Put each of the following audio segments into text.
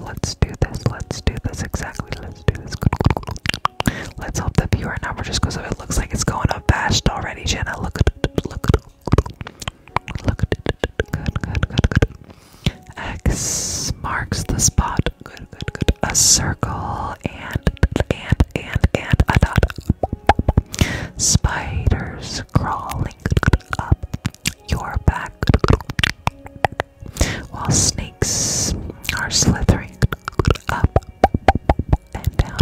Let's do this. Let's do this. Exactly. Let's do this. Let's hope the viewer number just goes up. It looks like it's going up fast already, Jenna. Look at it. Look at it. Look at it. Good, good, good, good. X marks the spot. Good, good, good. A circle and, and, and, and a dot. Spiders, crawling up your back while snakes are slithering up and down.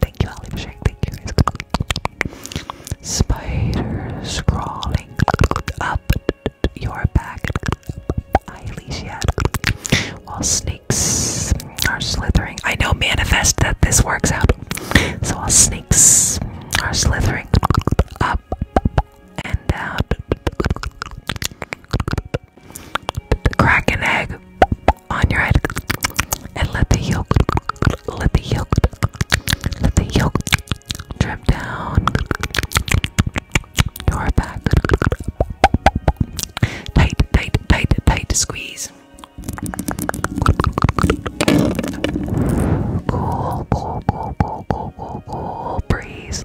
Thank you, Holly, for sharing. Thank you, guys. Spiders crawling up your back. While snakes are slithering. I know manifest that this works out. So I'll sneak are slithering up and down. Crack an egg on your head and let the yolk, let the yolk, let the yolk drip down your back. Tight, tight, tight, tight squeeze. Cool, cool, cool, cool, cool, cool, breeze.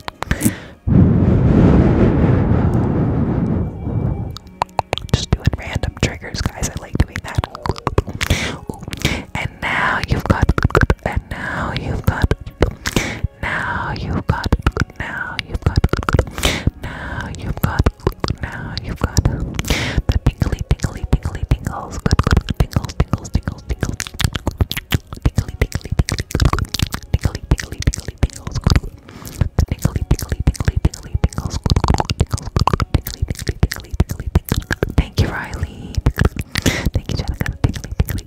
Just doing random triggers, guys. I like doing that. And now you've got, and now you've got, now you've got, now you've got, now you've got, now you've got the tingly, tingly, tingly, tingles. Good, good, Tingles, tingles, tingles, tingles. Tingly, tingly, tingly, tingly, tingly, tingly, tingles. The tingly, tingly, tingly, tingly, tingles. Tingles, tingly, tingly, tingly, tingly, tingles. Thank you, Riley. Thank you, Jenica. Tingly,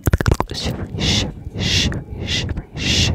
tingly, shivery, shivery, shivery, shivery, shivers.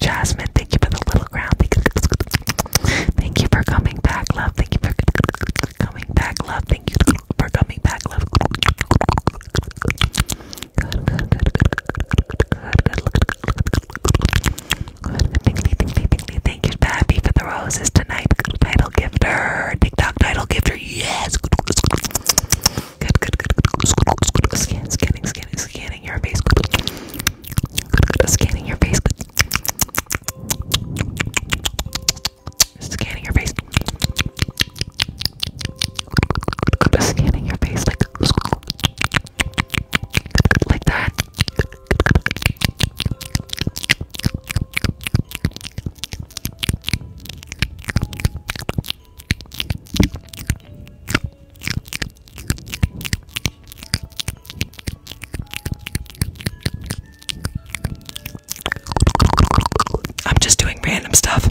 Jasmine, thank you for the little ground. Thank you for coming back, love. Thank you for coming back, love. Thank you for coming back, love. Good, good, good, good, good, good, Thank you, Patty, for the roses tonight. Title gifter, TikTok title gifter, yes. Good, good, good, scanning, scanning, scanning your face. scanning your face. Scanning your face scanning your face like that. I'm just doing random stuff.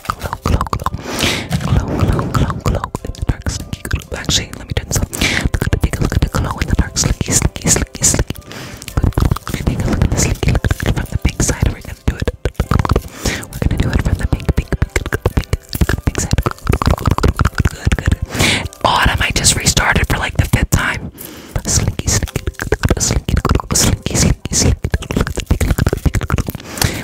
glow, glow, glow, glow, glow, glow, glow in the dark, slinky glow. Actually, let me do this up. Look at the take look at the glow in the dark, slinky, slinky, slinky, slinky. look at the slinky, look at it from the pink side. We're gonna do it. We're gonna do it from the pink, pink, pink, pink, pink, side. Good, good. Autumn, I just restarted for like the fifth time. Slinky, slinky, slinky, slinky, slinky, slinky. Look at the pink, look at the pink, look at the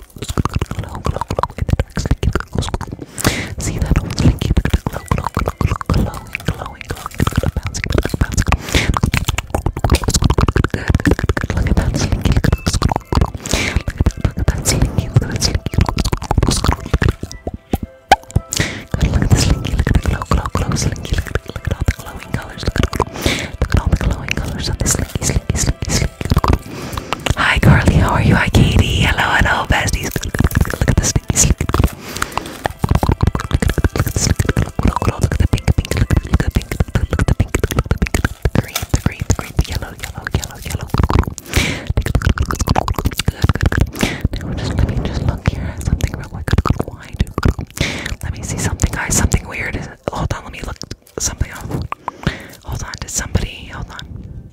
glow, glow, glow in the dark, slinky, glow, See that old slinky, glow, glow, glow, glow, glowing, glowing, glowing, bouncing, bouncing. Look at that slinky, look at that slinky, look at that slinky, look at that slinky. Look at the slinky, look at the glow, glow, glow, slinky, look at all the glowing colors, look at all the glowing colors on the slinky. Hi, Carly. How are you? Hi, Katie. Hello, hello, besties. Look at the sneaky sleep. pink, pink. the pink. the pink. the pink. The green, the green, the green, yellow, yellow, yellow, yellow. Now just let me just look here something real quick. Let me see something, guys. Something weird. Hold on. Let me look something else. Hold on, did somebody hold on?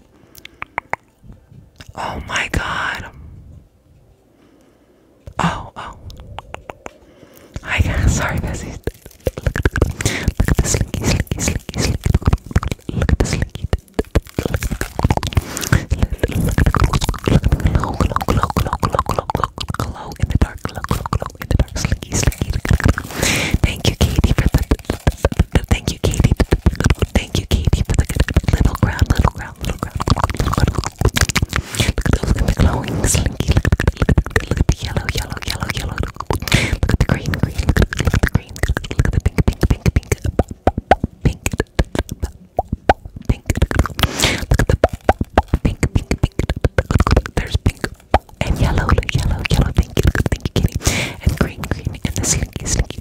Oh my god. Oh, oh. Hi guys, sorry Bessie. Look look at the slinky slinky slinky slinky look at the slinky glow glow glow glow glow glow glow glow glow glow glow in the dark glow glow glow Thank you, Katie, for the. Thank you, Katie. Thank you, Katie, for the little ground, little ground, little ground. Look at the, glowing slinky. Look at the, yellow, yellow, yellow, yellow. Look at the green, green. Look at the, look at the green. Look at the pink, pink, pink, pink, pink, pink. Look pink, pink, pink. There's pink and yellow, yellow, yellow. Thank you, thank you, Kitty. And green, green, and the slinky, slinky.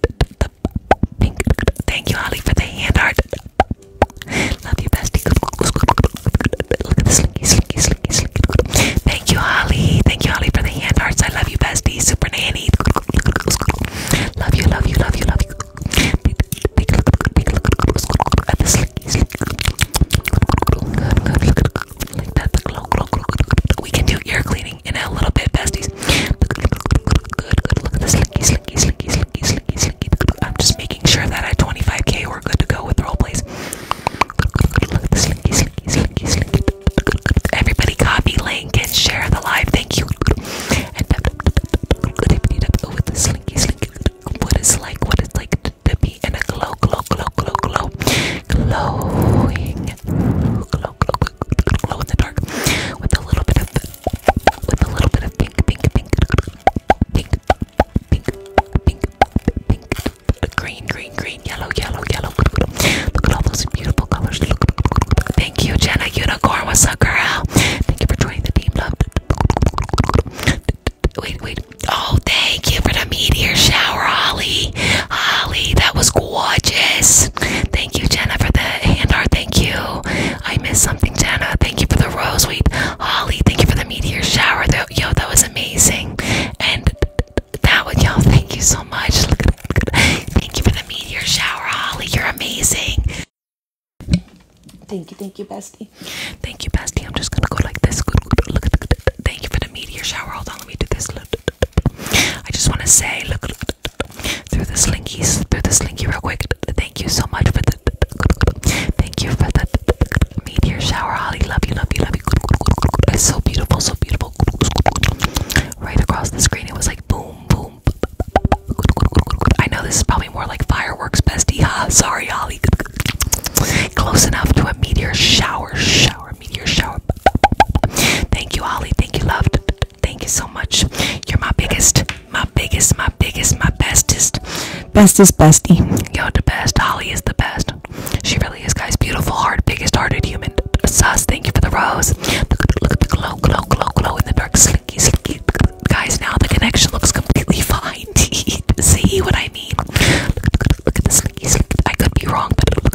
Pink. Thank you, Holly, for the hand art. Love you, bestie. Look at the slinky, slinky, slinky, slinky. Thank you, Holly. Thank you, Holly, for the hand arts. I love you, bestie. Super nanny. Love you, love you, love you, love you. Take a look, take a look at the slinky, slinky. Good, good. Look at we can do ear cleaning in a little bit, besties. I'm just making sure that at 25k we're good to go with role plays. the slinky, slinky, Everybody, copy link and share the live. Thank you. What is like? What is like? to be in a glow, glow, glow, glow, glow, glowing, glow, glow, glow, glow in the dark with a little bit of, with a little bit of pink, pink, pink, pink, pink, pink, pink, green, green, green, yellow, yellow, yellow. Look at all those beautiful colors. thank you, Jenna Unicorn. What's up, girl? Thank you for joining the team, love. Wait, wait, Oh, thank you for the meteor shower, Holly. Holly, that was gorgeous. Thank you, Jenna, for the hand art. Thank you. I missed something, Jenna. Thank you for the rose. Wait, Holly, thank you for the meteor shower. Yo, that was amazing. And that one, all thank you so much. Look at, look thank you for the meteor shower, Holly. You're amazing. Thank you, thank you, bestie. Thank you, bestie. I'm just gonna go like this. Thank you for the meteor shower. Hold on, let me do this. I just want to say, look through the slinkies, through the slinky, real quick. Thank you so much for the. Thank you for the meteor shower, Holly. Love you, love you, love you. It's so beautiful, so beautiful. Right across the screen, it was like boom, boom. I know this is probably more like fireworks, bestie. Ha. Sorry, Holly. Close enough to a meteor shower, shower, meteor shower. Thank you, Ollie. Thank you, love. Thank you so much. You're my biggest, my biggest, my biggest, my bestest, bestest, bestie. You're the best. Ollie is the best. She really is, guys. Beautiful heart, biggest hearted human. Sus, thank you for the rose. Look at, look the glow, glow, glow, glow in the dark, slinky, slinky. Guys, now the connection looks completely fine. See what I mean? look at this slinky, slinky. I could be wrong, but look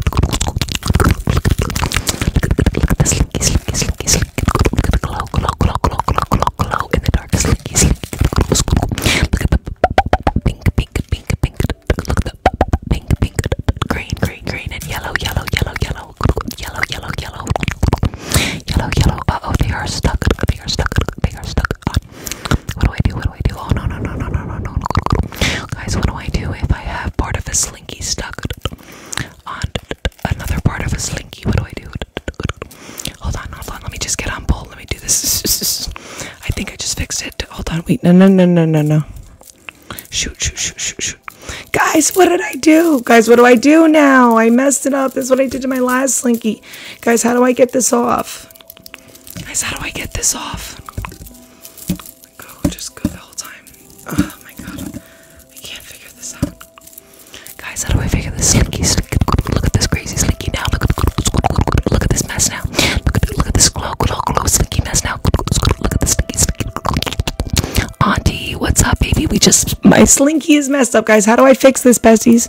at the slinky, slinky, slinky, slinky. Look at the glow, glow, glow, glow, glow, glow, glow in the dark, slinky, slinky. Look at the pink, pink, pink, pink. Look at the pink, pink, green, green, green, and yellow, yellow, yellow, yellow, yellow, yellow, yellow, yellow, yellow. Uh oh, they are stuck. They are stuck. They are stuck. What do I do? What do I do? Oh no no no no no no no Guys, what do I do if I have part of a slinky stuck on another part of a slinky? What do I do? Hold on, hold on. Let me just get on bolt. Let me do this. I think I just fixed it. Hold on. Wait. No no no no no no. Shoot shoot shoot shoot shoot. Guys, what did I do? Guys, what do I do now? I messed it up. That's what I did to my last slinky. Guys, how do I get this off? Guys, how do I get this off? Go, just go the whole time. Oh my god, I can't figure this out. Guys, how do I figure this slinky? look at this crazy slinky now. Look at this mess now. Look at this glow glow glow slinky mess now. Look at this slinky slinky. Auntie, what's up, baby? We just my slinky is messed up, guys. How do I fix this, besties?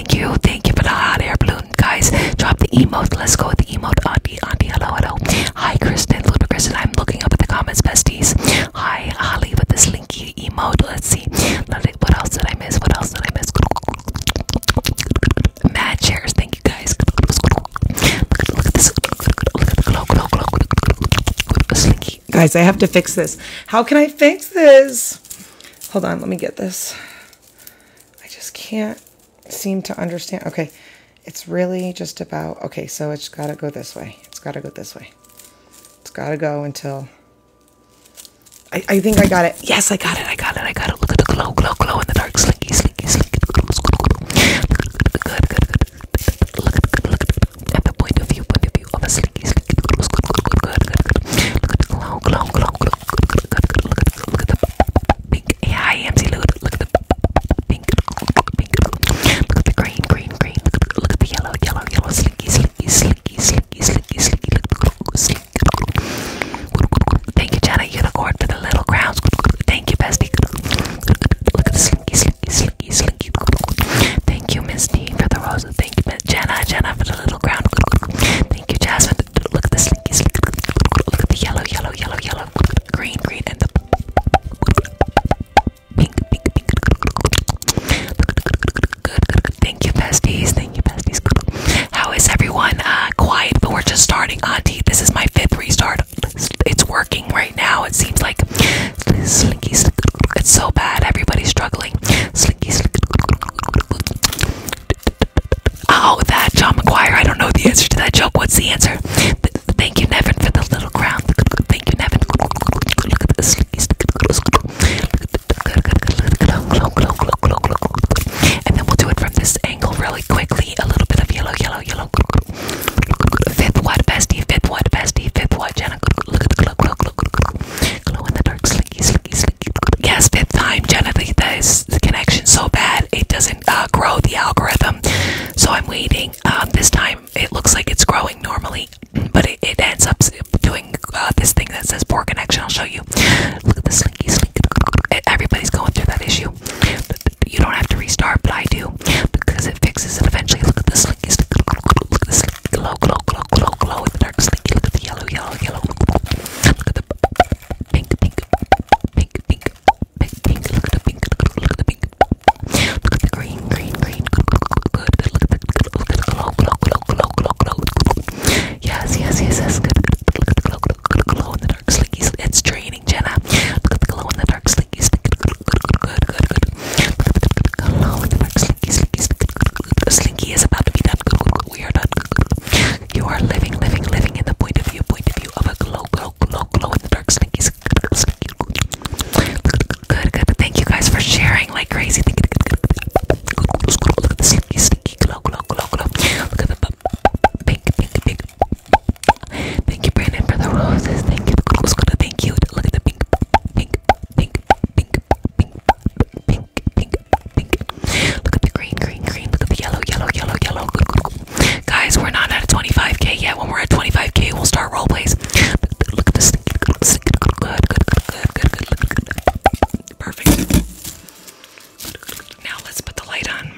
thank you, thank you for the hot air balloon, guys. Drop the emote. Let's go with the emote. Auntie, auntie, hello, hello. Hi, Kristen, Luda Kristen. I'm looking up at the comments, besties. Hi, Holly with the slinky emote. Let's see. What else did I miss? What else did I miss? Mad chairs. Thank you, guys. Look at, look at this. Look at the glow, glow, glow. Slinky. Guys, I have to fix this. How can I fix this? Hold on, let me get this. I just can't seem to understand. Okay, it's really just about, okay, so it's got to go this way. It's got to go this way. It's got to go until, I, I think I got it. Yes, I got it. I got it. I got it. Look at the glow, glow, glow in the dark. Slinky, slinky, slinky. Glow, glow, glow. Good, good, good. Look at the, look at, at the point of view, point of view of a slinky, slinky. Glow, glow, glow, glow. Good, good, good. Look at the glow, glow, glow, glow look at the pink. Yeah, I am see. Look at the look at the pink, pink. Look at the green, green, green. Look at the, look at the yellow, yellow, yellow. Slinky, slinky, slinky, slinky, slinky, slinky. Look, slink. Thank you, Jenna. Unicorn for the little crowns. Thank you, bestie. Look at the slinky, slinky, slinky, slinky. Thank you, Miss D for the roses. Thank you, Jenna, Jenna for the little crown. Thank you, Jasmine the, look at the slinky, slinky, look at the yellow, yellow, yellow, yellow, green, green, and the pink, pink, pink. Good, good, good. Thank you, besties. Thank you, besties. How is everyone? Uh, quiet, but we're just starting, Auntie. Uh, this is my fifth restart. It's working right now. It seems like slinky, slinky. It's so bad. Everybody's struggling. Slinky, slinky. Oh, that John McGuire. I don't know the answer to that joke. What's the answer? Th thank you, Nevin, for the little crown. Thank you, Nevin. Look at this. And then we'll do it from this angle really quickly. A little bit of yellow, yellow, yellow. Fifth what bestie, fifth what bestie, fifth what Jenna. Look at the glow, glow, glow, glow, glow in the dark, slinky, slinky, slinky. Yes, fifth time, Jenna. The, the, the connection so bad it doesn't grow the algorithm. So I'm waiting. this time it looks like it's growing normally, but it, ends up doing this thing that says poor connection. I'll show you. Look at the slinky slink. Everybody's going through that issue. You don't have to restart, but I do because it fixes it eventually. Look at the slinky slink. Look at the glow, glow, glow, glow, glow. dark slinky. Look at the yellow, yellow, yellow. Pink, pink, pink, pink, pink, pink. Look at the pink. Look at the pink. Look at the green, green, green. Good. good. Look at the good. Look at the glow, glow, glow, glow, glow, glow. Yes, yes, yes, yes. Good. good. Look at the glow, glow, glow, glow in the dark, slinky. It's draining, Jenna. Look at the glow in the dark, slinky. Good, good, good, good, good. good. Look at the glow in the dark, slinky, slinky, slinky. Slinky is about to be done. Good, good, good. We are done. Good, good. You are living, living, living in the point of view, point of view of a glow, glow, glow, glow in the dark slinky. Good, good. Thank you guys for sharing like crazy. Look at the slinky, slinky, glow, glow, glow, glow. Look at the pink, pink, pink. Thank you, Brandon, for the roses. Thank you. Look at the pink, pink, pink, pink, pink, pink, pink, pink. Look at the green, green, green. Look at the yellow, yellow, yellow, yellow. Guys, we're not at 25k yet. When we're at 25k, we'll start role plays. Look at this. Good, good, good, good, good, good, good. Perfect. Now let's put the light on.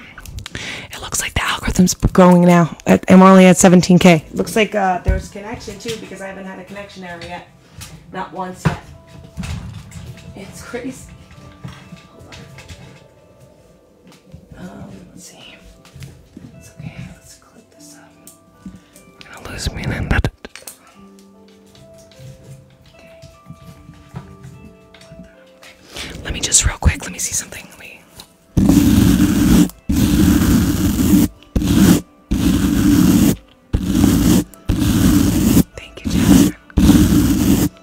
It looks like the algorithm's growing now. I'm only at 17k. Looks like uh, there's connection too because I haven't had a connection error yet. Not once yet. It's crazy. Hold on. Um, let's see. It's okay. Let's clip this up. we lose me Let me just real quick. Let me see something. Let Thank you, Jasmine.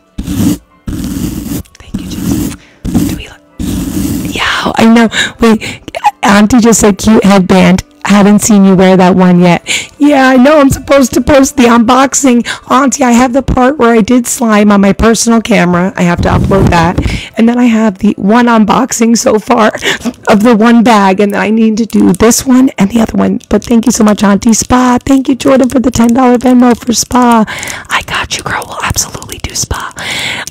Yeah, I know. Wait, Auntie just said cute headband. Haven't seen you wear that one yet. Yeah, I know. I'm supposed to post the unboxing. Auntie, I have the part where I did slime on my personal camera. I have to upload that. And then I have the one unboxing so far of the one bag. And then I need to do this one and the other one. But thank you so much, Auntie Spa. Thank you, Jordan, for the $10 Venmo for spa. I got you, girl. We'll absolutely do spa.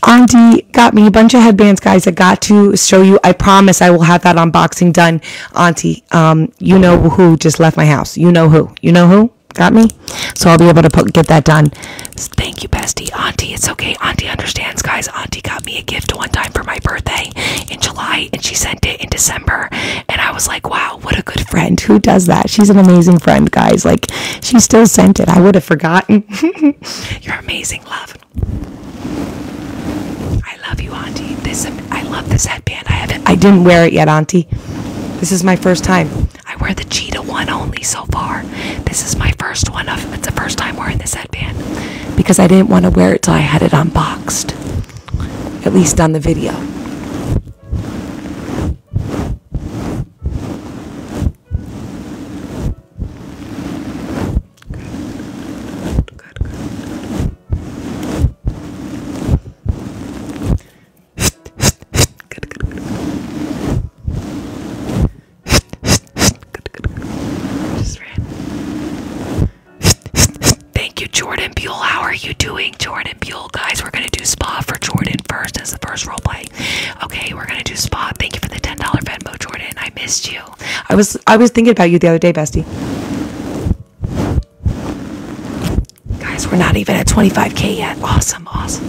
Auntie got me a bunch of headbands, guys. I got to show you. I promise I will have that unboxing done. Auntie, um, you know who just left my house. You know who. You know who got me. So I'll be able to put, get that done. Thank you, bestie. Auntie, it's okay. Auntie understands, guys. Auntie got me a gift one time for my birthday in July, and she sent it in December. And I was like, wow what a good friend. Who does that? She's an amazing friend, guys. Like, she still sent it. I would have forgotten. You're amazing, love. I love you, Auntie. This I love this headband. I haven't I didn't wear it yet, Auntie. This is my first time. I wear the cheetah one only so far. This is my first one of it's the first time wearing this headband. Because I didn't want to wear it till I had it unboxed. At least on the video. Thank you, Jordan Buell. How are you doing? Jordan Buell, guys. We're gonna do spa for Jordan first as the first role play. Okay, we're gonna do spa. Thank you for the ten dollar Venmo, Jordan. I missed you. I was I was thinking about you the other day, Bestie. Guys, we're not even at 25k yet. Awesome, awesome.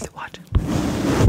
Watch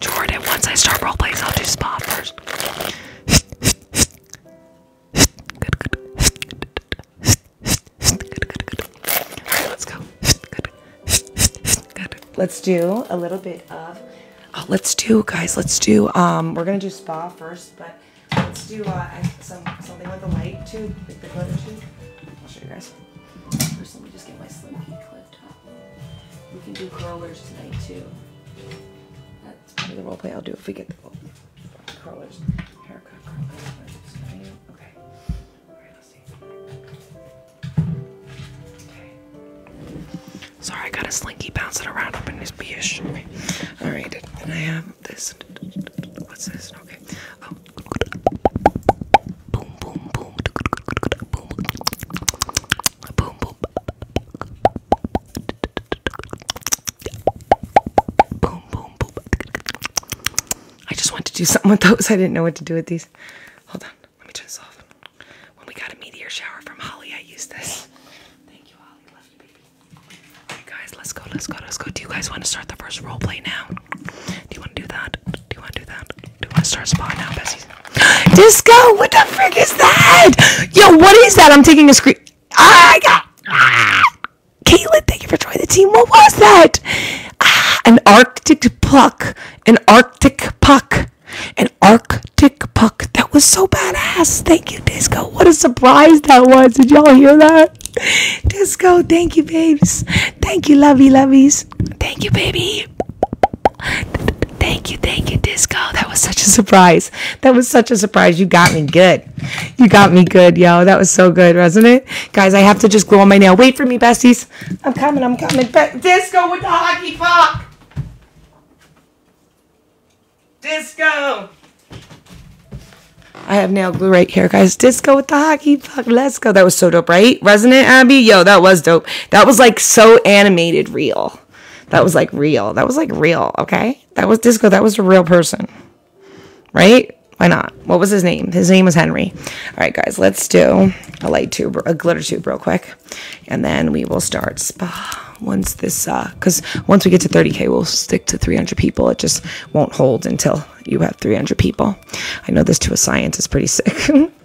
Jordan, once I start role plays, I'll do spa first. let's go. Let's do a little bit of oh, let's do guys, let's do um we're gonna do spa first, but let's do uh, something with the light too, I'll show you guys. First let me just get my slim key clipped. We can do curlers today too. That's part of the role play I'll do if we get the curlers. Haircut, curlers. Okay. All right, let's see. Okay. Sorry, I got a slinky bouncing around up in this bish. Okay. All right, and I have this. What's this? Okay. Oh. Boom, boom, boom. Boom. Boom, boom. Boom, I just wanted to do something with those. I didn't know what to do with these. Hold on. Let me turn this off. When we got a meteor shower from Holly, I used this. Thank you, Holly. Love you, baby. Alright, guys. Let's go. Let's go. Let's go. Do you guys want to start the first role play now? Do you want to do that? Do you want to do that? Do you want to start spa now, Bessie? Disco, what the frick is that? Yo, what is that? I'm taking a screen. I got. Ah. Caitlin, thank you for joining the team. What was that? Ah, an Arctic puck. An Arctic puck. An Arctic puck. That was so badass. Thank you, Disco. What a surprise that was. Did y'all hear that? Disco, thank you, babes. Thank you, lovey loveys. Thank you, baby. Thank you, thank you, Disco. That was such a surprise. That was such a surprise. You got me good. You got me good, yo. That was so good, wasn't it? Guys, I have to just glue on my nail. Wait for me, besties. I'm coming, I'm coming. Be Disco with the hockey puck. Disco. I have nail glue right here, guys. Disco with the hockey puck. Let's go. That was so dope, right? Resonant Abby? Yo, that was dope. That was like so animated real. That was like real. That was like real, okay? That was disco. That was a real person. Right? Why not? What was his name? His name was Henry. All right, guys, let's do a light tube, a glitter tube real quick. And then we will start spa once this, uh, cause once we get to 30K, we'll stick to 300 people. It just won't hold until you have 300 people. I know this to a science It's pretty sick.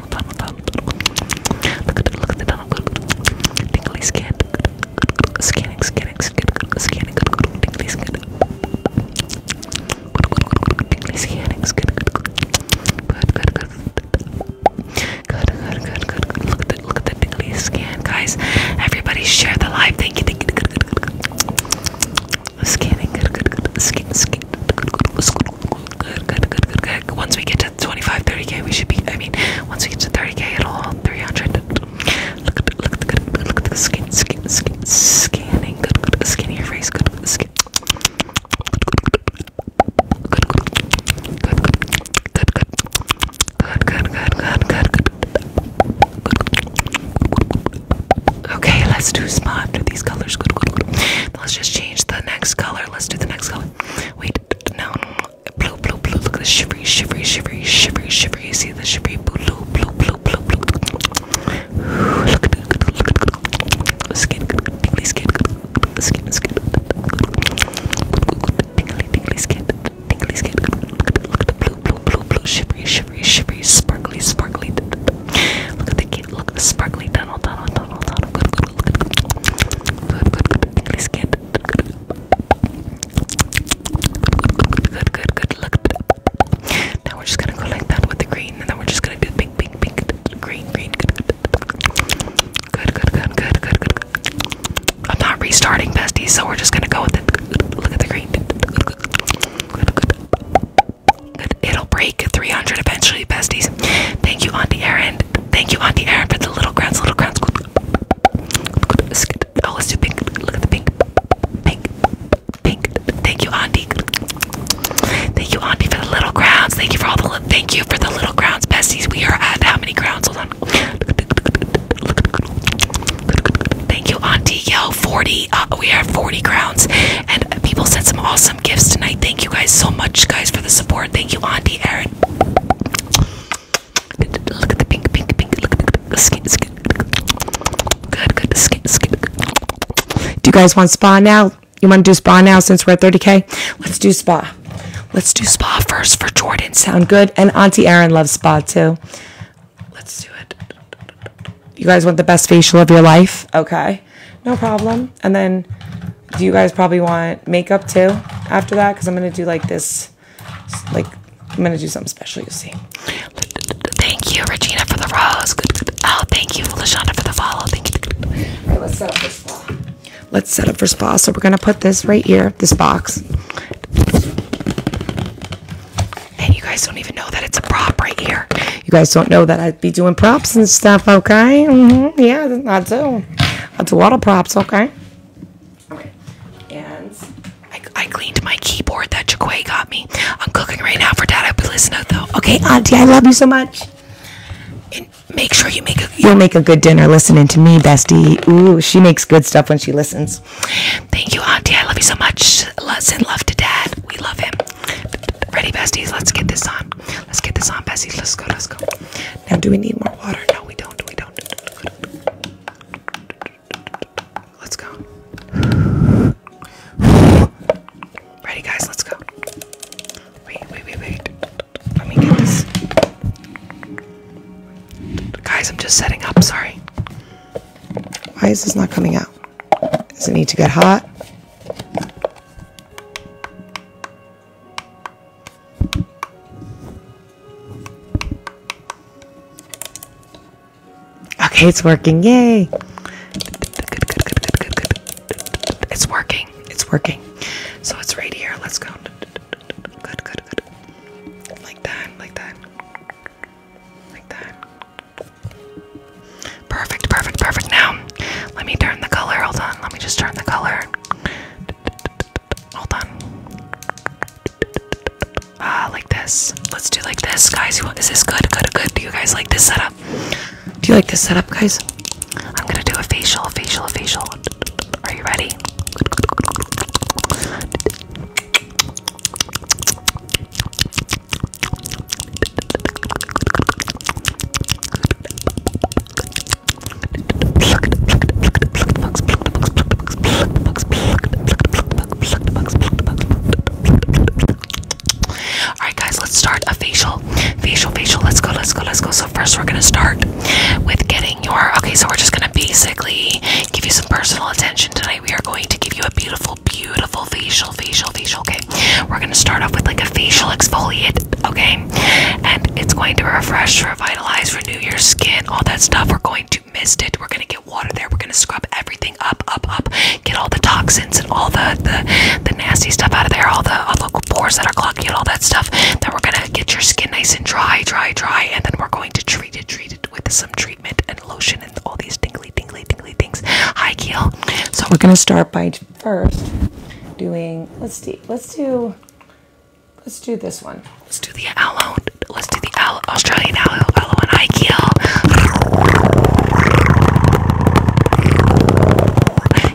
tunnel, tunnel, tunnel, tunnel. Look at the, look at the tunnel. Tingly skin. Scanning, scanning, scanning, scanning. Tingly skin. Tingly scanning, scanning. Good, good, good. Good, good, good, good, good. Look at the, look at the tingly scan, guys. Everybody share the live. Thank you, thank you. Scanning, good, good, good. Scan, scan. Good, good, good. Good, good, good, good, good. Once we get to 25, 30k, we should be. I mean, once we get to 30k, it'll all 300. Look at the, look at the, good, look at the skin, skin, skin, scanning. Good, good, skin your face. Good, good, skin. Good, good, good, good, good, good, good, good, good, good. Okay, let's do spot. Do these colors. Good, good, good. Let's just change the next color. Let's do the next color. Wait, no, blue, blue, blue. Look at the shivery, shivery, shivery, shivery, shivery. See the shivery, blue, blue, blue, blue, blue. Look at the, look at the skin, tingly skin, skin, skin. Tingly, tingly skin, tingly skin. Look at the, look at the blue, blue, blue, blue. Shivery, shivery, shivery, sparkly, sparkly. Look at the kid. Look at the sparkly Donald, Donald, Good, good, good, good. Good, good, good. Good, good, Look. Now we're just gonna go like that with the green, and then we're just gonna do pink, pink, pink, green, green. Good, good, good, good, good, I'm not restarting, besties, so we're just gonna go with it. Look at the green. It'll break 300 eventually, besties. Thank you, Auntie Erin. Thank you, Auntie Erin, for the little crowns, little crowns. Oh, let's do pink. Look at the pink. Pink. Pink. Thank you, Auntie. Thank you, Auntie, for the little crowns. Thank you for all the little thank you for the little crowns, besties. We are at how many crowns? Hold on. Thank you, Auntie. Yo, 40. Uh, we have 40 crowns. And people sent some awesome gifts tonight. Thank you guys so much, guys, for the support. Thank you, Auntie Erin. Look at the pink, pink, pink. Look at the skin, skin. Good, good. Skin, skin. Do you guys want spa now? You want to do spa now since we're at 30K? Let's do spa. Let's do spa first for Jordan. Sound good? And Auntie Erin loves spa too. Let's do it. You guys want the best facial of your life? Okay. No problem. And then do you guys probably want makeup too after that? Because I'm going to do like this, like, I'm going to do something special, you'll see. Thank you, Regina, for the rose. Oh, thank you, Lashonda, for the follow. let's set up for spa. Let's set up for spa. So we're going to put this right here, this box. And you guys don't even know that it's a prop right here. You guys don't know that I'd be doing props and stuff, okay? Mm-hmm. Yeah, that's do. I do a lot of props, okay? Okay. And I, cleaned my keyboard that Jaquay got me. I'm cooking right now for Dad. I'll be listening though. Okay, Auntie, I love you so much. And make sure you make a you'll make a good dinner listening to me, Bestie. Ooh, she makes good stuff when she listens. Thank you, Auntie. I love you so much. Let's send love to Dad. We love him. Ready, besties? Let's get this on. Let's get this on, besties. Let's go. Let's go. Now, do we need more water? No, we don't. Let's go. Ready, guys? Let's go. Wait, wait, wait, wait. Let me get this. Guys, I'm just setting up. Sorry. Why is this not coming out? Does it need to get hot? Okay, it's working. Yay. Good, good, good, good, good, good. It's working. It's working. So it's right here. Let's go. Good, good, good. Like that, like that. Like that. Perfect, perfect, perfect. Now, let me turn the color. Hold on. Let me just turn the color. Hold on. Ah, like this. Let's do like this, guys. Is this good? Good, good. Do you guys like this setup? Do you like this setup, guys? I'm gonna do a facial, a facial, a facial. Are you ready? Alright guys, let's start a facial. Facial, facial, let's go, let's go, let's go. So first we're gonna start with getting your okay, so we're just gonna basically give you some personal attention tonight. We are going to give you a beautiful, beautiful facial, facial, facial. Okay. We're gonna start off with like a facial exfoliate, okay? And it's going to refresh revitalize, renew your skin, all that stuff. We're going to mist it. We're gonna get water there. We're gonna scrub everything up, up, up. Get all the toxins and all the the, the nasty stuff out of there. All the local pores that are clogging and all that stuff. Then we're gonna get your skin nice and dry, dry, dry, and then we're going to treat it, treat it with some treatment and lotion and all these tingly, tingly, tingly things. Hi, keel. So we're gonna start by first doing. Let's see. Let's do. Let's do this one. Let's do the aloe. Let's do the Australian aloe, aloe and Ikea.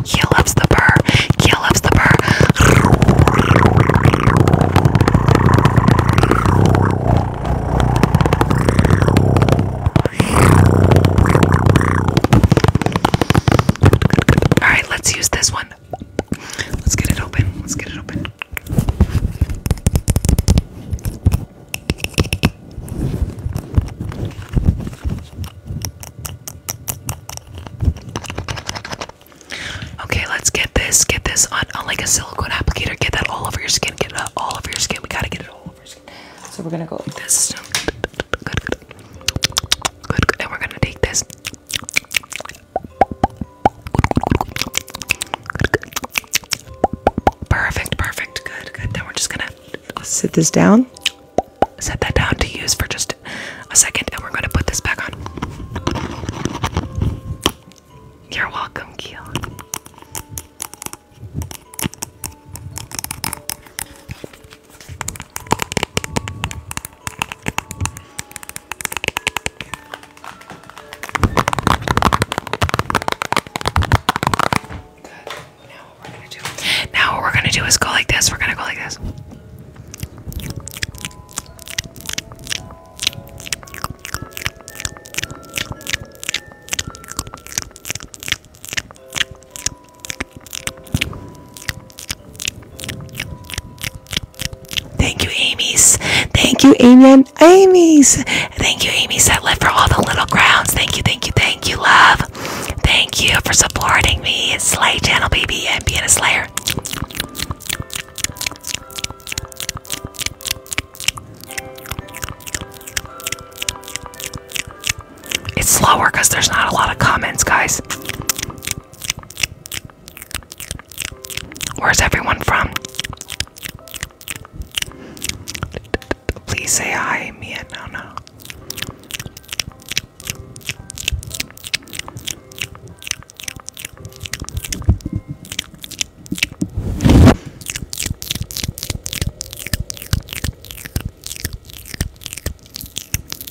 Kia loves the burr. Kia loves the burr. All right, let's use this one. Let's get it open. Let's get it open. Okay, let's get this. Get this on, on like a silicone applicator. Get that all over your skin. Get it all over your skin. We gotta get it all over your skin. So we're gonna go like this. Good, good. And we're gonna take this. Perfect, perfect, good, good. Now we're just gonna sit this down, set that down to use for just a second, and we're gonna put this back on. You're welcome, Keel. Now what we're gonna do? is go like this. We're gonna go like this. Thank you, Amy's. Thank you, Amy and Amy's. Thank you, Amy's. I live for all the little crowns. Thank you, thank you, thank you, love. Thank you for supporting me. Slay channel, baby, and being a slayer. It's slower because there's not a lot of comments, guys. Where's everyone from? Please say hi, Mia.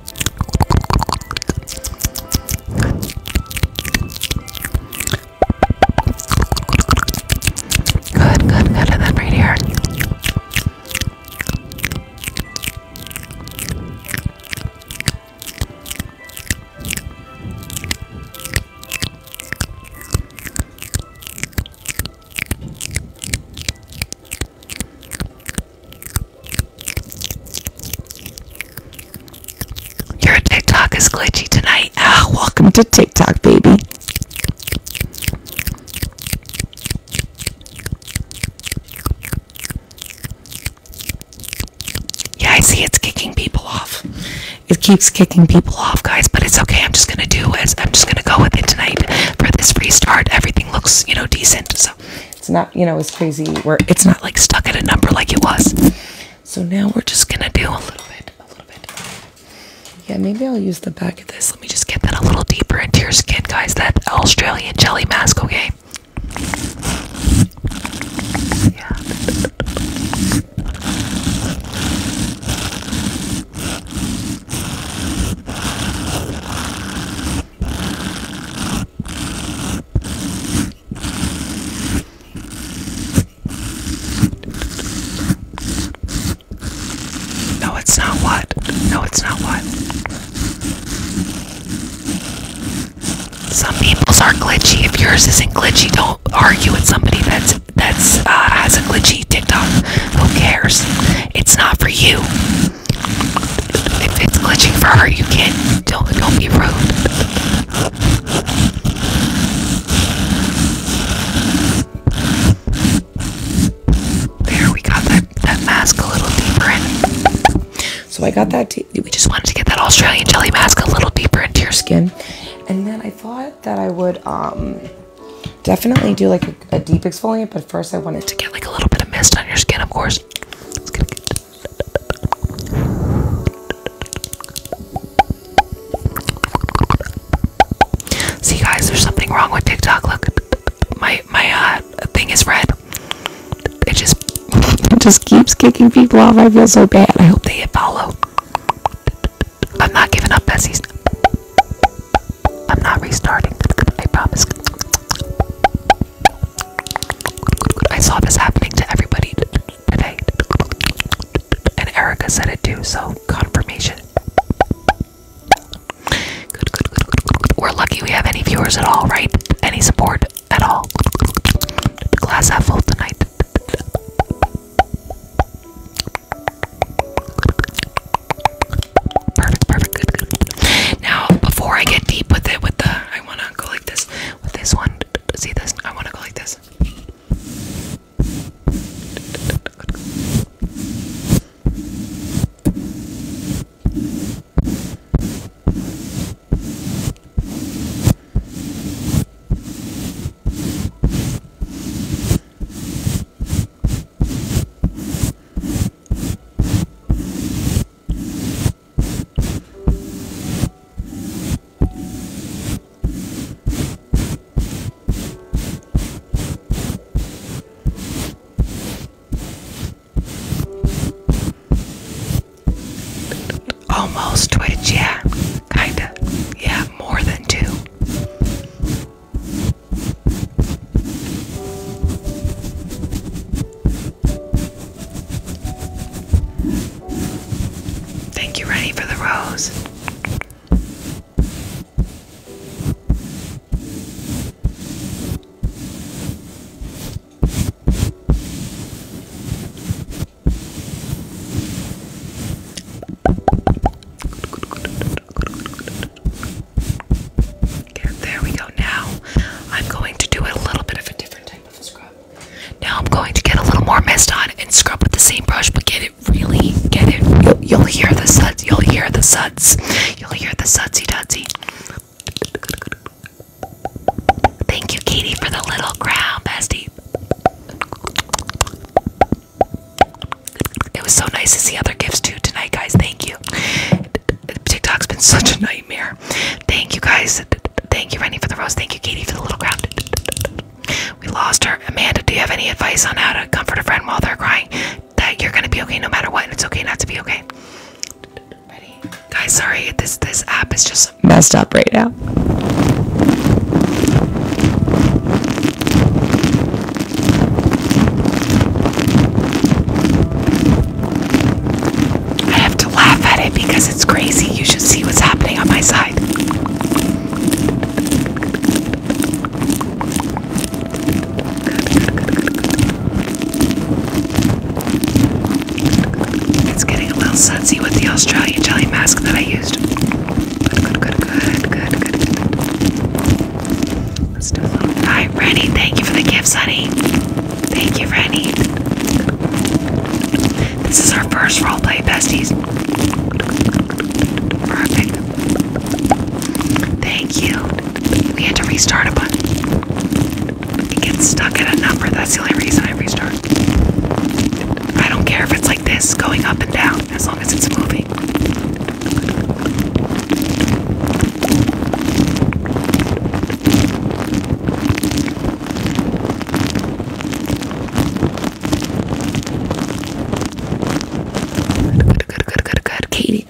Good, good, good. And then right here. Your TikTok is glitchy tonight. Ah, welcome to TikTok, baby. Yeah, I see it's kicking people off. It keeps kicking people off, guys, but it's okay. I'm just gonna do it. I'm just gonna go with it tonight for this restart. Everything looks, you know, decent. So it's not, you know, as crazy where it's not like stuck at a number like it was. So now we're just gonna do a little bit, a little bit. Yeah, maybe I'll use the back of this. Let me just get that a little deeper into your skin, guys. That Australian jelly mask, okay? Yeah. No, it's not what. No, it's not what. Some people's are glitchy. If yours isn't glitchy, don't argue with somebody that's that's uh, has a glitchy TikTok. Who cares? It's not for you. If it's glitching for her, you can't. Don't, don't be rude. There, we got that, that mask a little deeper in. So I got that. We just wanted to get that Australian jelly mask a little deeper into your skin. And then I thought that I would um, definitely do like a, deep exfoliant, but first I wanted to get like a little bit of mist on your skin, of course. It's going get See guys, there's something wrong with TikTok. Look, my my uh thing is red. It just it just keeps kicking people off. I feel so bad. I hope they follow. I'm not giving up, Bessie's. I'm not restarting. I promise. I saw this happening to everybody today. And Erica said it too, so confirmation. Good, good, good, We're lucky we have any viewers at all, right? Any support at all. The Glass half full tonight. Perfect, perfect, good. Now, before I get deep with it, with the I wanna go like this. With this one, see this? I want to go like this. Almost Twitch, yeah. Kinda. Yeah, more than two. Thank you, Rennie, for the rose. Okay, there we go. Now I'm going to do a little bit of a different type of scrub. Now I'm going to get a little more mist on and scrub with the same brush, but get it really, get it. You'll, hear the suds. You'll hear the suds. You'll hear the sudsy dudsy. Thank you, Katie, for the little crown, bestie. It was so nice to see other gifts too tonight, guys. Thank you. TikTok's been such a nightmare. Thank you guys. Thank you, Rennie, for the rose. Thank you, Katie, for the little crowd. We lost her. Amanda, do you have any advice on how to comfort a friend while they're crying? That you're gonna be okay no matter what, and it's okay not to be okay. Guys, sorry, this this app is just messed up right now. I have to laugh at it because it's crazy. You should see what's happening on my side. It's getting a little sunsy with the Australian jelly mask that I used. Good, good, good, good, good, good, Let's do a little. Alright, Rennie, thank you for the gifts, honey. Thank you, Rennie. This is our first roleplay, besties. Perfect. Thank you. We had to restart a button. It gets stuck at a number. That's the only reason I restart. I don't care if it's like this, going up and down, as long as it's moving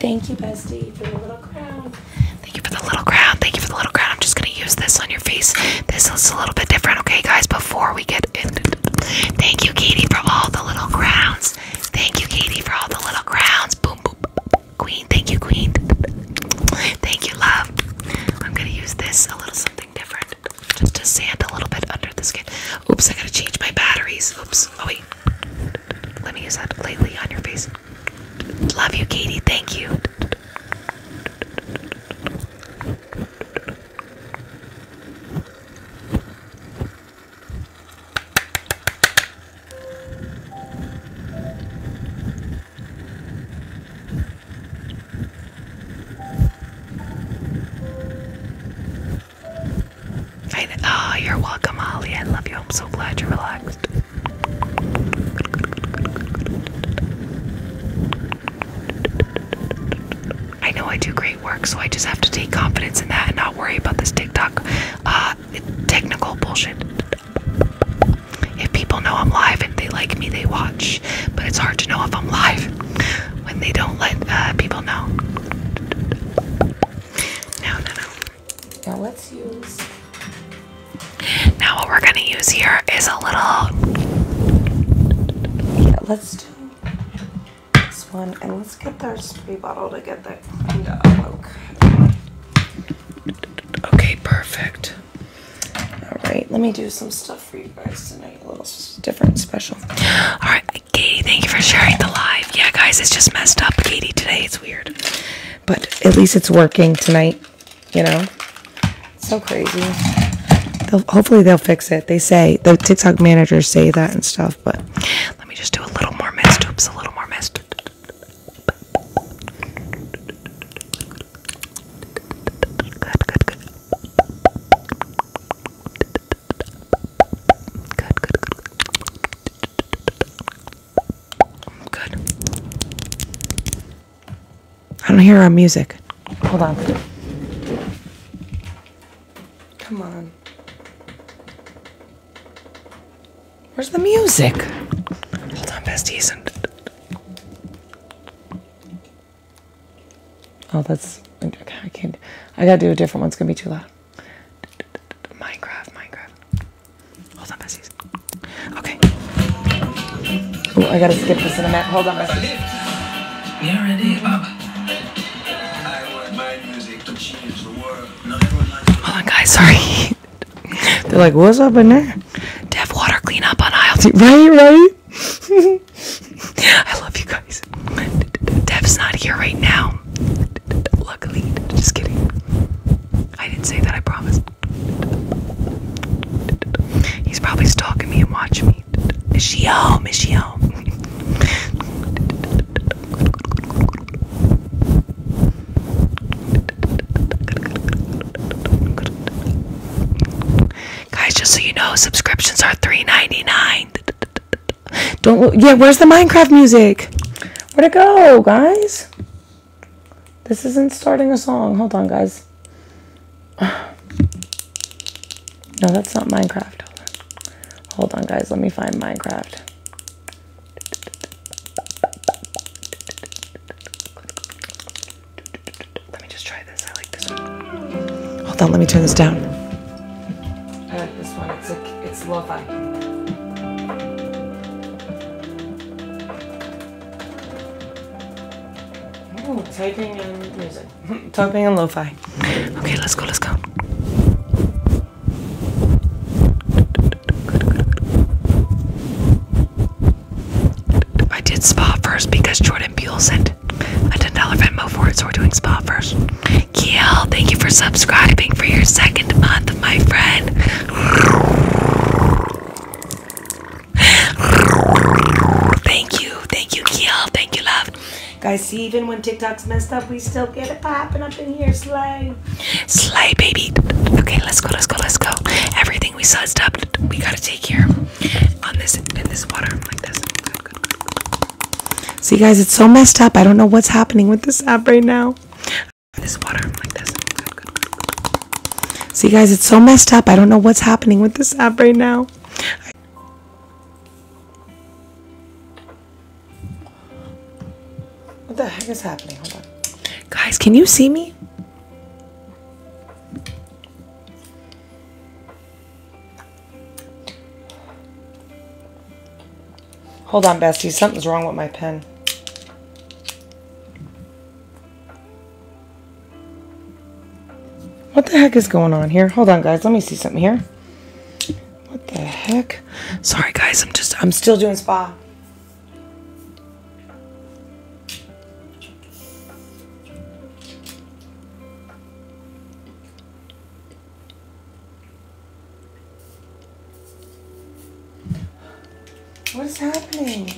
thank you, bestie, for the little crown. Thank you for the little crown. Thank you for the little crown. I'm just gonna use this on your face. This is a little bit different, okay, guys? Before we get in, thank you, Katie, for all the little crowns. Thank you, Katie, for all the little crowns. boom, boom, Queen, thank you, Queen. Thank you, love. I'm gonna use this a little something different just to sand a little bit under the skin. Oops, I gotta change my batteries. Oops, oh wait. Let me use that lightly on your face. Love you, Katie. Thank you. Oh, you're welcome, Holly. I love you. I'm so glad you're relaxed. I know I do great work, so I just have to take confidence in that and not worry about this TikTok uh, technical bullshit. If people know I'm live and they like me, they watch. But it's hard to know if I'm live when they don't let uh, people know. No, no, no. Now let's use. Now what we're gonna use here is a little. Yeah, let's do this one and let's get our spray bottle to get that cleaned up. Okay, perfect. All right, let me do some stuff for you guys tonight. A little different, special. All right, Katie, thank you for sharing the live. Yeah, guys, it's just messed up, Katie, today. It's weird. But at least it's working tonight, you know? so crazy. hopefully they'll fix it. They say, the TikTok managers say that and stuff, but let me just do a little more mist. Oops, a little more mist. Good, good, good. Good, good, good. Good. I don't hear our music. Hold on. Come on. Where's the music? Hold on, besties. Oh, that's okay. I can't. I gotta do a different one. It's gonna be too loud. Minecraft, Minecraft. Hold on, besties. Okay. Oh, I gotta skip this in a minute. Hold on, besties. You're ready, Bob. Hold on, guys. Sorry. They're like, what's up in there? Dev water cleanup on aisle two. Right, right? I love you guys. Dev's not here right now. Luckily, just kidding. I didn't say that, I promise. He's probably stalking me and watching me. Is she home? Is she home? Guys, just so you know, subscriptions are $3.99. Don't Yeah, where's the Minecraft music? Where'd it go, guys? This isn't starting a song. Hold on, guys. No, that's not Minecraft. Hold on guys. Let me find Minecraft. Let me just try this. I like this one. Hold on, let me turn this down. I like this one. It's like it's lo typing and music. typing and lo-fi. Okay, let's go. Let's go. I did spa first because Jordan Buell sent a ten dollar Venmo for it, so we're doing spa first. Kiel, thank you for subscribing for your second month, my friend. Thank you, thank you, Kiel, thank you, love. Guys, see, even when TikTok's messed up, we still get it popping up in here, slay. Slay, baby. Okay, let's go, let's go, let's go. Everything thing we sized up we gotta take care on this in this water like this. See guys, it's so messed up. I don't know what's happening with this app right now. See guys, it's so messed up. I don't know what's happening with this app right now. what the heck is happening? Hold on. Guys, can you see me? Hold on, Bestie. Something's wrong with my pen. What the heck is going on here? Hold on, guys. Let me see something here. What the heck? Sorry, guys. I'm just, I'm still doing spa. What's happening?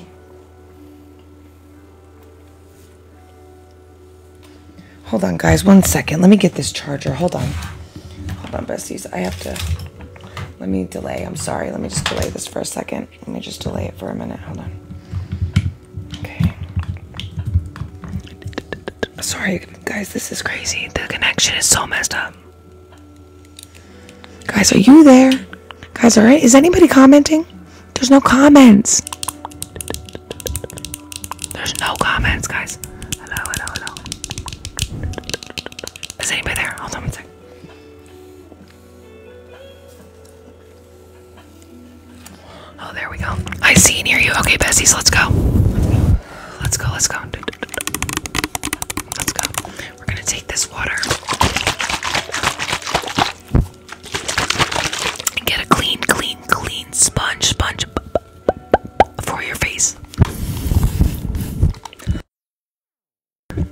Hold on, guys. One second. Let me get this charger. Hold on. Hold on, besties. I have to... Let me delay. I'm sorry. Let me just delay this for a second. Let me just delay it for a minute. Hold on. Okay. Sorry, guys, this is crazy. The connection is so messed up. Guys, are you there? Guys, all right? Is anybody commenting? There's no comments. There's no comments, guys. Hello, hello, hello. Is anybody there? Hold on one second. Oh, there we go. I see near you. Okay, Bessie, let Let's go, let's go. Let's go. We're gonna take this water and get a clean, clean, clean sponge, sponge for your face. Okay.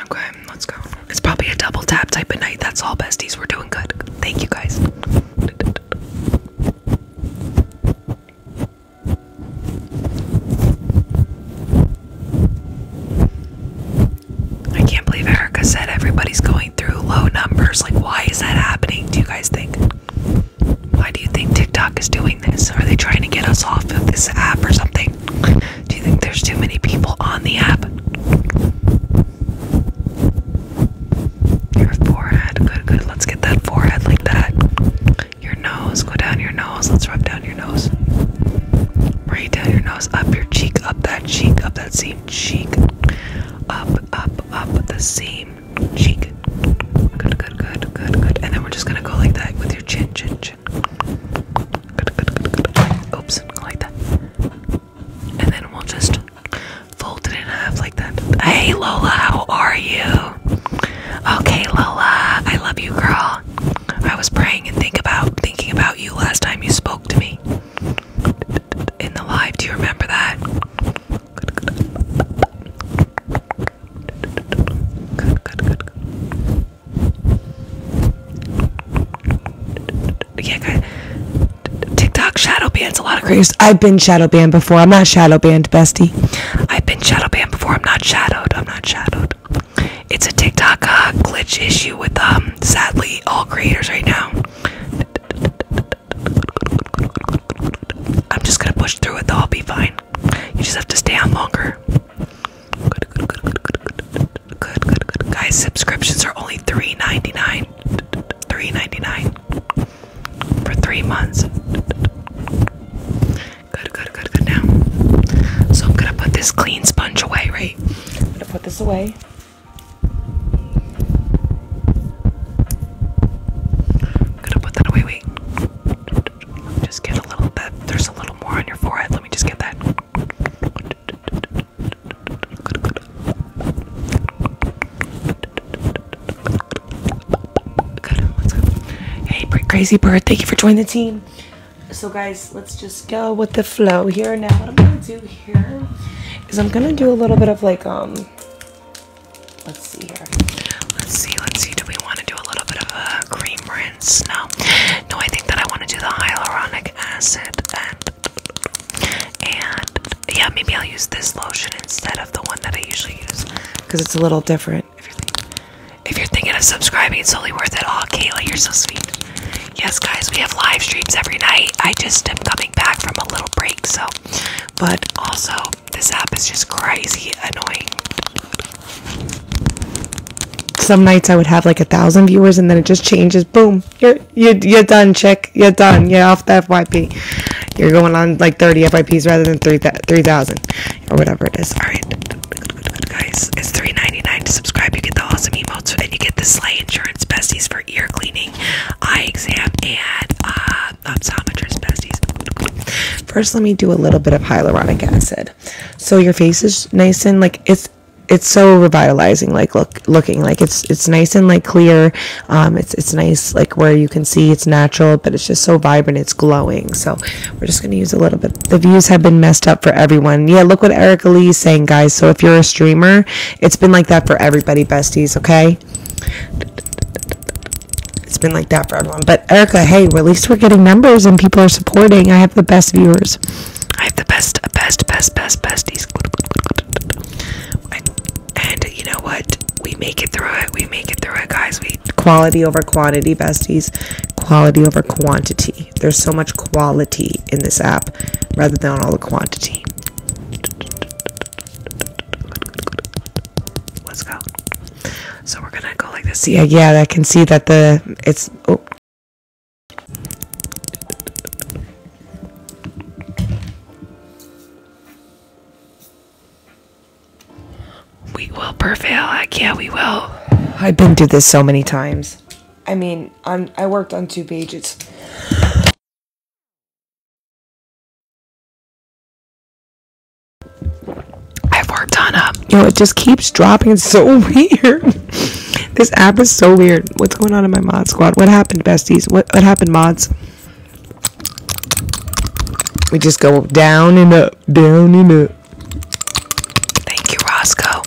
Okay, let's go. It's probably a double tap type of night. That's all, besties. We're doing good. Thank you guys. I can't believe Erica said everybody's going through low numbers. Like, why is that happening? Do you guys think? Why do you think TikTok is doing this? Are they trying to get us off of this app or something? Do you think there's too many people on the app? Your forehead, good, good. Let's get that forehead like that. Your nose, go down your nose. Let's rub down down your nose. Right down your nose, up your cheek, up that cheek, up that seam cheek. Up, up, up the seam cheek. Good, good, good, good, good. And then we're just gonna go like that with your chin, chin, chin. Good, good, good, good. Oops, like that. And then we'll just fold it in half like that. Hey Lola, how are you? Okay, Lola, I love you, girl. I was praying and think about thinking about you last time you spoke to me in the live. Do you remember that? Yeah, good. TikTok shadow bans a lot of creators. I've been shadow banned before. I'm not shadow banned, bestie. I've been shadow banned before. I'm not shadowed. I'm not shadowed. It's a TikTok uh, glitch issue with um, sadly all creators right now. I'm just gonna push through it I'll be fine. You just have to stay on longer. Good, good, good, good, good, good, good, good. Guys, subscriptions are only 3 dollars for three months. Good, good, good, good. Now, so I'm gonna put this clean sponge away, right? I'm gonna put this away. gonna put that away. Wait, just get a little bit. There's a little more on your forehead. Let me just get that. Hey, crazy bird! Thank you for joining the team so guys let's just go with the flow here now what i'm gonna do here is i'm gonna do a little bit of like um let's see here let's see let's see do we want to do a little bit of a cream rinse no no i think that i want to do the hyaluronic acid and and yeah maybe i'll use this lotion instead of the one that i usually use because it's a little different if you're if you're thinking of subscribing, it's only worth it. all, Kayla, you're so sweet. Yes, guys, we have live streams every night. I just am coming back from a little break, so. But also, this app is just crazy annoying. Some nights I would have like a thousand viewers, and then it just changes. Boom, you're you're, you're done, chick. You're done. You're off the FYP. You're going on like 30 FYPs rather than 3,000 3, or whatever it is. All right guys. It's $3.99 to subscribe. You get the awesome emotes, and you get the sleigh insurance besties for ear cleaning, eye exam, and uh, optometrist besties. First, let me do a little bit of hyaluronic acid. So your face is nice and like it's it's so revitalizing like look looking like it's it's nice and like clear um it's it's nice like where you can see it's natural but it's just so vibrant it's glowing so we're just going to use a little bit. The views have been messed up for everyone. Yeah, look what Erica Lee is saying, guys. So if you're a streamer, it's been like that for everybody, besties, okay? It's been like that for everyone. But Erica, hey, at least we're getting numbers and people are supporting. I have the best viewers. I have the best, best, best, best, besties. And, and you know what? We make it through it. We make it through it, guys. We quality over quantity, besties. Quality over quantity. There's so much quality in this app rather than all the quantity. Let's go. So we're gonna go like this. Yeah, yeah, I can see that the it's oh We will prevail. Like, yeah, we will. I've been through this so many times. I mean, on I worked on two pages. I've worked on a, um, you know, it just keeps dropping. It's so weird. this app is so weird. What's going on in my mod squad? What happened, besties? What what happened, mods? We just go down and up, down and up. Thank you, Roscoe.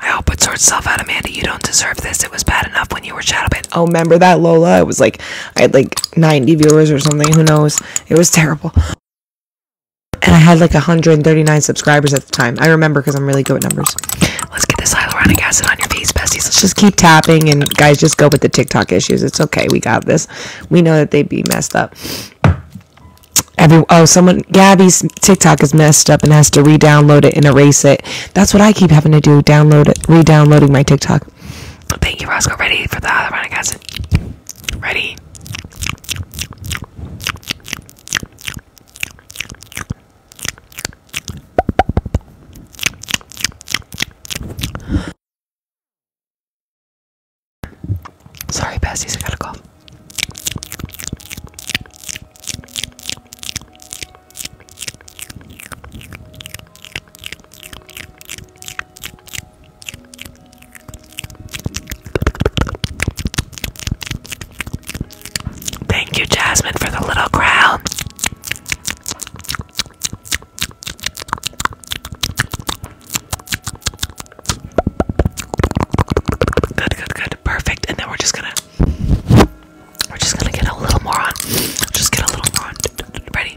I hope it sorts itself out, Amanda. You don't deserve this. It was bad enough when you were Shadowbit. Oh, remember that, Lola? It was like, I had like 90 viewers or something. Who knows? It was terrible. And I had like 139 subscribers at the time. I remember because I'm really good with numbers. Let's get this hyaluronic acid on your face, besties. Let's just keep tapping and guys, just go with the TikTok issues. It's okay. We got this. We know that they'd be messed up. Every, oh, someone Gabby's TikTok is messed up and has to re-download it and erase it. That's what I keep having to do: download it, re-downloading my TikTok. Thank you, Roscoe. Ready for the hyaluronic acid? Ready. Sorry, besties, I got a cough. Thank you, Jasmine, for the little crown. Good, good, good. Perfect. And then we're just gonna we're just gonna get a little more on. Just get a little more on. Ready?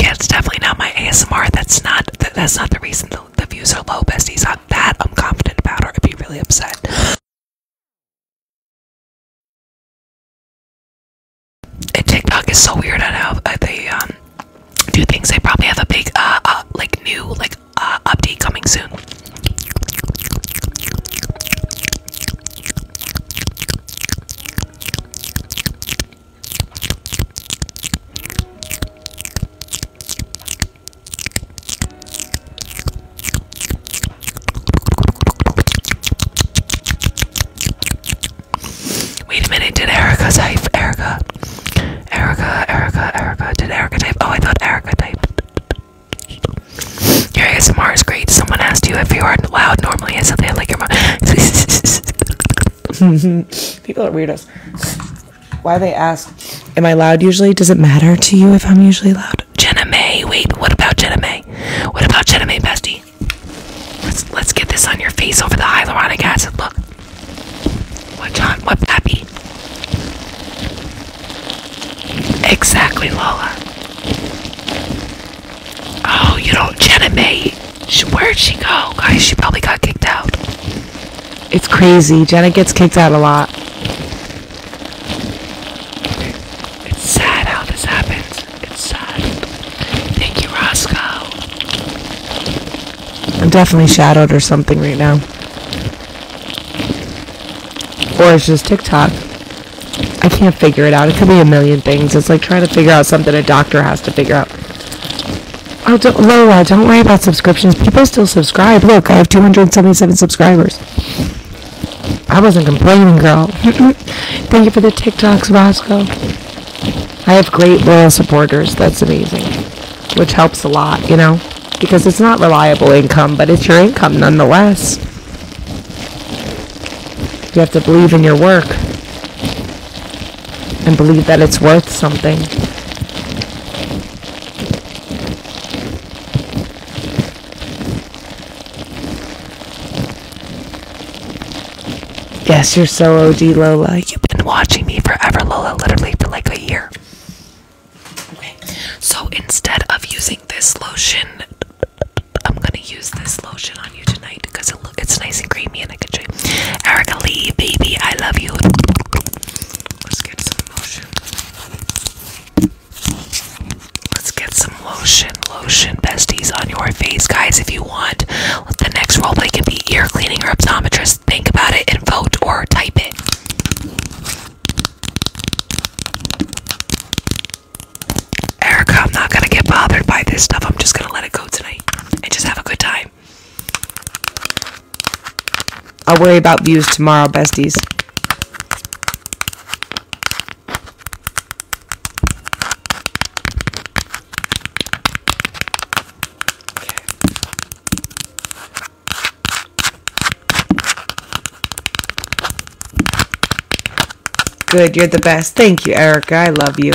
Yeah, it's definitely not my ASMR. That's not that, that's not the reason the, the views are low, besties. On that, I'm confident about, or I'd be really upset. And TikTok is so weird. I know uh, they um two things. They probably have a big, uh, uh like new, like uh, update coming soon. Wait a minute, did Erica type Erica? Erica, Erica, Erica. Did Erica type? Oh, I thought Erica typed. Your ASMR is great. Someone asked you if you are loud normally. I said they like your mom. People are weirdos. Why they ask, am I loud usually? Does it matter to you if I'm usually loud? Jenna May. Wait, what about Jenna May? What about Jenna May, bestie? Let's, let's get this on your face over the hyaluronic acid. Look. What's on? What's happy? Exactly, Lola. Oh, you don't, Jenna May. She, where'd she go, guys? She probably got kicked out. It's crazy. Jenna gets kicked out a lot. It's sad how this happens. It's sad. Thank you, Roscoe. I'm definitely shadowed or something right now. Or it's just TikTok. I can't figure it out. It could be a million things. It's like trying to figure out something a doctor has to figure out. Oh, don't, Lola, don't worry about subscriptions. People still subscribe. Look, I have 277 subscribers. I wasn't complaining, girl. Thank you for the TikToks, Roscoe. I have great loyal supporters. That's amazing which helps a lot, you know, because it's not reliable income, but it's your income nonetheless. You have to believe in your work and believe that it's worth something. Yes, you're so OG Lola. You've been watching me forever, Lola, literally for like a year so instead of using this lotion, I'm gonna use this lotion on you tonight because it looks nice and creamy and I can show Erica Lee, baby, I love you. Let's get some lotion. Let's get some lotion, lotion, besties on your face, guys. If you want, the next roleplay can be ear cleaning or optometrist think about it and vote or type it. Erica, I'm not gonna get bothered by this stuff. I'm just gonna let it go tonight and just have a good time. I'll worry about views tomorrow, besties. Good, you're the best. Thank you, Erica. I love you.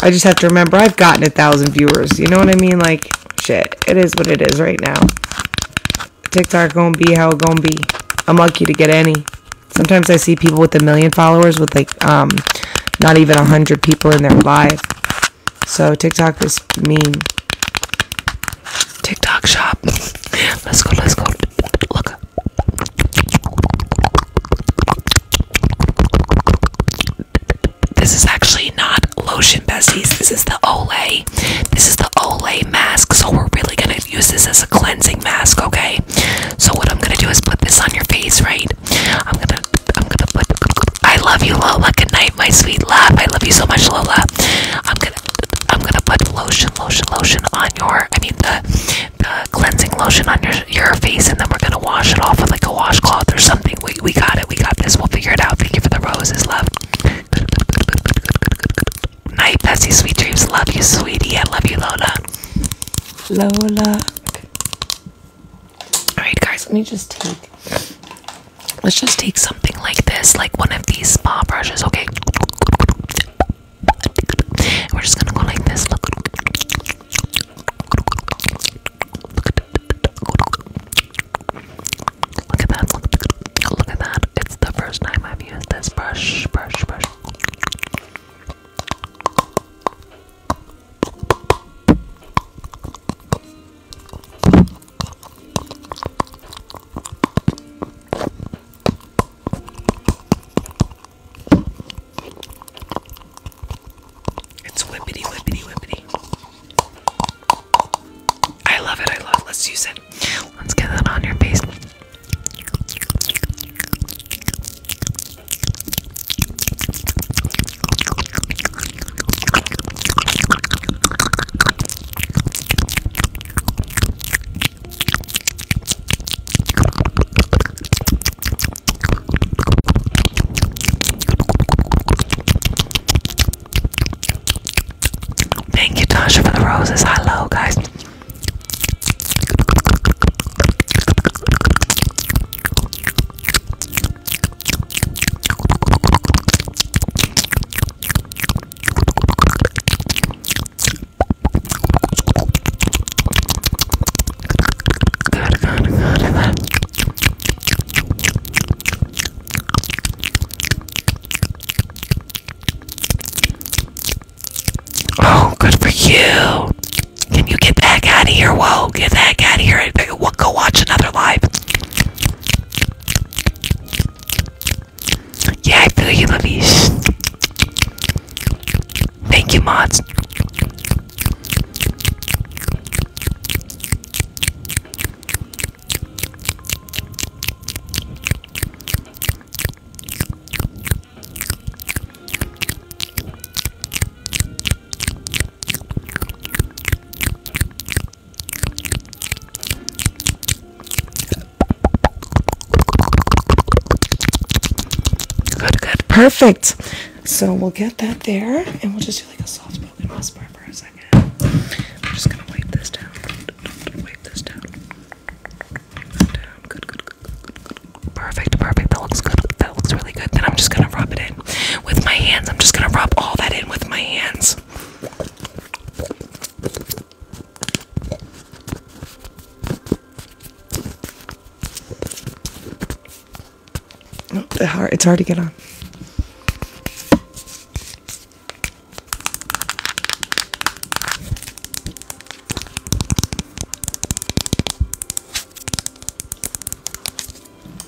I just have to remember I've gotten a thousand viewers. You know what I mean? Like, shit. It is what it is right now. TikTok gonna be how it gonna be. I'm lucky to get any. Sometimes I see people with a million followers with like um not even a hundred people in their live. So TikTok is mean. TikTok shop. Let's go, let's go. Look. This is actually not lotion besties. This is the Olay. This is the Olay mask. So we're really gonna use this as a cleansing mask, okay? So what I'm gonna do is put this on your face, right? I'm gonna, I'm gonna put. I love you, Lola. Good night, my sweet love. I love you so much, Lola. I'm gonna, I'm gonna put lotion, lotion, lotion on your. I mean the, the cleansing lotion on your your face, and then we're gonna wash it off with like a washcloth or something. We we got it. We got this. We'll figure it out. Thank you for the roses, love. Night, Bessie. Sweet dreams. Love you, sweetie. I love you, Lola. Lola. Alright guys, let me just take let's just take something like this, like one of these spa brushes, okay? We're just gonna go like this. Look at that, look at that. It's the first time I've used this brush, brush, brush. It's whippity, whippity, whippity. I love it, I love it. Let's use it. Let's get that on your face. Thank you, Tasha, for the roses. Hello, guys. Good, good, good, good. Oh, good for you. Can you get back out of here? Whoa, get back out of here. Go watch another live. Yeah, I feel you, Lavish. Thank you, mods. Good, good, perfect. So we'll get that there and we'll just do like a soft spoken whisper for a second. I'm just gonna wipe this down. Wipe this down. down. good, good, good, good. Perfect, perfect. That looks good. That looks really good. Then I'm just gonna rub it in with my hands. I'm just gonna rub all that in with my hands. it's hard to get on.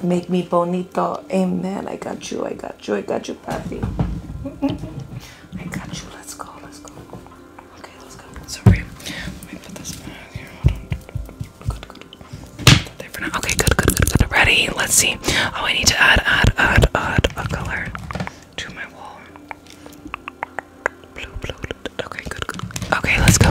Make me bonito. Amen. I got you. I got you. I got you, Papi. I got you. Let's go. Let's go. Okay, let's go. Sorry. Let me put this back here. Okay, good, good, good, good. Ready? Let's see. Oh, I need to add, add, add, add a color to my wall. Blue, blue. blue. Okay, good, good. Okay, let's go.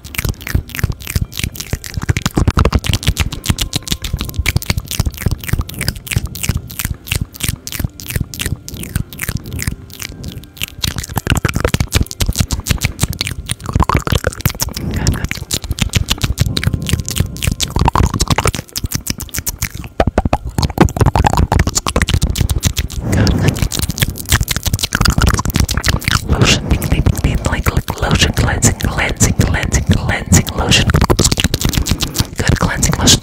Lotion, like, like lotion cleanse cleansing, cleansing, cleansing, lotion. Good cleansing lotion.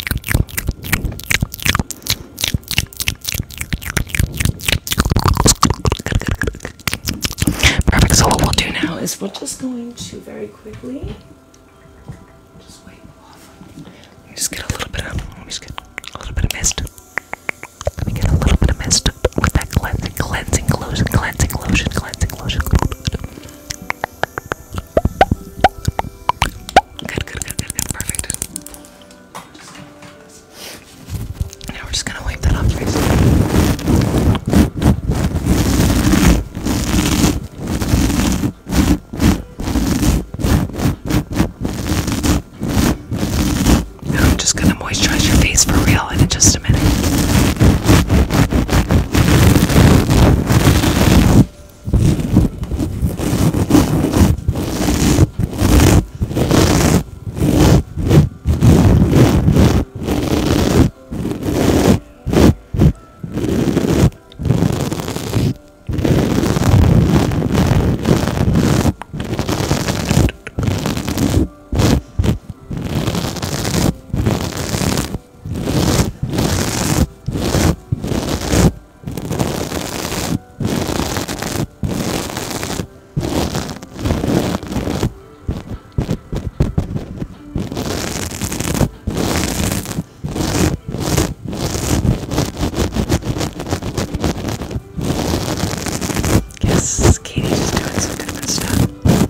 Perfect. So what we'll do now is we're just going to very quickly just get a little bit of. just get a little bit of mist. Let me get a little bit of mist with that cleansing, cleansing lotion, cleansing lotion, cleansing lotion. Good, good, good, good, good. Perfect. Now we're just gonna wipe that off your face. I'm just gonna moisturize your face for real in just a minute. Yes, Katie just doing some different stuff.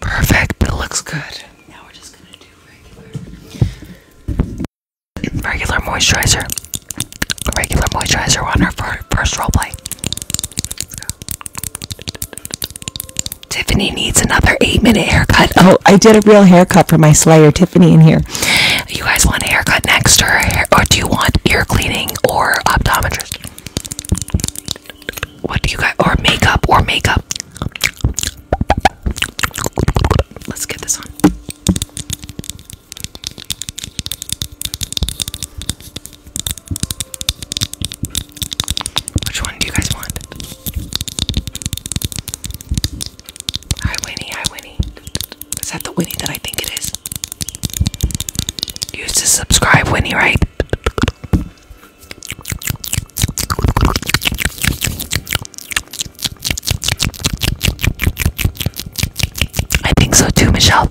Perfect, it looks good. Now we're just gonna do regular regular moisturizer. Regular moisturizer on her first role play. Tiffany needs another eight minute haircut. Oh, I did a real haircut for my Slayer in here. You guys want a haircut next, or, or do you want ear cleaning or optometrist? What do you guys, or makeup, or makeup? Let's get this on. Which one do you guys want? Hi Winnie, hi Winnie. Is that the Winnie that I think it is? You used to subscribe, Winnie, right? I think so too, Michelle.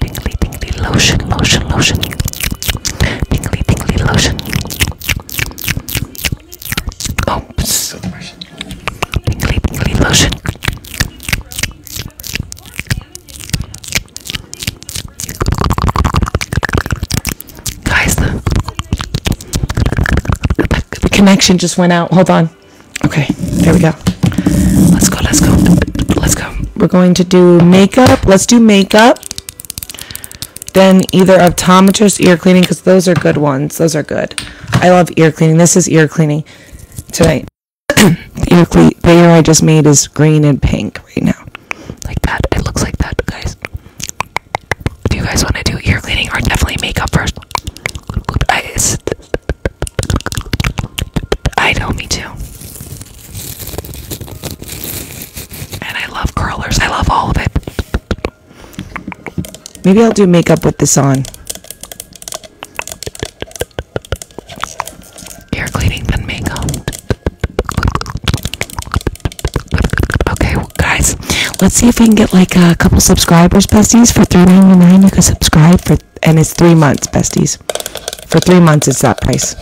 Tingly, tingly lotion, lotion, lotion. Tingly, tingly lotion. Oh, tingly, lotion. Guys, the, the connection just went out. Hold on. Okay, there we go. Let's go, let's go. Let's go we're going to do makeup. Let's do makeup. Then either optometrist, ear cleaning, because those are good ones. Those are good. I love ear cleaning. This is ear cleaning tonight. the, ear cle- the ear I just made is green and pink right now. Like that. It looks like that, guys. Do you guys want to do ear cleaning or definitely makeup first? I, I know, me too. And I love curlers. I love all of it. Maybe I'll do makeup with this on. Ear cleaning than makeup. Okay, guys, let's see if we can get like a couple subscribers, besties. For three ninety-nine. you can subscribe for, and it's three months, besties for three months it's that price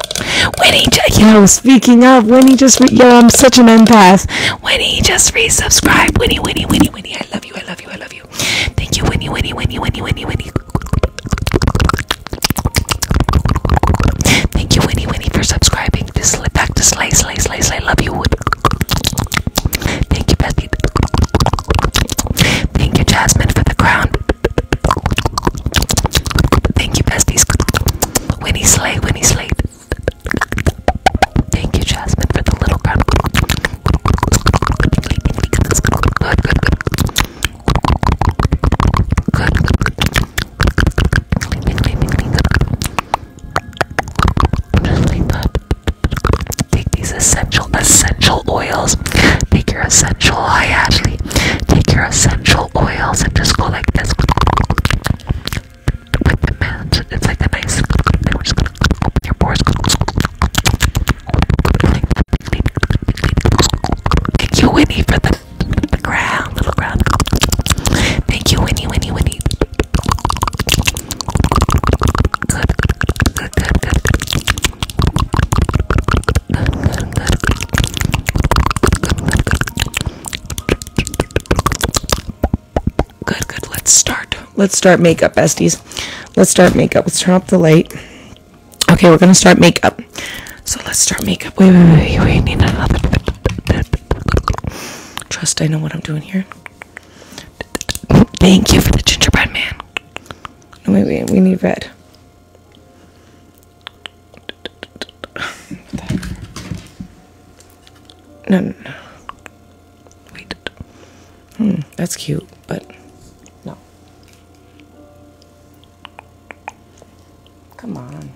Winnie, he just yo speaking of Winnie, just re yo i'm such an empath Winnie, just resubscribe winnie winnie winnie winnie i love you i love you i love you thank you winnie winnie winnie winnie winnie winnie thank you winnie winnie for subscribing this back to slay slay slay slay love you thank you bestie thank you jasmine for the crown Thank you, besties. Winnie Slay, Winnie Slay. Thank you, Jasmine, for the little crown. Take these essential, essential oils. Take your essential. Hi, Ashley. Take your essential oils and just go like this It's like the nice. Thank you, Winnie, for the, ground, little ground. Thank you, Winnie, Winnie, Winnie. good, good, good. Good, good. Let's start. Let's start makeup, besties. Let's start makeup. Let's turn off the light. Okay, we're gonna start makeup. So let's start makeup. Wait, wait, wait, wait. wait. Need another. Trust I know what I'm doing here. Thank you for the gingerbread man. wait, wait. We need red no, no, no. Wait. Hmm, that's cute, but no. Come on.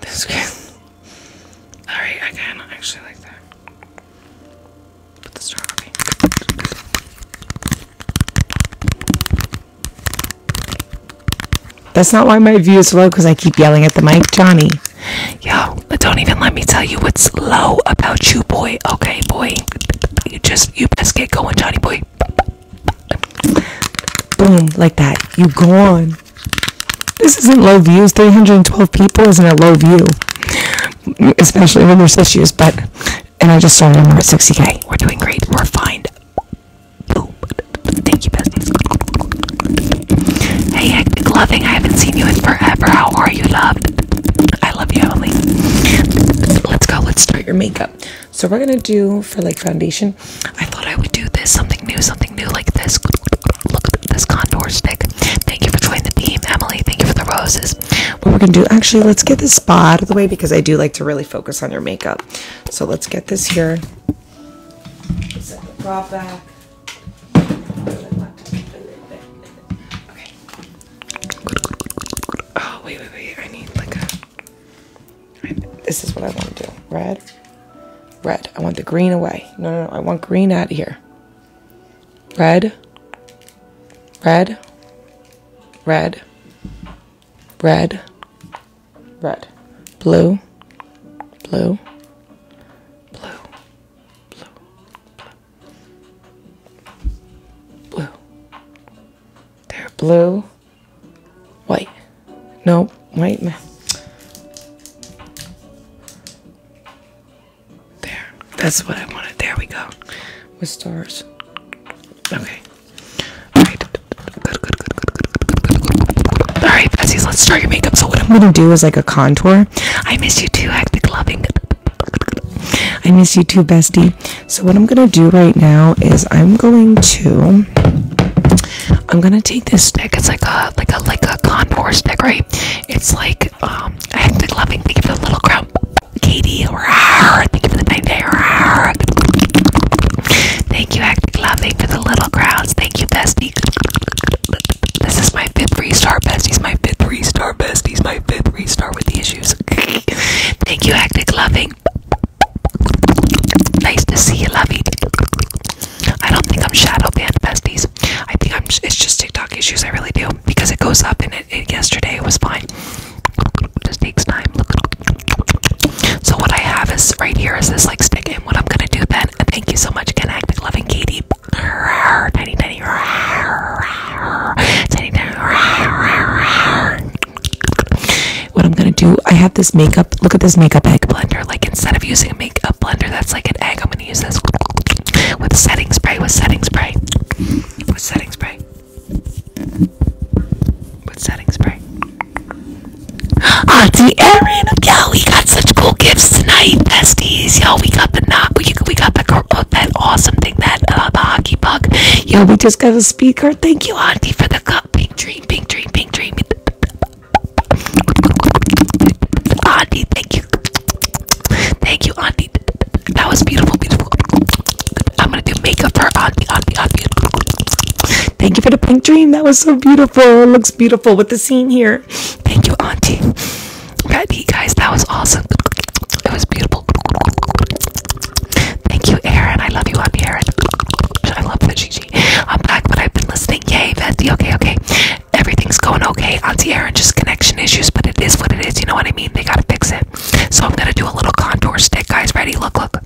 This game. Alright, I actually like that. That's not why my view is low because I keep yelling at the mic, Johnny. Yo, don't even let me tell you what's low about you, boy. Okay, boy. You just, you best get going, Johnny boy. Boom, like that. You gone. This isn't low views. 312 people isn't a low view, especially when there's issues. But and I just started and we're at 60k. We're doing great. We're fine. Thank you, business. Hey, loving. I haven't seen you in forever. How are you, love? I love you, Emily. Let's go. Let's start your makeup. So we're gonna do for like foundation. I thought I would do this something new, something new like this. Look at this contour stick. Thank you for joining the team, Emily. Thank you for the roses what we're gonna do. Actually, let's get this spot out of the way because I do like to really focus on your makeup. So let's get this here. prop back. Oh wait, wait, wait! I need like a. This is what I want to do. Red, red. I want the green away. No, no, no. I want green out of here red, red, red, red, red, blue, blue, blue, blue, blue, they're blue, white, no, white, there. That's what I wanted. There we go. With stars. Okay. Alright. Good, good, good, good, good, good, Alright, besties, let's start your makeup. So what I'm gonna do is like a contour. I miss you too, hectic loving. I miss you too, bestie. So what I'm gonna do right now is I'm going to I'm gonna take this stick. It's like a like a like a contour stick, right? It's like um hectic loving. They give it a little crump. Katie, thank you for the nine day. Thank you, Active Loving, for the little crowds. Thank you, Bestie. This is my fifth three star besties, my fifth three star besties, my fifth three star with the issues. Thank you, Active Loving. Nice to see you, Lovey. I don't think I'm shadow banned besties. I think I'm. It's just TikTok issues. I really do because it goes up and it yesterday. It was fine. just takes time. So what I have is right here is this like stick, and what I'm gonna do then. thank you so much, Connect, loving Katie. What I'm gonna do, I have this makeup. Look at this makeup egg blender. Like instead of using a makeup blender that's like an egg, I'm gonna use this with setting spray. With setting spray, with setting spray. With setting spray. Auntie Erin, yo, we got such cool gifts tonight, besties. Yo, we got the knock. We, got the girl, uh, oh, that awesome thing, that uh, hockey puck. Yo, we just got a speaker. Thank you, Auntie, for the cup. Pink dream, pink dream, pink dream. Auntie, thank you. Thank you, Auntie. That was beautiful, beautiful. I'm gonna do makeup for Auntie, Auntie, Auntie. Thank you for the pink dream. That was so beautiful. looks beautiful with the scene here. Thank you, Auntie. Patty, guys, that was awesome. It was beautiful. Thank you, Aaron. I love you, Auntie Aaron. I love the Gigi. I'm back, but I've been listening. Yay, Betty. Okay, okay. Everything's going okay. Auntie Aaron, just connection issues, but it is what it is. You know what I mean? They gotta fix it so I'm gonna do a little contour stick, guys. Ready? Look, look.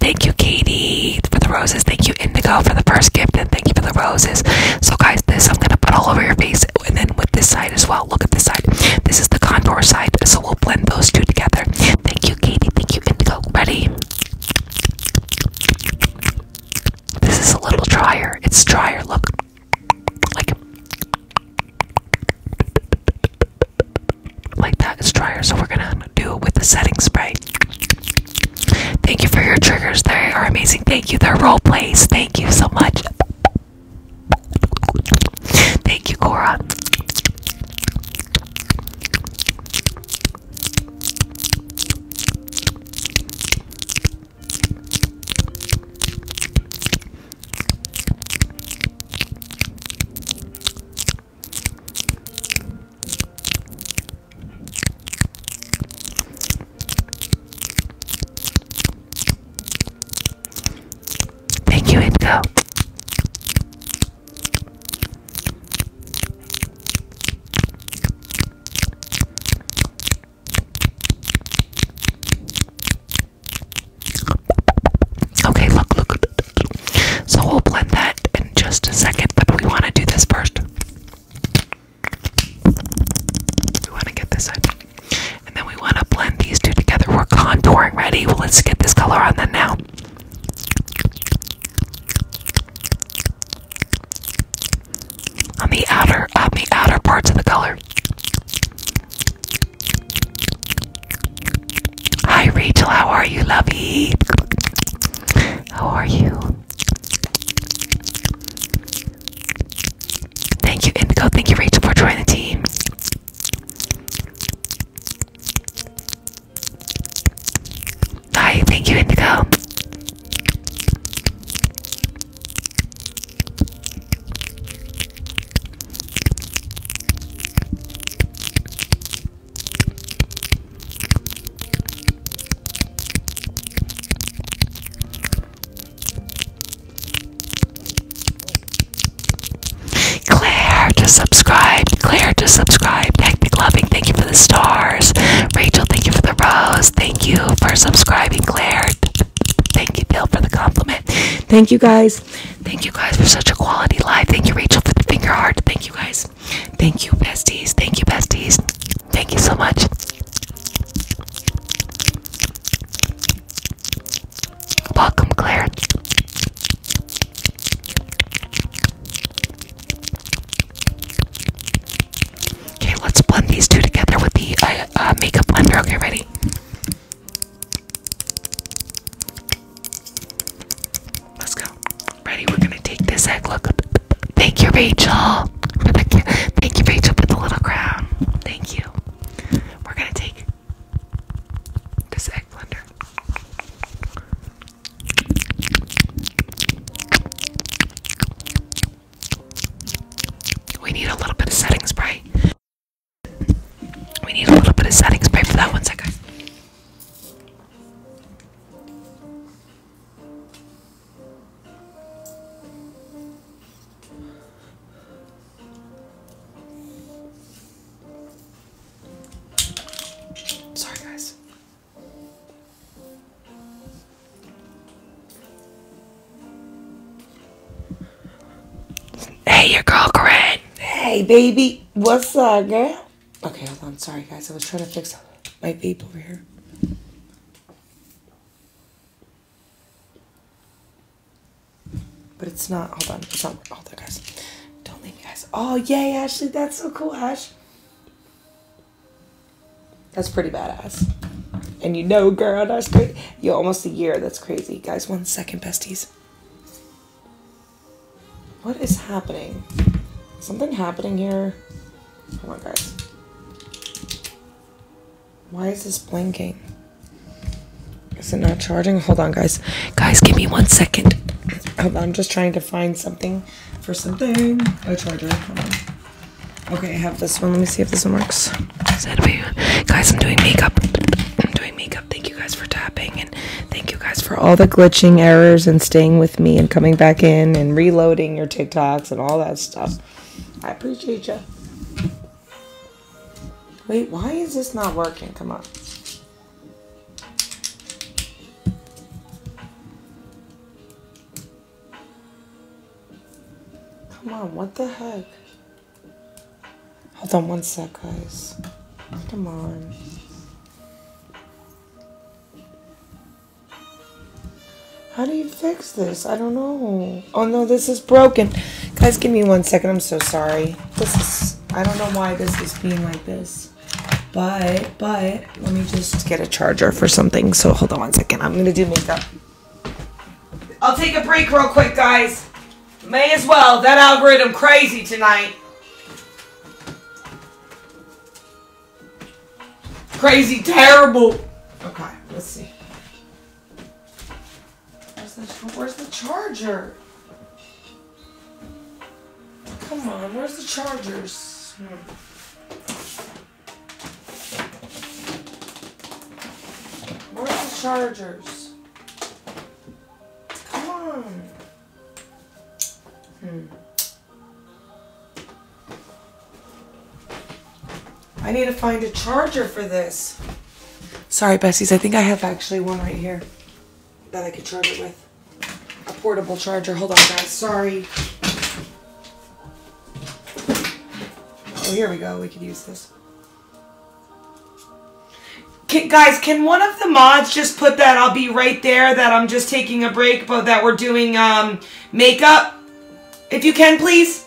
Thank you, Katie, for the roses. Thank you, Indigo, for the first gift, and thank you for the roses. So, guys, this I'm gonna put all over your face, and then with this side as well. Look at this side. This is the contour side, so we'll blend those two together. Thank you, Katie. Thank you, Indigo. Ready? This is a little drier. It's drier. Look. Like like that. It's drier. So we're gonna do it with the setting spray. Thank you for your triggers. They are amazing. Thank you. They're role plays. Thank you so much. Thank you, Cora. Thank you, Indigo. Okay, look, look. So we'll blend that in just a second, but we want to do this first. We want to get this in. And then we want to blend these two together. We're contouring ready. Well, let's get this color on them now on the outer on the outer parts of the color. Hi Rachel, how are you, lovey? How are you? Thank you, Indigo. Thank you, Rachel, for joining the team. Hi, thank you, Indigo. Claire to subscribe. Claire to subscribe. Nick McLovin, thank you for the stars. Rachel, thank you for the rose. Thank you for subscribing, Claire. Thank you, Bill, for the compliment. Thank you, guys. Thank you, guys, for such a quality live. Thank you, Rachel, for the finger heart. Thank you, guys. Thank you, besties. Thank you, besties. Thank you so much. Welcome, Claire. Okay, let's blend these two together with the uh, uh, makeup blender. Okay, ready? Let's go. Ready? We're gonna take this egg. Look. Thank you, Rachel, for the. Thank you, Rachel, for the little crown. Thank you. We're gonna take this egg blender. We need a little bit of setting spray. We need a little bit of setting spray for that one second. Sorry, guys. Hey, your girl Corinne. Hey, baby. What's up, girl? Okay, hold on. Sorry, guys. I was trying to fix my vape over here. But it's not. Hold on. It's not. Hold on, guys. Don't leave me, guys. Oh, yay, Ashley. That's so cool, Ash. That's pretty badass. And you know, girl, that's great. Yo, almost a year. That's crazy. Guys, one second, besties. What is happening? Something happening here? Come on, guys. Why is this blinking? Is it not charging? Hold on, guys. Guys, give me one second. I'm just trying to find something for something. A charger. Hold Okay, I have this one. Let me see if this one works. Guys, I'm doing makeup. I'm doing makeup. Thank you guys for tapping and thank you guys for all the glitching errors and staying with me and coming back in and reloading your TikToks and all that stuff. I appreciate you. Wait, why is this not working? Come on. Come on, what the heck? Hold on one sec, guys. Come on. How do you fix this? I don't know. Oh no, this is broken. Guys, give me one second. I'm so sorry. This is, I don't know why this is being like this. But, but, let me just get a charger for something. So hold on one second. I'm going to do makeup. I'll take a break real quick, guys. May as well. That algorithm crazy tonight. Crazy terrible. Okay, let's see. Where's the, charger? Come on, where's the chargers? Hmm. Where's the chargers? Come on. Hmm. I need to find a charger for this. Sorry, Bessie's. I think I have actually one right here that I could charge it with. A portable charger. Hold on, guys. Sorry. Oh, here we go. We could use this. guys, can one of the mods just put that I'll be right there, that I'm just taking a break, but that we're doing um, makeup? If you can, please.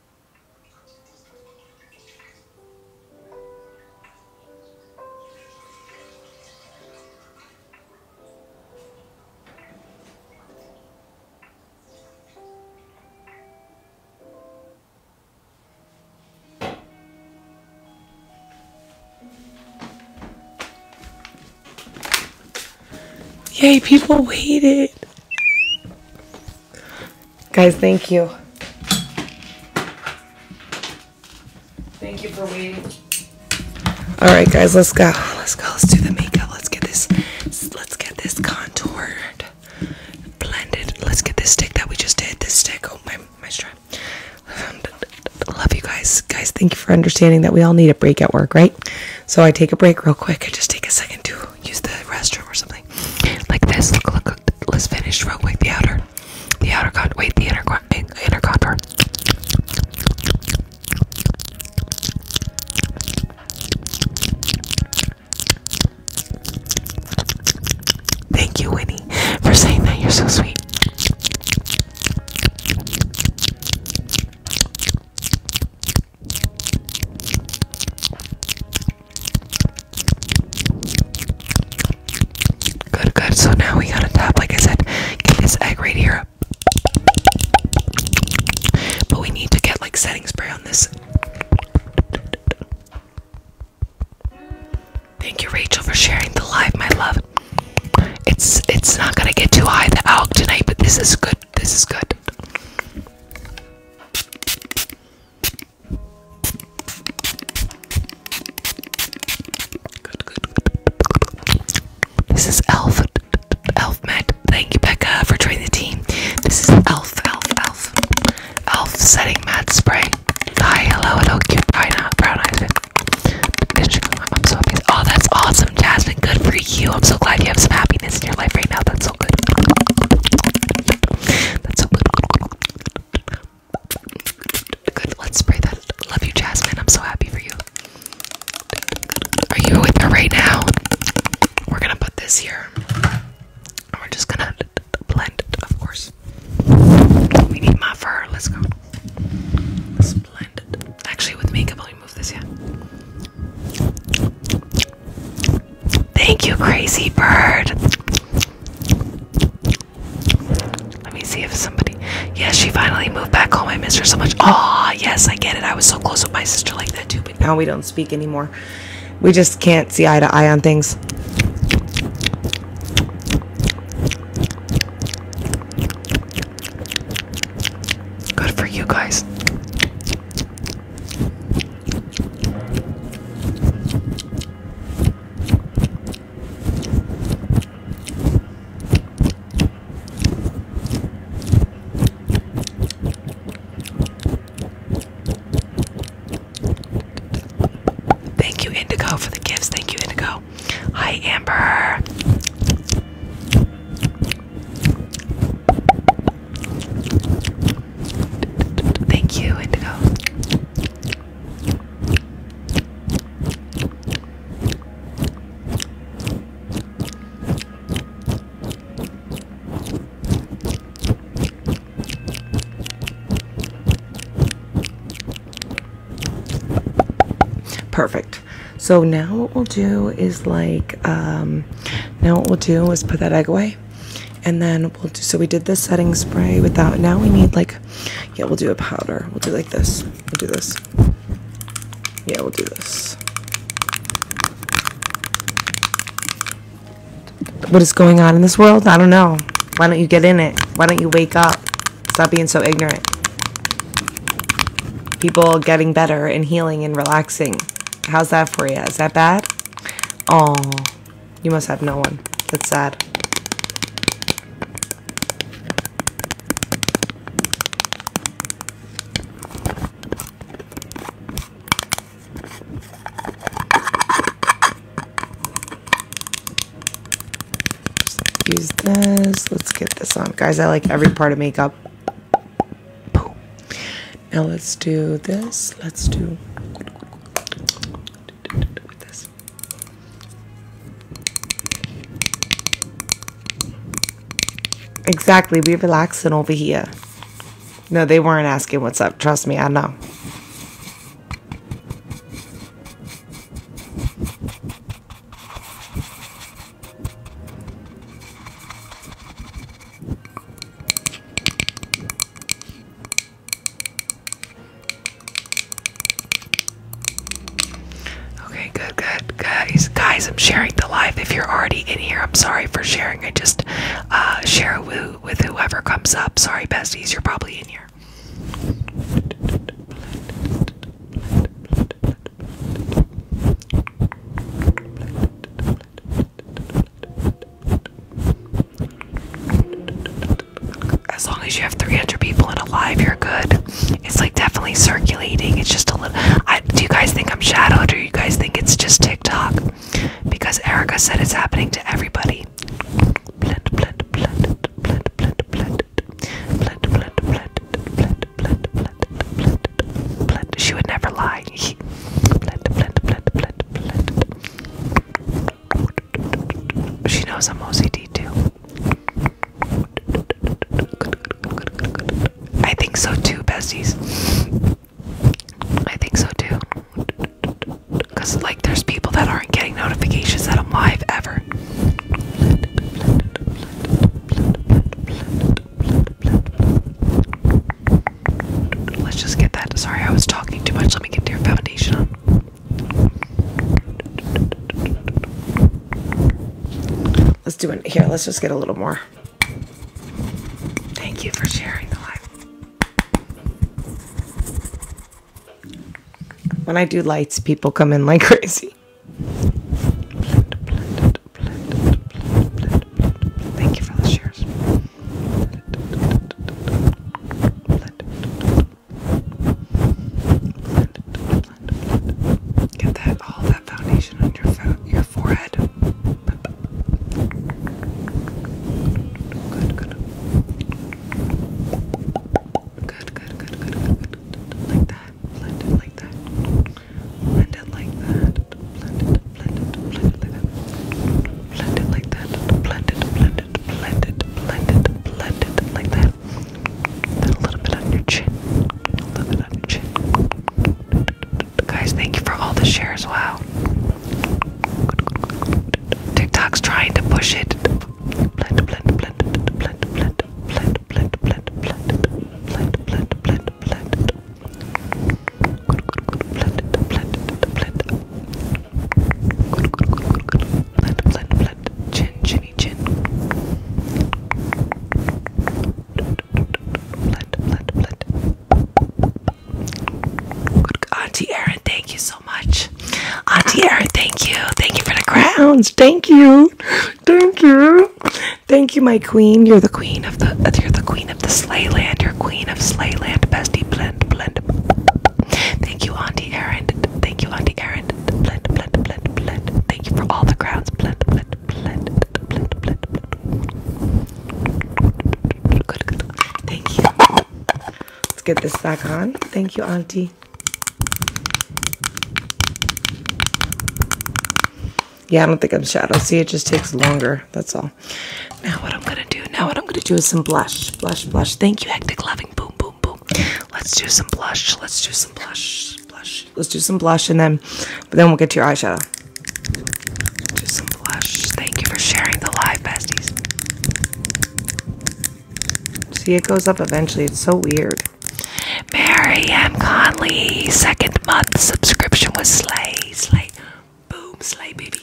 Yay, people waited. Guys, thank you. Thank you for waiting. All right, guys, let's go. Let's go. Let's do the makeup. Let's get this. Let's get this contoured, blended. Let's get this stick that we just did. This stick. Oh my, my strap. Love you guys. Guys, thank you for understanding that we all need a break at work, right? So I take a break real quick. I just take a second to use the restroom or something. Like this. Look, look, look. Let's finish real quick the outer. The outer con. Wait, the inner, con inner contour. Thank you, Winnie, for saying that. You're so sweet. Good, good. So now we gotta tap, like I said, get this egg right here. But we need to get like setting spray on this. Thank you, Rachel, for sharing the live, my love. It's it's not gonna get too high the alk tonight, but this is good. This is good. This is Elf, Elf Matt. Thank you, Becca, for joining the team. This is Elf, Elf, Elf, Elf setting Matt spray. Hi, hello, hello, cute uh, brown eyes. I'm so Oh, that's awesome, Jasmine. Good for you. I'm so glad you have some happiness in your life right now. That's so good. That's so good let's spray that. Love you, Jasmine. I'm so happy for you. Are you with me right now? We're gonna put this here. we're just gonna blend it, of course. We need my fur. Let's go. blend it. Actually, with makeup, let me this, yeah. Thank you, crazy bird. Let me see if somebody. Yes, she finally moved back home. I miss her so much. Aw, oh, yes, I get it. I was so close with my sister like that too, but now we don't speak anymore. We just can't see eye to eye on things. Good for you guys. Thank you, Indigo, for the gifts. Thank you, Indigo. Hi, Amber. Thank you, Indigo. Perfect. So now what we'll do is like um, now what we'll do is put that egg away and then so we did the setting spray without now we need like yeah we'll do a powder we'll do like this we'll do this yeah we'll do this what is going on in this world i don't know why don't you get in it why don't you wake up stop being so ignorant people getting better and healing and relaxing how's that for you is that bad oh you must have no one. That's sad. Use this. Let's get this on. Guys, I like every part of makeup. Now let's do this. Let's do Exactly, we are relaxing over here. No, they weren't asking what's up. Trust me, I know. Okay, good, good, guys. Guys, I'm sharing the live. If you're already in here, I'm sorry for sharing. I just uh, share with, with whoever comes up. Sorry, besties, you're probably in here. As long as you have 300 people in a you're good. It's like definitely circulating. It's just a little. do you guys think I'm shadowed or you guys think it's just TikTok? Because Erica said it's happening to everybody. Blend, blend, blend, blend, blend, blend, blend, blend, blend, blend, blend, blend, blend, blend. She would never lie. blend, blend, blend, blend, blend. She knows I'm OCD too. I think so too, besties. I think so too. Because, like, there's people that aren't getting notifications that I'm live ever. Let's just get that. Sorry, I was talking too much. Let me get to your phone. Let's do it here. Let's just get a little more. Thank you for sharing the light. When I do lights, people come in like crazy. Thank you for the shares blend. Get that all that foundation on your fo your forehead. Good, good. Good, good, good, good, good, good. Like that. Blend it like that. Blend it like that. Blend it, blend it, blend it like that blend it like that. Blend it, blend it, blend it, blend it, blend it like that. Then a little bit on your chin. A little bit on your chin. Guys, thank you for all the shares. Wow. TikTok's trying to push it. Blend, blend, blend, blend, blend, blend, blend, blend, blend, blend, blend, blend, blend. Blend, blend, blend, blend. Blend, Auntie Erin, thank you so much. Auntie Erin, thank you. Thank you for the crowns. Thank you. Thank you. Thank you, my queen. You're the queen of the. You're the queen of the Slayland. You're queen of Slayland, bestie blend. Thank you, Auntie Erin. Thank you, Auntie Erin. Blend, blend, blend, blend. Thank you for all the crowds. Blend, blend, blend, blend, blend, Thank you. Let's get this back on. Thank you, Auntie. Yeah, I don't think I'm shot. I'll See, it just takes longer. That's all. Now what I'm gonna do, now what I'm gonna do is some blush. Blush, blush. Thank you, hectic loving. Boom, boom, boom. Let's do some blush. Let's do some blush. Blush. Let's do some blush and then then we'll get to your eyeshadow. Just some blush. Thank you for sharing the live besties. See it goes up eventually. It's so weird. Mary M. Conley, second month subscription was Slay. Slay. Boom, slay baby.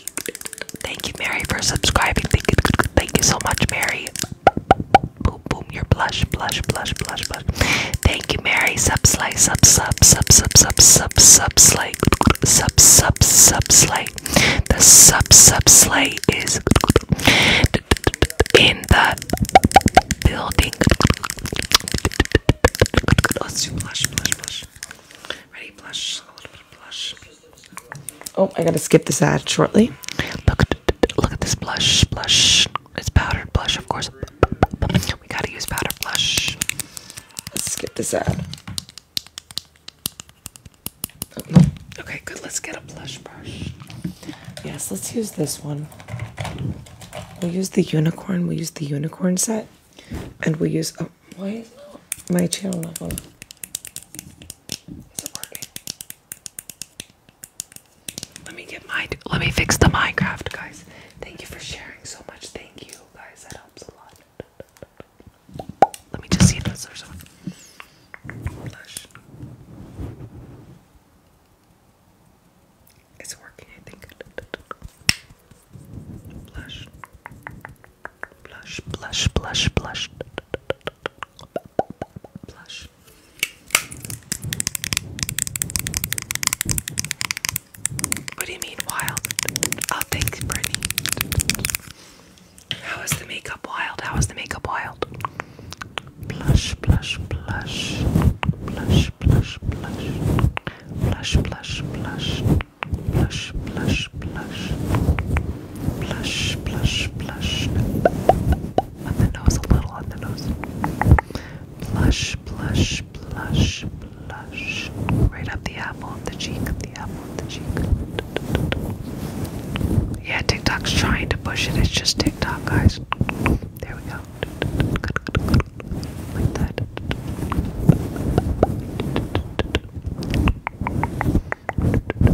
Thank you, Mary, for subscribing. Thank you, thank you so much, Mary. Boom, boom, your blush, blush, blush, blush, blush. Thank you, Mary. Sub slay, sub, sub, sub, sub, sub, sub, sub, sub, sub, sub, slay. The sub, sub, slay is in the building. Let's do blush, blush, blush. Ready, blush. A little bit of blush. Oh, I gotta skip this ad shortly. Look, look at this blush. Blush. It's powdered blush, of course. We gotta use powdered blush. Let's skip this ad. Okay, good. Let's get a blush brush. Yes, let's use this one. We'll use the unicorn. We'll use the unicorn set. And we'll use. Oh, why is my channel not going? Let me get my. Let me fix the Minecraft, guys. Thank you for sharing so much. Thank you, guys. That helps a lot. Let me just see if this there's It's working, I think. Blush. Blush, blush, blush, blush. Blush. What do you mean wild? Oh, thanks, Brittany. How is the makeup wild? How is the makeup wild? Blush, blush, blush. Blush, blush, blush. Blush, blush, blush blush, blush, blush, blush, blush, blush, on the nose, a little on the nose, blush, blush, blush, blush, right up the apple of the cheek, the apple of the cheek. Yeah, TikTok's trying to push it. It's just TikTok, guys. There we go. Like that.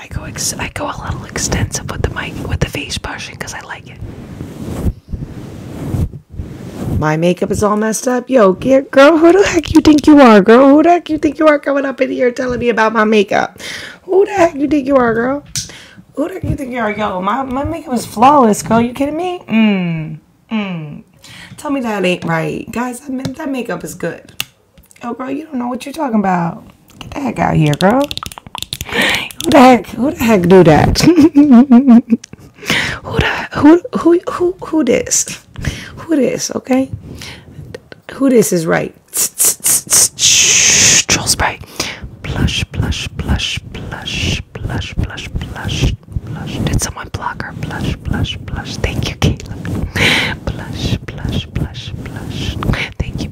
I go ex I go a little extensive with the mic with the face brushing because I like it. My makeup is all messed up. Yo, girl, who the heck you think you are, girl? Who the heck you think you are coming up in here telling me about my makeup? Who the heck you think you are, girl? Who the heck you think you are? Yo, my, my makeup is flawless, girl. You kidding me? Mmm. Mmm. Tell me that ain't right. Guys, that makeup is good. Oh, girl, you don't know what you're talking about. Get the heck out here, girl. Who the heck? Who the heck do that? who the who who who who this? Who this? Okay. Who this is right? Troll spray. Blush, blush, blush, blush, blush, blush, blush, blush. Did someone block her? Blush, blush, blush. Thank you, Kayla. Blush, blush, blush, blush. Thank you,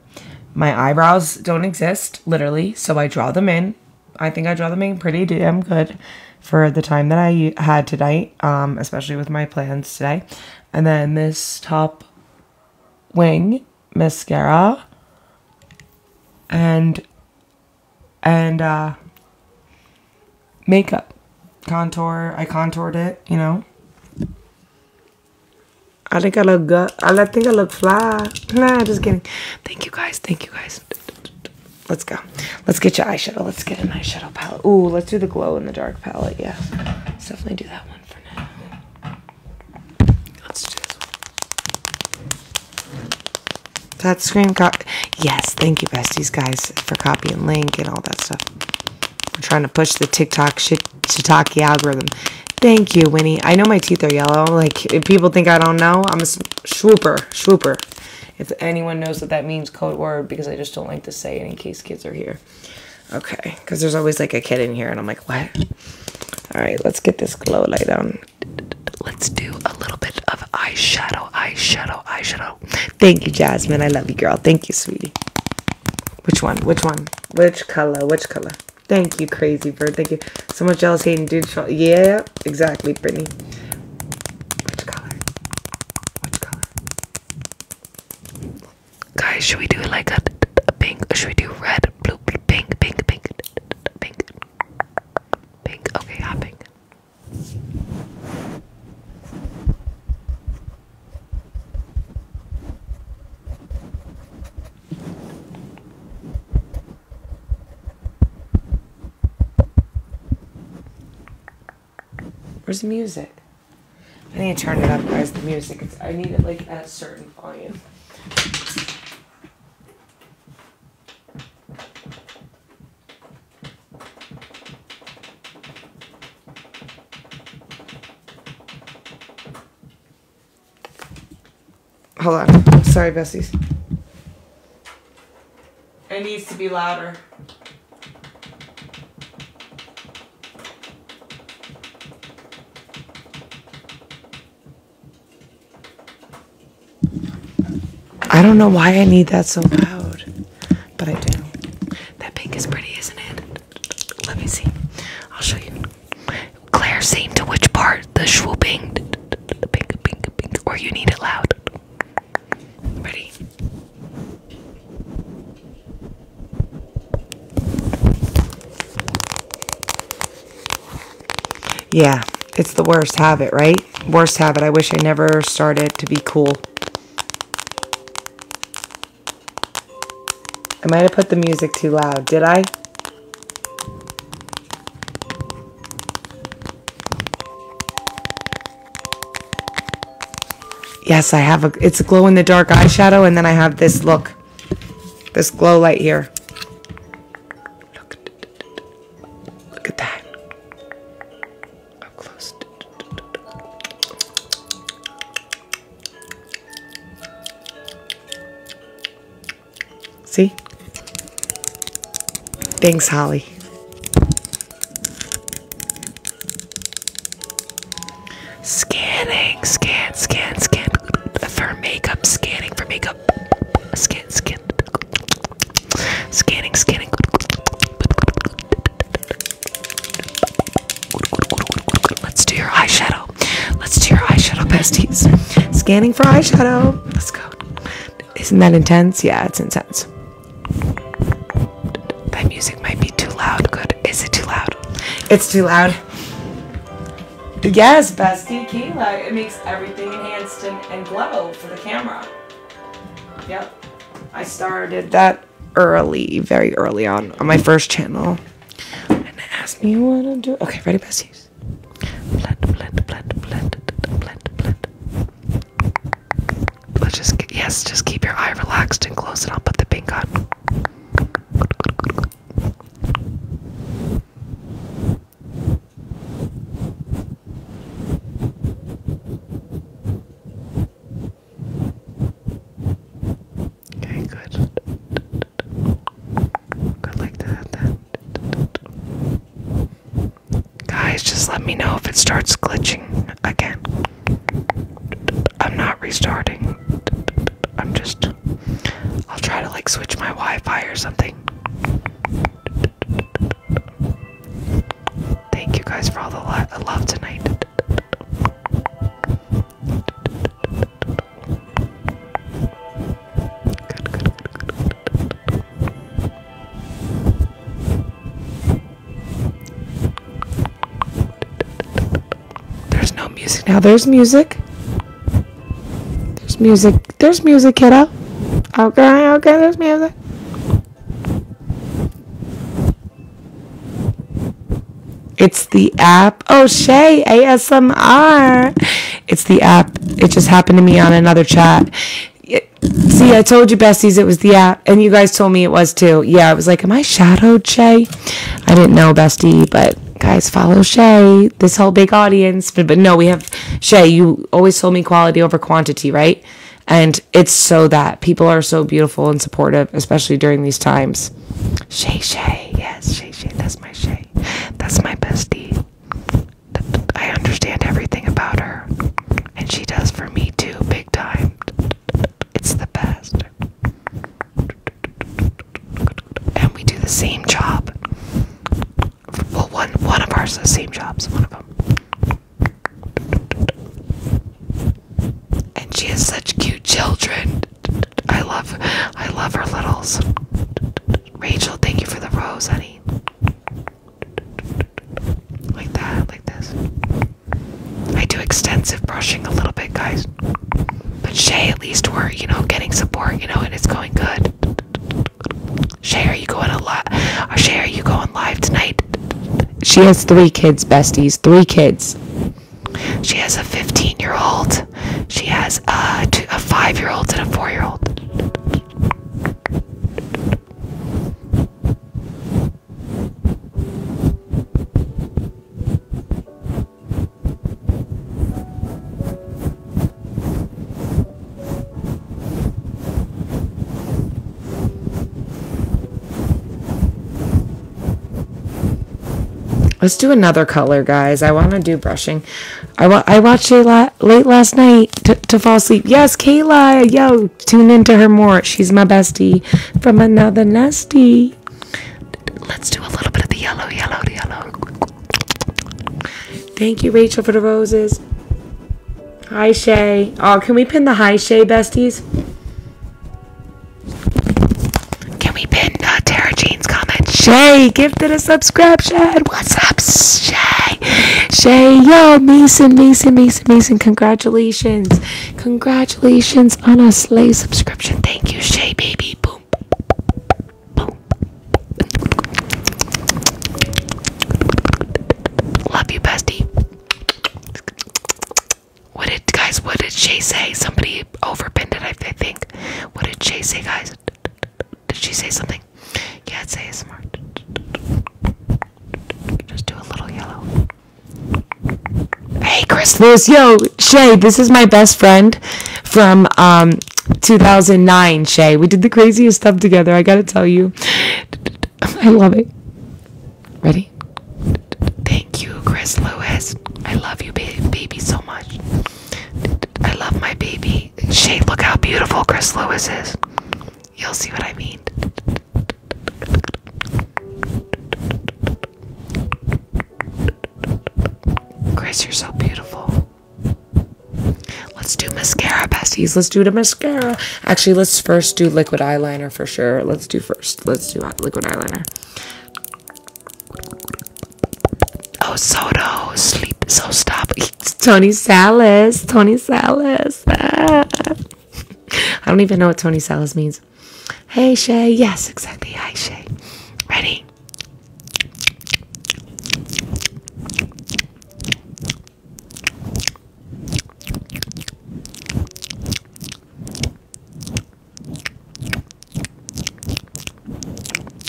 My eyebrows don't exist, literally, so I draw them in. I think I draw them in pretty damn good for the time that I had tonight, um, especially with my plans today. And then this top wing mascara and and uh, makeup contour. I contoured it, you know. I think I look good. I think I look fly. Nah, just kidding. Thank you guys. Thank you guys. Let's go. Let's get your eyeshadow. Let's get an eyeshadow palette. Ooh, let's do the glow in the dark palette. Yeah. Let's definitely do that one for now. Let's do this That screen cop. Yes. Thank you, besties, guys, for copy and link and all that stuff. We're trying to push the TikTok shit shiitake algorithm. Thank you, Winnie. I know my teeth are yellow. Like, people think I don't know, I'm a swooper, swooper. If anyone knows what that means, code word, because I just don't like to say it in case kids are here. Okay, because there's always like a kid in here, and I'm like, what? All right, let's get this glow light on. Let's do a little bit of eyeshadow, eyeshadow, eyeshadow. Thank you, Jasmine. I love you, girl. Thank you, sweetie. Which one? Which one? Which color? Which color? Thank you, Crazy Bird. Thank you. So much jealous hating dude. Yeah, exactly, Brittany. Which color? Which color? Guys, should we do like a, pink should we do red, blue, pink, pink, pink, pink, pink? Okay, hopping. Where's the music? I need to turn it up, guys. The music. I need it like at a certain volume. Hold on. Sorry, Bessies. It needs to be louder. I don't know why I need that so loud, but I do. That pink is pretty, isn't it? Let me see. I'll show you. Claire, same to which part? The swooping, pink, pink, pink, or you need it loud. Ready? Yeah, it's the worst habit, right? Worst habit. I wish I never started to be cool. I might have put the music too loud. Did I? Yes, I have a, it's a glow in the dark eyeshadow and then I have this look, this glow light here. Look, at that. Up close. See? Thanks, Holly. Scanning, scan, scan, scan for makeup, scanning for makeup, scan, scan, scanning, scanning. Let's do your eyeshadow let's do your eyeshadow besties. Scanning for eyeshadow. Let's go. Isn't that intense? Yeah, it's intense. That music might be too loud. Good. Is it too loud? It's too loud. Yes, bestie Kayla. It makes everything enhanced and, and glow for the camera. Yep. I started that early, very early on, on my first channel. And asked me what to do. Okay, ready, besties? Let's just yes, just keep your eye relaxed and close it. I'll put the pink on. good. Go like that. Guys, just let me know if it starts glitching again. I'm not restarting. I'm just. I'll try to like switch my Wi Fi or something. Thank you guys for all the love tonight. There's no music now. There's music. There's music. There's music, kiddo. Okay, okay, there's music. It's the app. Oh, Shay, ASMR. It's the app. It just happened to me on another chat. see, I told you, besties, it was the app, and you guys told me it was too. Yeah, I was like, am I shadowed, Shay? I didn't know, bestie, but guys, follow Shay. This whole big audience, but no, we have Shay. You always told me quality over quantity, right? And it's so that people are so beautiful and supportive, especially during these times. Shay Shay, yes, Shay Shay, that's my Shay, that's my bestie. I understand everything about her, and she does for me too, big time. It's the best. And we do the same job. Well, one one of ours, the same jobs, one of them. And she has such cute children. I love, I love her littles. Rachel, thank you for the rose, honey. Like that, like this. I do extensive brushing a little bit, guys. But Shay, at least we're, you know, getting support, you know, and it's going good. Shay, are you going a lot? Uh, Shay, are you going live tonight? She has three kids, besties. Three kids. She has a 15 year old she has a five year old and a four year old. Let's do another color, guys. I want to do brushing. I, I watched it late last night to fall asleep. Yes, Kayla, yo, tune into her more. She's my bestie from another nesty. Let's do a little bit of the yellow, yellow, yellow. Thank you, Rachel, for the roses. Hi, Shay. Oh, can we pin the hi, Shay besties? Can we pin? Not uh, Tara Jean's comment. Shay gifted a subscription. What's up, Shay? Shay, yo, Mason, Mason, Mason, Mason. Congratulations. Congratulations on a Slay subscription. Thank you, Shay, baby. Boom. Boom. Love you, bestie. What did guys? What did Shay say? Somebody overpinned it, I think. What did Shay say, guys? Did she say something? Yeah, it's ASMR. Just do a little yellow. Hey, Chris Lewis. Yo, Shay, this is my best friend from um, 2009, Shay. We did the craziest stuff together, I gotta tell you. I love it. Ready? Thank you, Chris Lewis. I love you, baby so much. I love my baby. Shane, look how beautiful Chris Lewis is. You'll see what I mean. Chris, you're so beautiful. Let's do mascara, besties. Let's do the mascara. Actually, let's first do liquid eyeliner for sure. Let's do first. Let's do liquid eyeliner. Oh, Soto, oh, sleep, so stop. Tony Salas, Tony Salas. Ah. I don't even know what Tony Salas means. Hey, Shay. Yes, exactly. Hi, Shay. Ready?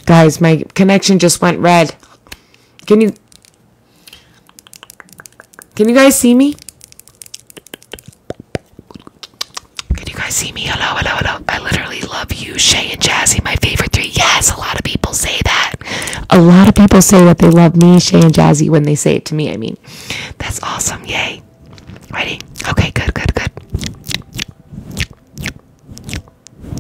Guys, my connection just went red. Can you... Can you guys see me? Can you guys see me? Hello, hello, hello. I literally love you, Shay and Jazzy, my favorite three. Yes, a lot of people say that. A lot of people say that they love me, Shay and Jazzy, when they say it to me. I mean, that's awesome. Yay. Ready? Okay, good, good, good. Good, good,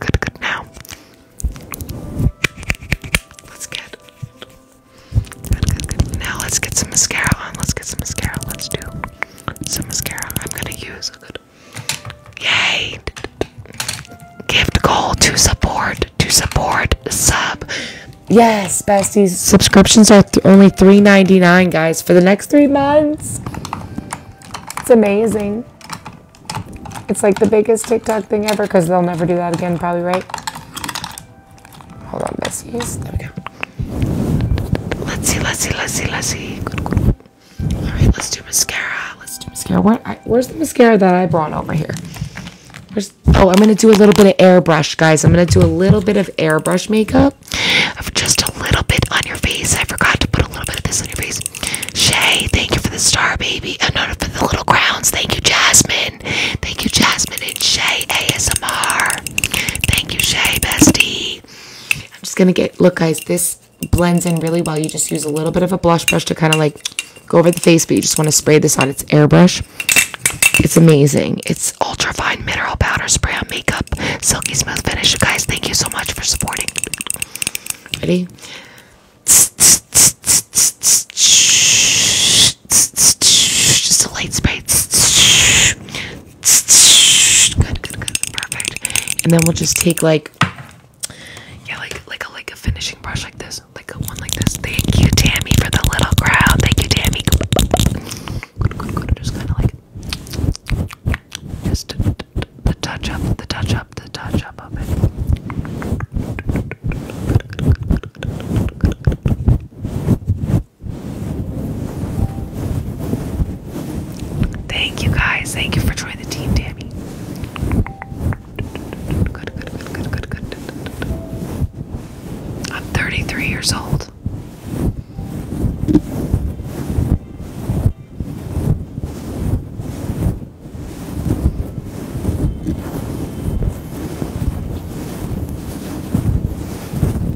good, good. Now, let's get. Now let's get some mascara on. Let's get some mascara. Let's do some mascara. I'm gonna use a Yay! Gift goal to support to support sub. Yes, besties, subscriptions are only $3.99, guys, for the next three months. It's amazing. It's like the biggest TikTok thing ever because they'll never do that again, probably, right? Hold on, besties. There we go. Let's see, let's see, let's see, let's see. All right, let's do mascara. Let's do mascara. What? where's the mascara that I brought over here? oh, I'm going to do a little bit of airbrush, guys. I'm going to do a little bit of airbrush makeup. Just a little bit on your face. I forgot to put a little bit of this on your face. Shay, thank you for the star, baby. And uh, not for the little crowns. Thank you, Jasmine. Thank you, Jasmine and Shay ASMR. Thank you, Shay, bestie. I'm just going to get, look, guys, this blends in really well. You just use a little bit of a blush brush to kind of like go over the face, but you just want to spray this on its airbrush. It's amazing. It's ultra fine mineral powder spray on makeup. Silky smooth finish. guys, thank you so much for supporting. Ready? Just a light spray. good. Perfect. And then we'll just take like yeah, like like a like a finishing brush like this, like a one like this. Thank you, Tammy, for the little crowd. Thank you, Tammy. Just kind of like just the touch up, the touch up, the touch up of it. Thank you guys. Thank you for joining the team, Tammy. I'm 33 years old.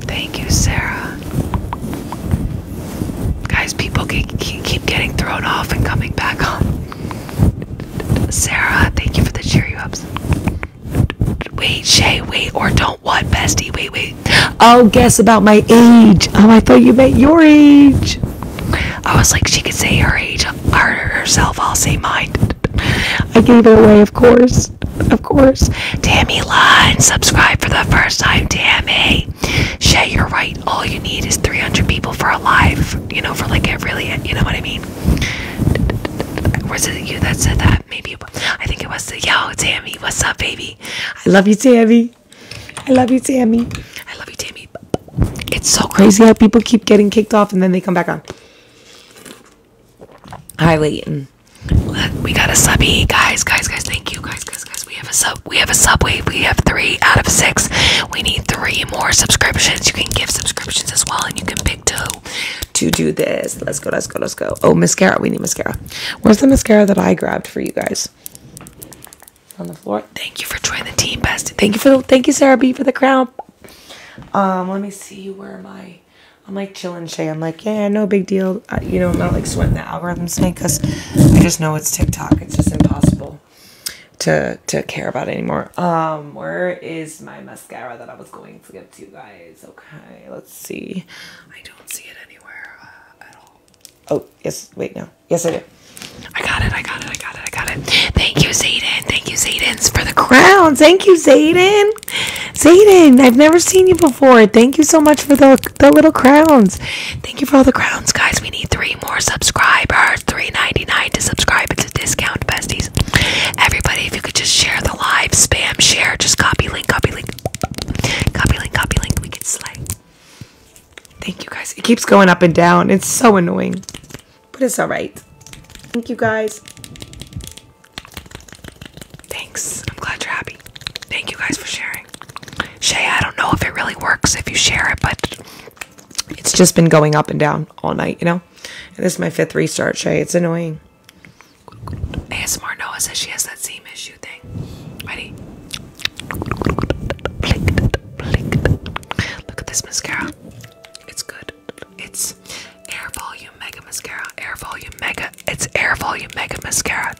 Thank you, Sarah. Guys, people keep, keep getting thrown off and coming back on. Sarah, thank you for the cheer you ups. Wait, Shay, wait, or don't what, bestie? Wait, wait. Oh, guess about my age. Oh, I thought you meant your age. I was like, she could say her age herself. I'll say mine. I gave it away, of course. Of course. Tammy and subscribe for the first time, Tammy. Shay, you're right. All you need is 300 people for a live, you know, for like a really, you know what I mean? Was it you that said that? Maybe I think it was the yo Tammy. What's up, baby? I love you, Tammy. I love you, Tammy. I love you, Tammy. It's so crazy how people keep getting kicked off and then they come back on. Hi, Leighton. Mm. We got a sub, subby, guys, guys, guys. Thank you, guys, guys, guys. We have a sub. We have a subway. We have three out of six we need three more subscriptions. You can give subscriptions as well, and you can pick two to do this. Let's go, let's go, let's go. Oh, mascara. We need mascara. Where's the mascara that I grabbed for you guys? On the floor. Thank you for joining the team, best. Thank you for thank you, Sarah B, for the crown. Um, let me see where am I'm i like chilling Shay. I'm like, yeah, no big deal. you know, I'm not like sweating the algorithms thing because I just know it's TikTok. It's just impossible to to care about anymore. Um, where is my mascara that I was going to give to you guys? Okay, let's see. I don't see it anywhere uh, at all. Oh, yes. Wait, no. Yes, I do. I got it. I got it. I got it. I got it. Thank you, Zayden. Thank you, Zaydens, for the crown. Thank you, Zayden. Zayden, I've never seen you before. Thank you so much for the the little crowns. Thank you for all the crowns, guys. We need three more subscribers. Three ninety nine to subscribe discount besties. Everybody, if you could just share the live, spam, share, just copy link, copy link, copy link, copy link. We can slay. Thank you guys. It keeps going up and down. It's so annoying, but it's all right. Thank you guys. Thanks. I'm glad you're happy. Thank you guys for sharing. Shay, I don't know if it really works if you share it, but it's just been going up and down all night, you know? this is my fifth restart, Shay. It's annoying. ASMR Noah says she has that seam issue thing. Ready? Look at this mascara. It's good. It's Air Volume Mega Mascara. Air Volume Mega. It's Air Volume Mega Mascara.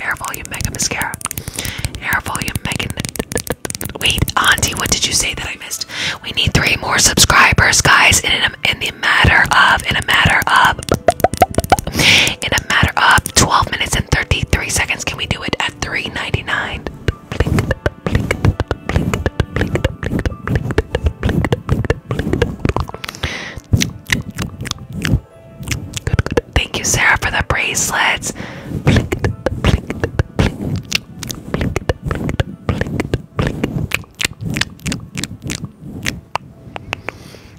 Air Volume Mega Mascara. Air Volume Mega Wait, Auntie, what did you say that I missed? We need three more subscribers, guys. In a, in the matter of, in a matter of, in a matter of 12 minutes and 33 seconds, can we do it at 3.99? Thank you, Sarah, for the bracelets.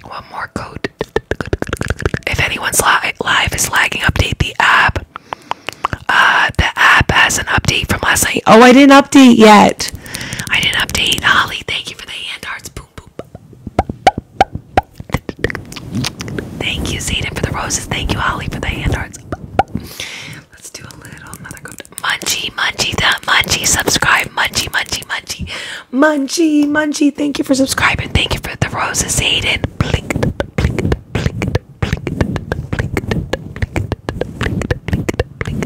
One more code. If anyone's li live is lagging, update the app. Uh, the app has an update from last night. Oh, I didn't update yet. I didn't update. Holly, thank you for the hand hearts. Boom, boom. Thank you, Zayden, for the roses. Thank you, Holly, for the hand hearts. Let's do a little another go. Munchie, Munchie, that Munchie, subscribe, Munchie, Munchie, Munchie, Munchie, Munchie. Thank you for subscribing. Thank you for the roses, Aiden. Blink, blink, blink, blink, blink, blink, blink,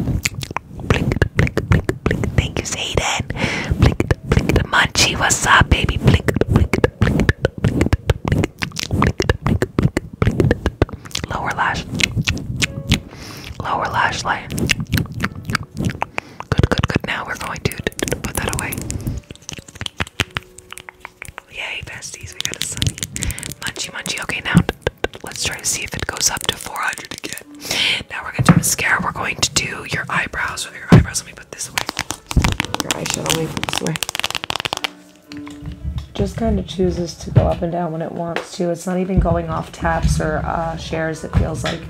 blink, blink, blink. Thank you, Aiden. Blink, blink, Munchie. What's up, baby? Blink, blink, blink, blink, blink, Lower lash. Lower lash line. Good, good, good. Now we're going to put that away. Yay, besties. We got a sunny. Munchie, munchie. Okay, now let's try to see if it goes up to 400 again. Now we're going to do mascara. We're going to do your eyebrows. Your eyebrows. Let me put this away. Your eyeshadow away. Put this away just kind of chooses to go up and down when it wants to. It's not even going off taps or uh, shares, it feels like.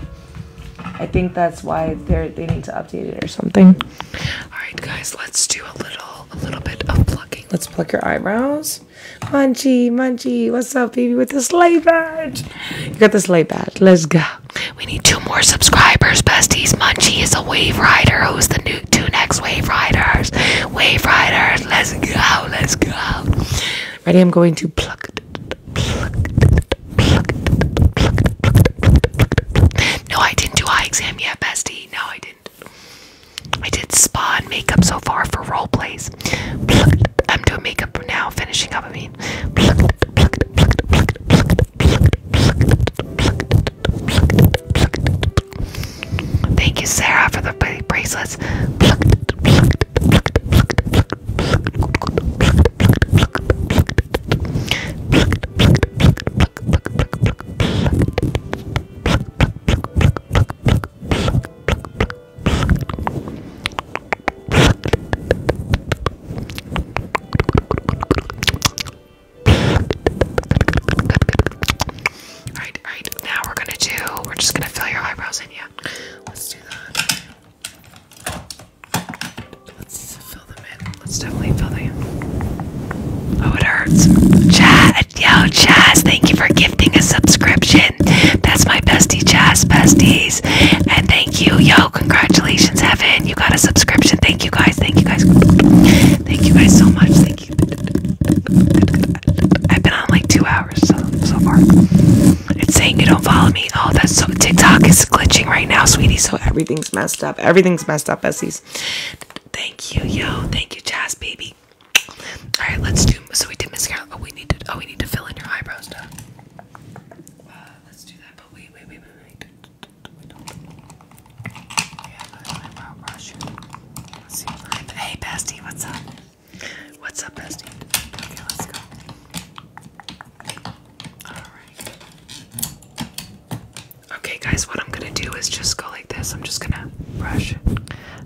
I think that's why they they need to update it or something. All right, guys, let's do a little a little bit of plucking. Let's pluck your eyebrows. Munchie, Munchie, what's up, baby, with the sleigh badge? You got the sleigh badge. Let's go. We need two more subscribers, besties. Munchie is a wave rider who's the new Two next Wave Riders. Wave Riders, let's go, let's go. Ready? I'm going to pluck, pluck, pluck, pluck, pluck. No, I didn't do eye exam yet, bestie. No, I didn't. I did spa and makeup so far for role plays. Pluck. I'm doing makeup now, finishing up. I mean, pluck, pluck, pluck, pluck, pluck, pluck, pluck, pluck, pluck, pluck, Thank you, Sarah, for the pretty bracelets. Alright, alright. Now we're gonna do, we're just gonna fill your eyebrows in, yeah. Let's do that. Let's fill them in. Let's definitely fill them in. Oh, it hurts. Chaz, yo, Chaz, thank you for gifting a subscription. That's my bestie, Chaz Besties. And thank you, yo, congratulations, Heaven. You got a subscription. Thank you guys. Thank you guys. Thank you guys so much. Thank I've been on like two hours so, far. It's saying you don't follow me. Oh, that's so. TikTok is glitching right now, sweetie. So everything's messed up. Everything's messed up, Bessie's. Thank you, yo. Thank you, Jazz baby. All right, let's do. So we did mascara. Oh, we need to. Oh, we need to fill in your eyebrows now. Uh, let's do that. But wait, wait, wait, wait, Let's see if Hey, bestie, what's up? What's up, bestie? Okay, let's go. Alright. Okay, guys, what I'm gonna do is just go like this. I'm just gonna brush.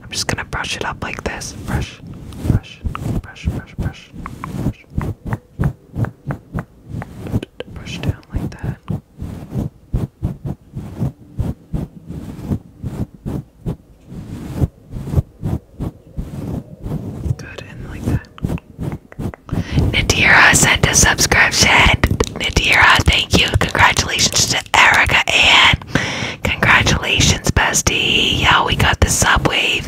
I'm just gonna brush it up like this. Brush, brush, brush, brush, brush, brush. Brush down like that. Good and like that. Nadira sent a subscription. Nadira, thank you. Congratulations to Erica and congratulations, bestie. Yeah, we got the subwave.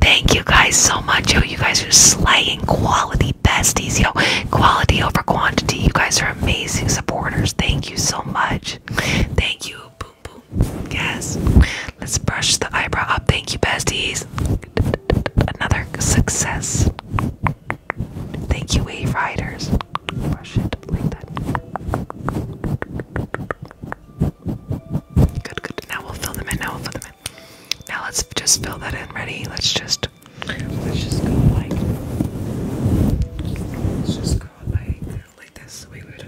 Thank you guys so much. Yo, you guys are slaying quality besties. Yo, quality over quantity. You guys are amazing supporters. Thank Thank you so much. Thank you. Boom boom. Yes. Let's brush the eyebrow up. Thank you, besties. Another success. Thank you, Wave Riders. Good, good. Now we'll fill them in. Now we'll fill them in. Now let's just fill that in. Ready? Let's just let's just go like let's just go like like this. We would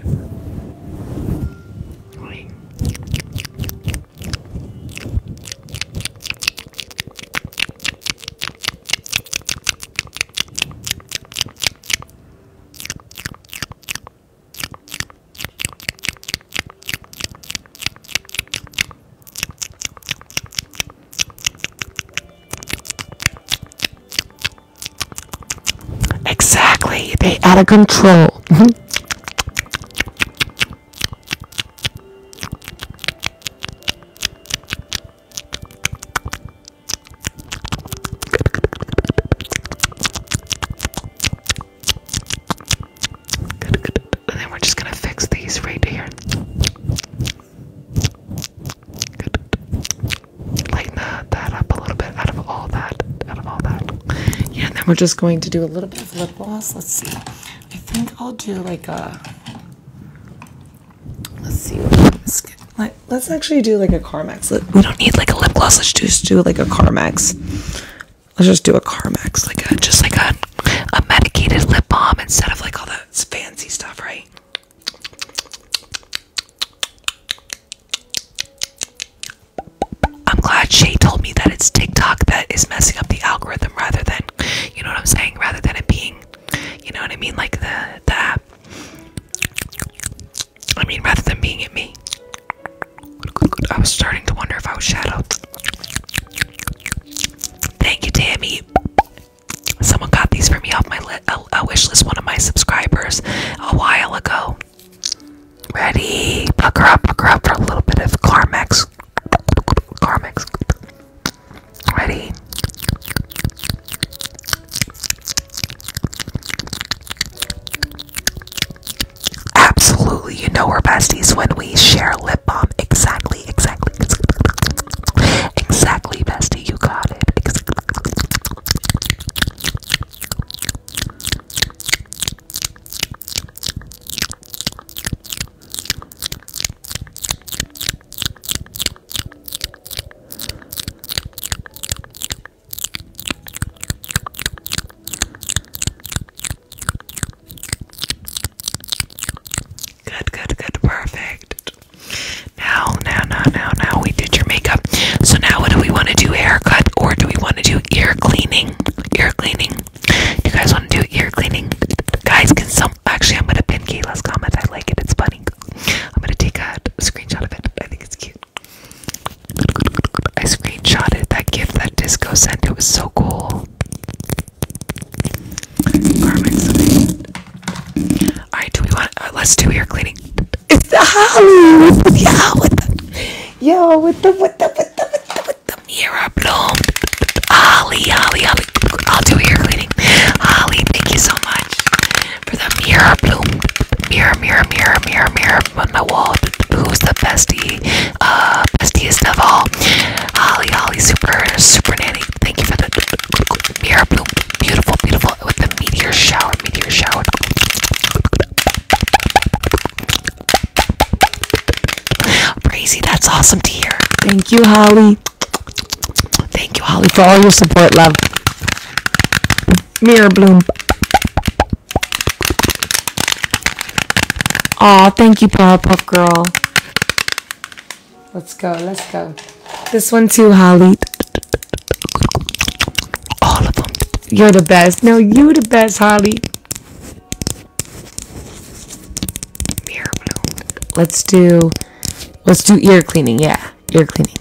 like Exactly, they out of control. and mm-hmm. then we're just gonna fix these right here. Lighten that, up a little bit out of all that, out of all that. Yeah, then we're just going to do a little bit of lip gloss. Let's see. I think I'll do like a. Let's see. Let's, actually do like a Carmex. we don't need like a lip gloss. Let's just do like a Carmex. Let's just do a Carmex, like a just like a a medicated lip balm instead of like all that fancy stuff, right? I'm glad Shay told me that it's TikTok that is messing up the algorithm rather than, you know what I'm saying, rather than it being, you know what I mean, like the, the app. I mean, rather than being at me. I was starting to wonder if I was shadowed. Thank you, Tammy. Someone got these for me off my li uh, a, wish list, one of my subscribers, a while ago. Ready? Puck her up, puck her up for a little bit of Carmex. Carmex. Ready? Absolutely, you know we're besties when we share lip balm. Exactly, exactly. Exactly, bestie, you got it. Good, good, good, perfect. Now, now, now, now, now we did your makeup. So now what do we want to do? Haircut or do we want to do ear cleaning? Ear cleaning. You guys want to do ear cleaning? Guys, can some actually I'm gonna pin Kayla's comment. I like it, it's funny. I'm gonna take a screenshot of it. I think it's cute. I screenshotted that gift that disco sent. It was so cool. All right, do we want? Uh, let's do ear cleaning. It's the Halloween. Yeah, with the, yo, with the with the with the with the with the mirror bloom. Holly, Holly, Holly. I'll do ear cleaning. Holly, thank you so much for the mirror bloom. Mirror, mirror, mirror, mirror, mirror on my wall. Who's the bestie? Uh, bestiest of all. Holly, Holly, super, super nanny. Thank you for the mirror bloom. Beautiful, beautiful with the meteor shower, meteor shower. Brazy, that's awesome to hear. Thank you, Holly. Thank you, Holly, for all your support, love. Mirror bloom. Oh, thank you, Powerpuff Girl. Let's go, let's go. This one too, Holly. All of them. You're the best. No, you are the best, Holly. Mirror Let's do let's do ear cleaning, yeah. Ear cleaning.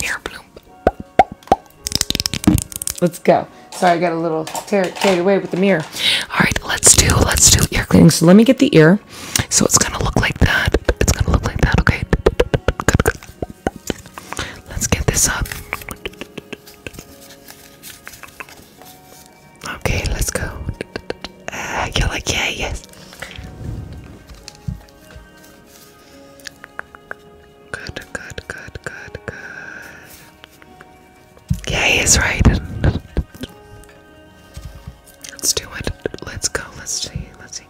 Mirror Let's go. Sorry, I got a little carried away with the mirror. All right, let's do let's do ear cleaning. So let me get the ear. So it's gonna look like that. It's gonna look like that. Okay. Let's get this up. Okay, let's go. Uh, like yeah, yes. Good, good, good, good, good. Yeah, he's right. Let's do it. Let's go. Let's see. Let's see.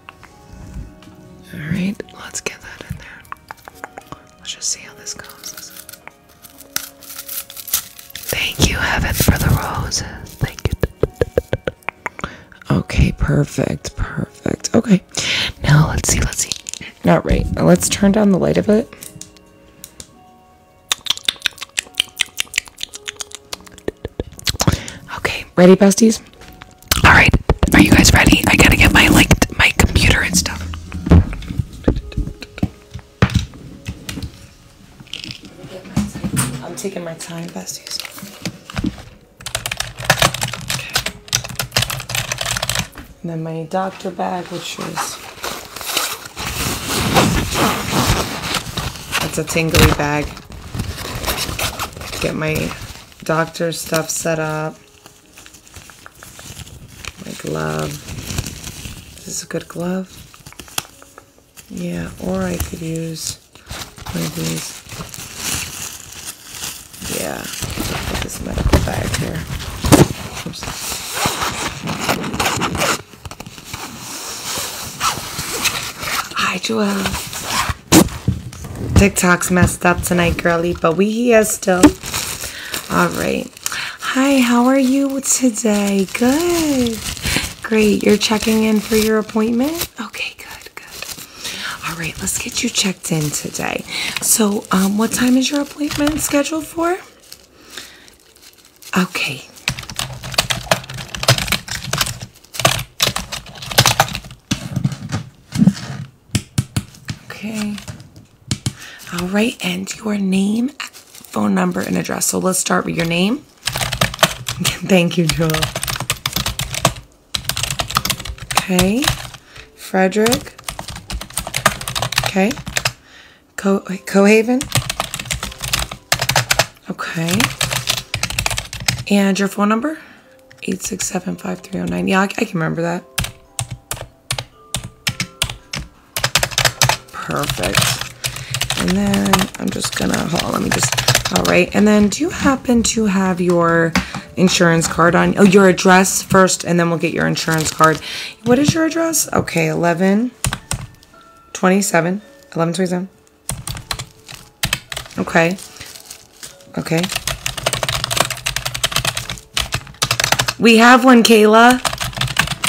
Alright, let's get that in there. Let's just see how this goes. Thank you, Heaven, for the roses. Thank you. Okay, perfect, perfect. Okay, Okay. Now let's see. Let's see. Not right. let's turn down the light a bit. Okay. Ready, besties? All right. Are you guys ready? I gotta get my like my computer and stuff. I'm taking my time, besties. And then my doctor bag, which is it's a tingly bag. Get my doctor stuff set up. My glove. This Is a good glove? Yeah, or I could use one of these yeah, put this medical bag here. Hi, Joel. TikTok's messed up tonight, girly, but we here still. All right. Hi, how are you today? Good. Great. You're checking in for your appointment? Okay, good, good. All right, let's get you checked in today. So, um, what time is your appointment scheduled for? Okay. Okay. All right, and your name, phone number, and address. So let's start with your name. Thank you, Joe. Okay. Frederick. Okay. Co Cohaven. Okay. And your phone number? 867-5309. Yeah, I, I can remember that. Perfect. And then I'm just gonna, hold on, let me just, all right. And then do you happen to have your insurance card on. Oh, your address first, and then we'll get your insurance card. What is your address? Okay, 11 27. 11 27. Okay. Okay. We have one, Kayla.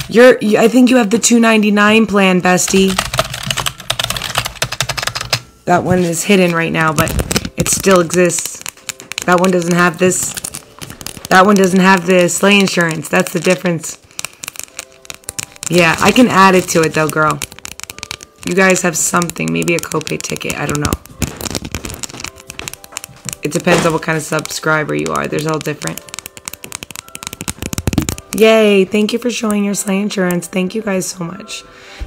You're, I think you have the 299 plan, bestie. That one is hidden right now, but it still exists. That one doesn't have this. That one doesn't have the sleigh insurance. That's the difference. Yeah, I can add it to it though, girl. You guys have something, maybe a copay ticket, I don't know. It depends on what kind of subscriber you are. There's all different. Yay, thank you for showing your sleigh insurance. Thank you guys so much.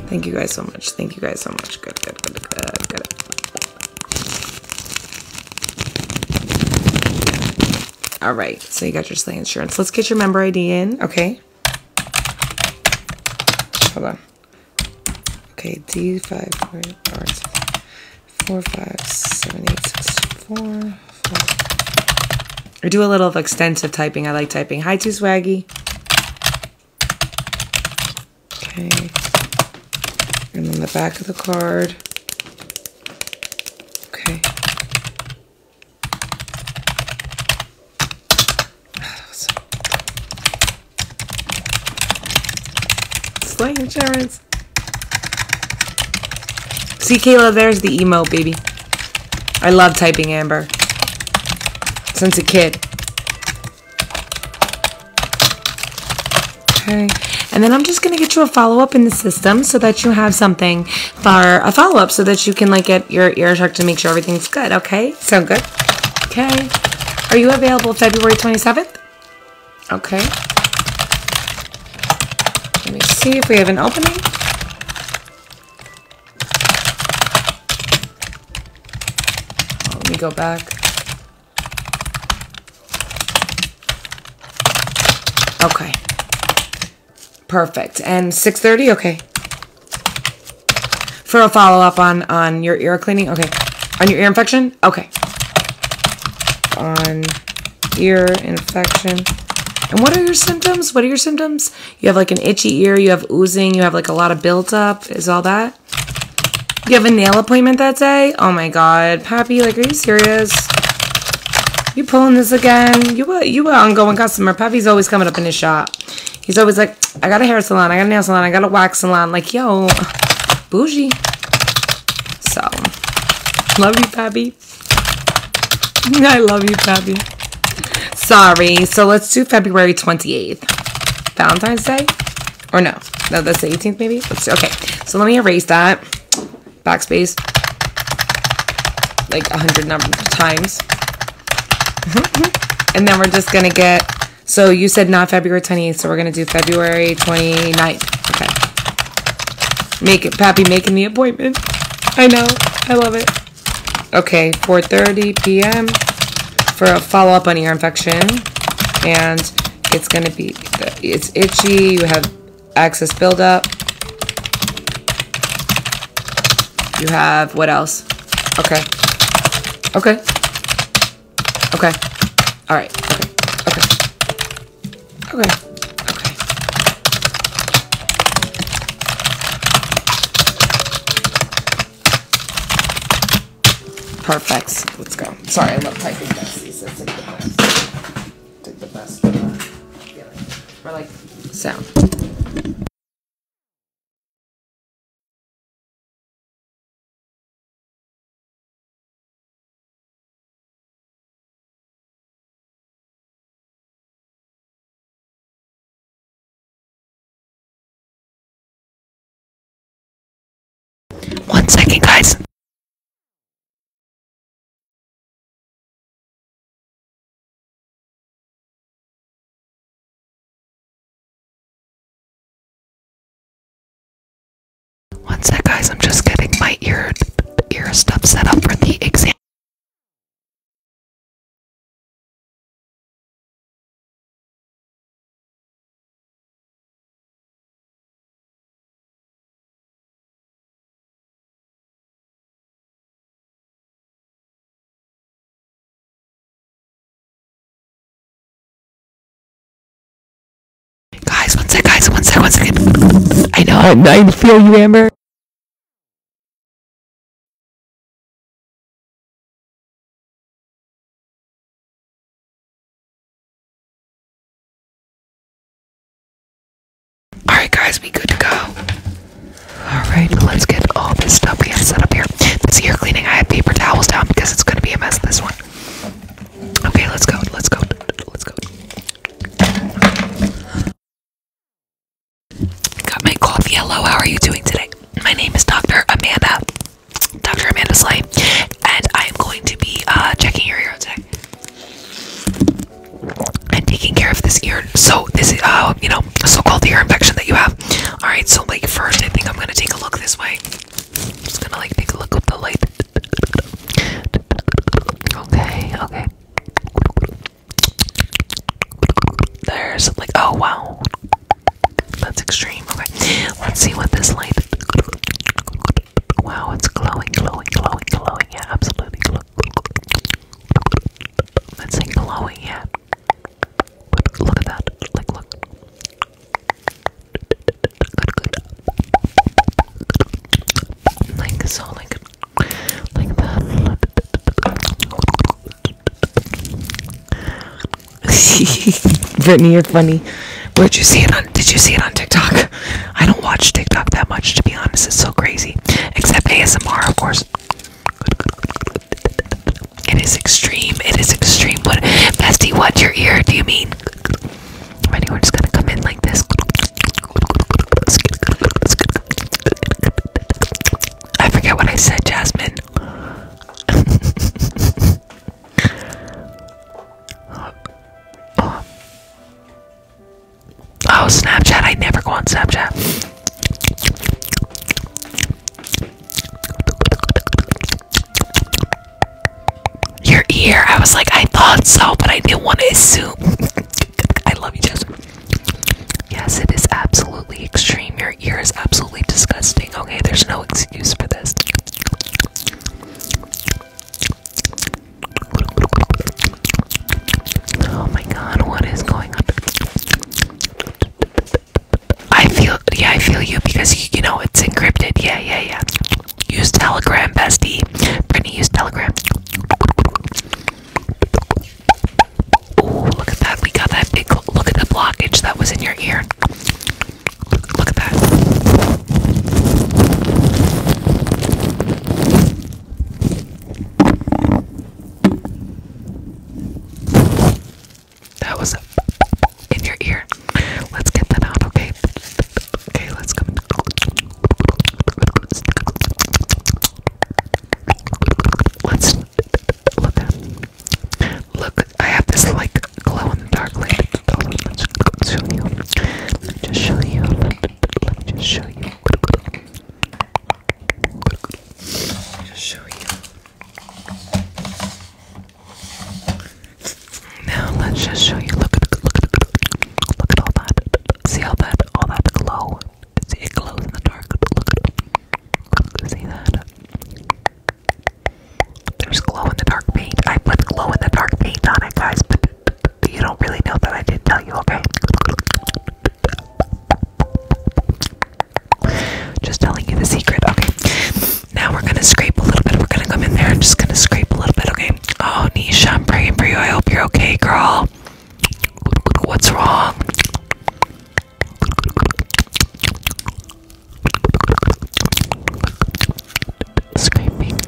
Thank you guys so much. Thank you guys so much. Good, good, good, good, good. All right, so you got your sleigh insurance. Let's get your member ID in, okay? Hold on. Okay, D5, I do a little of extensive typing. I like typing. Hi, to swaggy. Okay. And on the back of the card. Okay. Slay insurance. See, Kayla, there's the emo baby. I love typing Amber. Since a kid. Okay. And then I'm just going to get you a follow-up in the system so that you have something for a follow-up so that you can like get your ear checked to make sure everything's good, okay? Sound good? Okay. Are you available February 27th? Okay. Let me see if we have an opening. let me go back. Okay. Perfect. And 6.30? Okay. For a follow-up on, on your ear cleaning? Okay. On your ear infection? Okay. On ear infection. And what are your symptoms? What are your symptoms? You have like an itchy ear. You have oozing. You have like a lot of buildup. Is all that? You have a nail appointment that day? Oh my god. Pappy, like, are you serious? You pulling this again? You a, you an ongoing customer. Pappy's always coming up in his shop. He's always like, I got a hair salon, I got a nail salon, I got a wax salon. Like, yo, bougie. So, love you, Pappy. I love you, Pappy. Sorry. So let's do February 28th. Valentine's Day? Or no. No, that's the 18th maybe? Okay. So let me erase that. Backspace. Like a hundred times. and then we're just going to get... So you said not February 20th, so we're going to do February 29th. Okay. Make it, Pappy making the appointment. I know. I love it. Okay, 4.30 p.m. for a follow-up on ear infection. And it's going to be, it's itchy. You have excess buildup. You have, what else? Okay. Okay. Okay. All right. Okay. Okay. Okay. Okay. Perfect. Let's go. Sorry, I love typing besties. That's like the best. Like the uh, like sound. One second, guys. One guys. I'm just getting my ear ear stuff set up for the exam. Guys, one sec, guys, one sec, one sec. I know, I'm, I feel you, Amber. Alright guys, we good to go. Alright, let's get all this stuff we have set up here. This ear cleaning, I have paper towels down because it's gonna be a mess this one. Okay, let's go, let's go, let's go. Got my coffee. Hello, how are you doing today? My name is Dr. Amanda. Dr. Amanda Slay, and I'm going to be uh, checking your ear today and taking care of this ear. So this is, uh, you know, so-called ear infection that you have. All right, so like first, I think I'm gonna take a look this way. I'm just gonna like take a look with the light. Okay, okay. There's like, oh wow. That's extreme. Okay, let's see what this light. Wow, it's glowing, glowing, glowing, glowing. Yeah, absolutely Let's say glowing. Yeah, look at that. Like, look. Like so, like, like Britney, you're funny. Where'd you see it on? Did you see it on TikTok? I don't watch TikTok that much, to be honest. It's so crazy. Except ASMR, of course. It is extreme. It is extreme. What, bestie? What your ear? Do you mean? If anyone's gonna come in like this, I forget what I said, Jasmine. Oh, Snapchat. I never go on Snapchat. Your ear. I was like, I thought so, but I didn't want to assume. I love you, Jess. Yes, it is absolutely extreme. Your ear is absolutely disgusting. Okay, there's no excuse for this. Oh my god, what is going on? I feel, yeah, I feel you because you know it's encrypted. Yeah, yeah, yeah. Use Telegram, bestie. Brittany, use Telegram. Oh, look at that. We got that big look at the blockage that was in your ear. Look, look at that. That was in your ear. Let's get that out, okay? Okay, let's go. Let's look at Look, I have this like glow in the dark light. let me just show you. Let me just show you. Let me just show you. Now let's just show you. Look at look at look at all that. See all that all that glow. See it glows in the dark. see that. There's glow in the dark paint. I put glow in the dark paint on it, guys, but you don't really know that I did tell you, okay? Just telling you the secret, okay? Now we're gonna scrape a little bit. We're gonna come in there and just gonna scrape a little bit, okay? Oh, Nisha, I'm praying for you. I hope you're okay, girl. What's wrong? Scraping. Like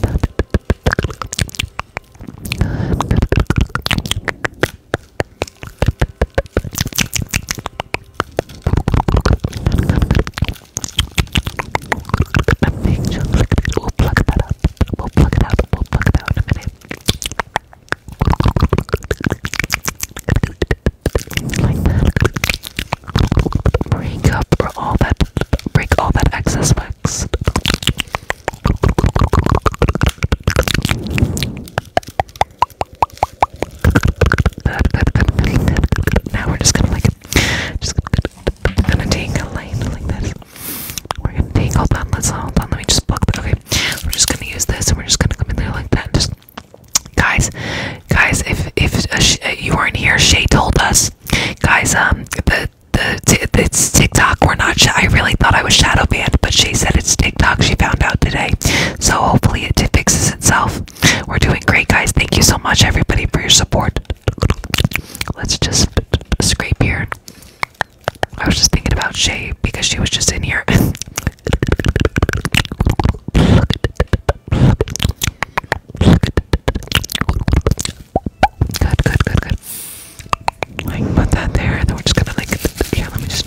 that. I'm being chocolate. We'll plug that up. We'll plug it out. We'll plug it out in a minute. Like that. Break up or all that. Break all that excess wax. Now we're just gonna like, just gonna tangle line like this. We're gonna tangle. Hold on, let's hold on. Let me just block that. Okay, we're just gonna use this, and we're just gonna come in there like that. Just guys, guys, if if uh, you weren't here, Shay told us, guys. Um, the the it's TikTok. We're not. I really thought I was shadow banned, but Shay said it's TikTok. She found out today. So hopefully it fixes itself. We're doing great, guys. Thank you so much, everybody, for your support. Let's just scrape here. I was just thinking about Shay because she was just in here. Good, good, good, good. put that there, and then we're just gonna like. Yeah, let me just.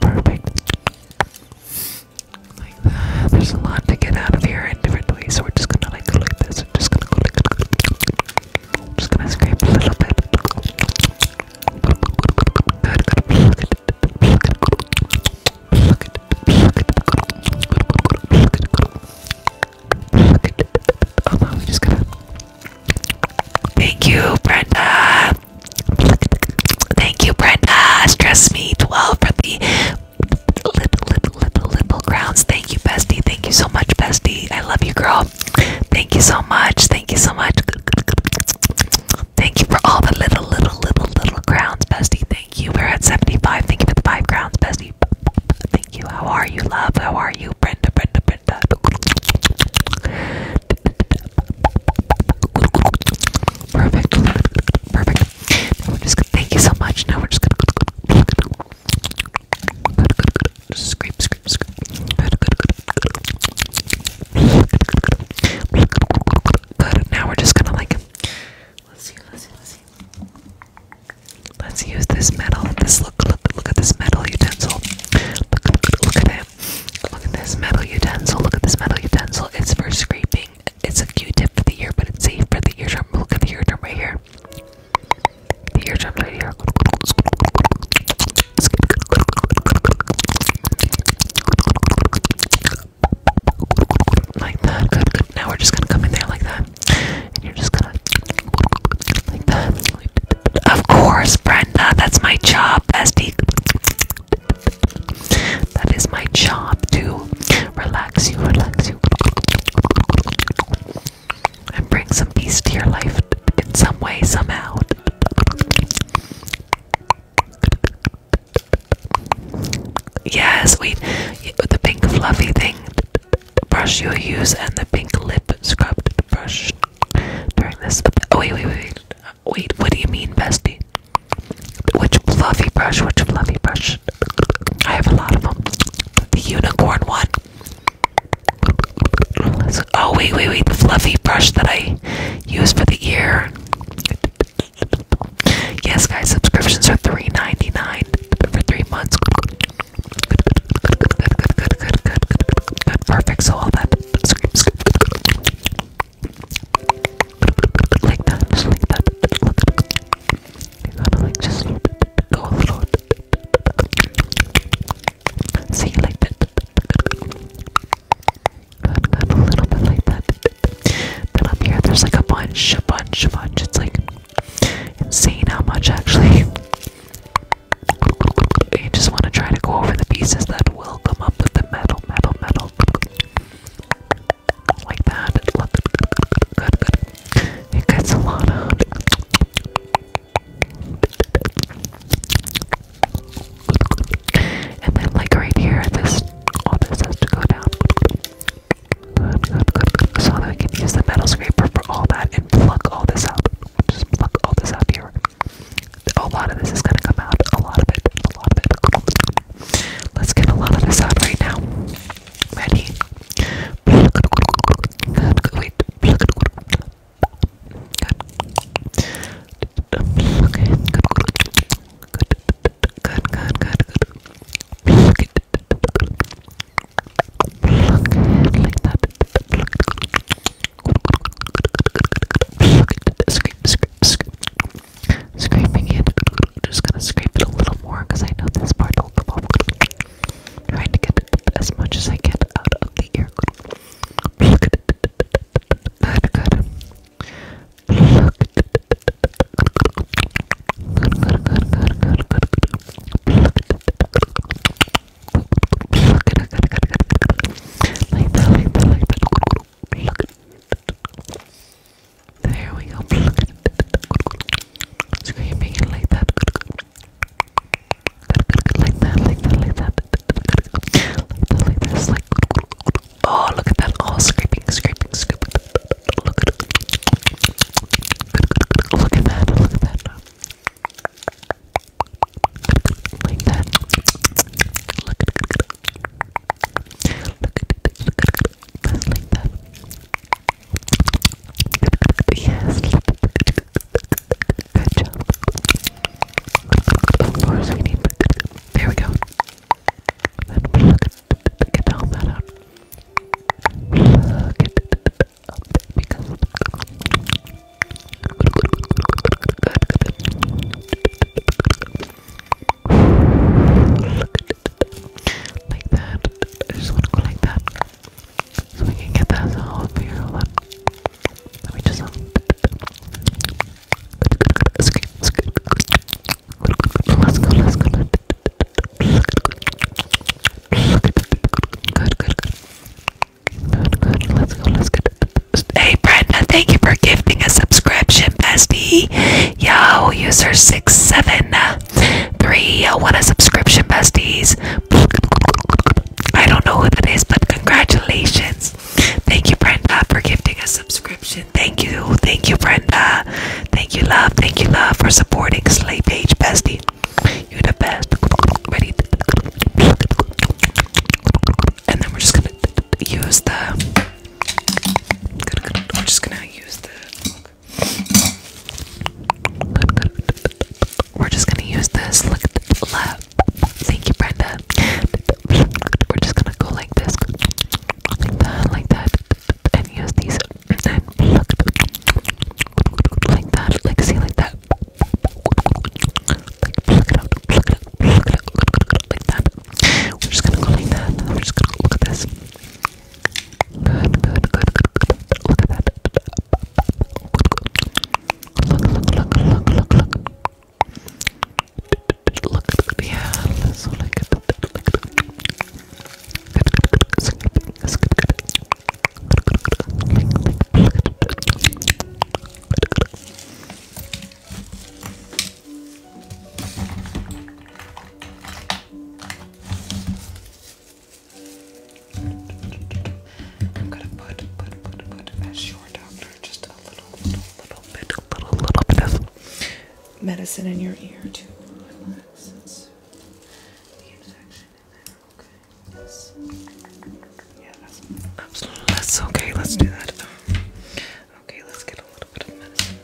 Perfect. There's a lot to get out of here in different ways, so we're just gonna like go this. We're just gonna go like I'm just gonna scrape a little bit. Good, good. just gotta Thank you, Brenda. Thank you, Brenda. Stress me 12 for the little, little, little, little crowns. Thank you, bestie. Thank you so much, bestie. I love you, girl. Thank you so much. Thank you so much. Thank you for all the little, little, little, little crowns, bestie. Thank you. We're at 75. Thank you for the five crowns, bestie. Thank you. How are you, love? How are you, Brenda? Brenda, print that. Perfect. Perfect. Now we're just gonna thank you so much. Now we're just gonna scrape, scrape, scrape. Good. Now we're just gonna like let's see, let's see, let's see. Let's use this metal, this look, look, look at this metal utensil. Look, look, look at it. Look at this metal utensil. Look at this metal utensil. It's for scraping. It's a Q-tip for the ear, but it's safe for the ear drum. Look at the eardrum right here. The eardrum's right here. Like that. Now we're just gonna come in there like that. And you're just gonna like that. Of course, Brenda, that's my job, That is my job to relax you, relax you, and bring some peace to your life in some way, somehow. Yes, we the pink fluffy thing brush you use and the pink lip scrub brush. During this, oh wait, wait, wait, wait, What do you mean, bestie? Which fluffy brush? Which fluffy brush? I have a lot of them. The unicorn one. oh wait, wait, wait. The fluffy brush that I use for the ear. Yes, guys. Subscriptions are three ninety nine for three months. perfect. So all that like that, just like that. You gotta like just go a little. See like that. a little bit like that. Then up here, there's like a bunch, a bunch, a bunch. It's like insane how much actually. You just want to try to go over the pieces that will come up with the metal, metal, metal. Like that. Good, good. It gets a lot out. And then, like right here, this all this has to go down. So that can use the metal scraper for all that and pluck all this out. Just pluck all this out here. A lot of this is gonna come out. A lot of it. A lot of it. Let's get a lot of this out right now. Ready? Wait. Good. Good. Good. Good. Good. Good. Pluck it like that. Scrape, scrape, scrape. Scraping it. I'm just gonna scrape it a little more because I know this part will come off. Trying to get as much as I can out of the ear. Look at it, like that, like that, like that. Look at it. There we go. Look at it. Screaming it like that. Like that, like that, like that. Like that, like this. Like. Oh, look at that! All scraping, scraping, scraping. Look at it. Look at that! Look at that! Like that. Look at it. Look at it. Look at it. Just like that. Yes. Good job. Of course we need. There we go. And look at get all that out. Look at it up because like that. I just want to go like that. So we can get that as a whole figure. Hold on. Let me just. Um, let's go, let's go. Good, good, good. Hey, Brenda, thank you for gifting a subscription, bestie. Yo, user six seven three. Uh, want a subscription, besties. I don't know who that is, but congratulations. Thank you, Brenda, for gifting a subscription. Thank you, thank you, Brenda. Thank you, love. Thank you, love, for supporting Slay Page, bestie. You're the best. Ready? And then we're just gonna use the. We're just gonna use the. We're just gonna use this. Look at Thank you, Brenda. We're just gonna go like this, like that, like that, and use these. And look like that, like see, like that. like pluck it out, pluck it out, pluck it out, like that. We're just gonna go like that. We're just gonna look at this. Good, good, good, good, good. Look at that. Look, look, look, look, look, look. Look, yeah. So like, like, good, good, good, good, good. Like, like, pluck it. I'm gonna put, put, put, put as your doctor just a little, little, little bit, little, little medicine in your ear to relax that's okay. Let's do that. Okay, let's get a little bit of medicine.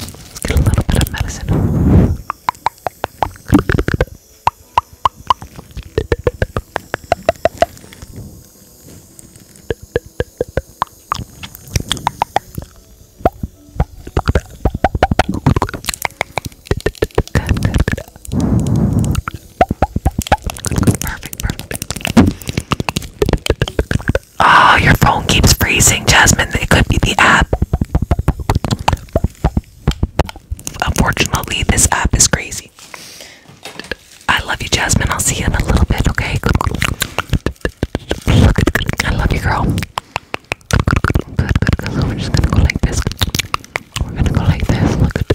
Let's get a little bit of medicine. Oh, your phone keeps freezing, Jasmine. It could be the app. Unfortunately, this app is crazy. I love you, Jasmine. I'll see you in a little bit, okay? I love you, girl. We're just gonna go like this. We're gonna go like this. Look.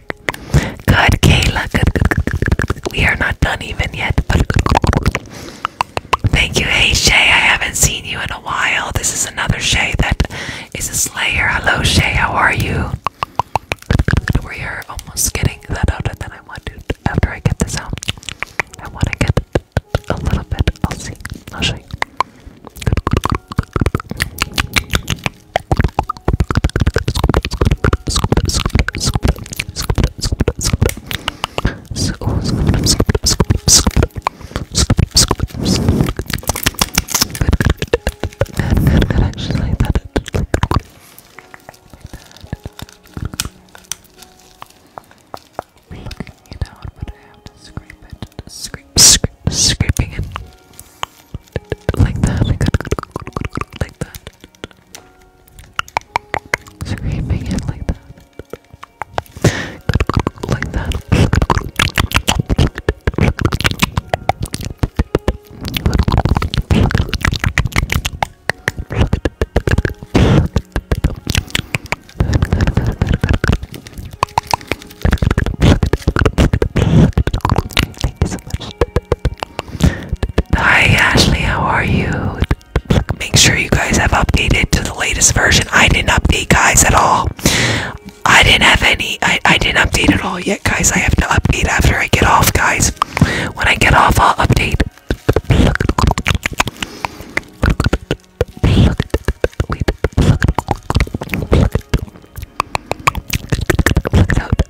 Good, Kayla. Good, good, good, good, good. We are not done even yet. But thank you, hey Shay. I haven't seen you in a while. This is another Shay that is a slayer. Hello, Shay. How are you? We are almost getting that out, and then I want to. After I get this out, I want to get a little bit. I'll see. I'll show you scrape Scrape, scrape, scraping it. Like that. Like that. Screaming it like that. Like that. Thank you so much. Hi Ashley, how are you? Make sure you guys have updated to the latest version. I didn't update guys at all. I didn't have any. I, I didn't update at all yet, guys. I have to update after I get off, guys. When I get off, I'll update.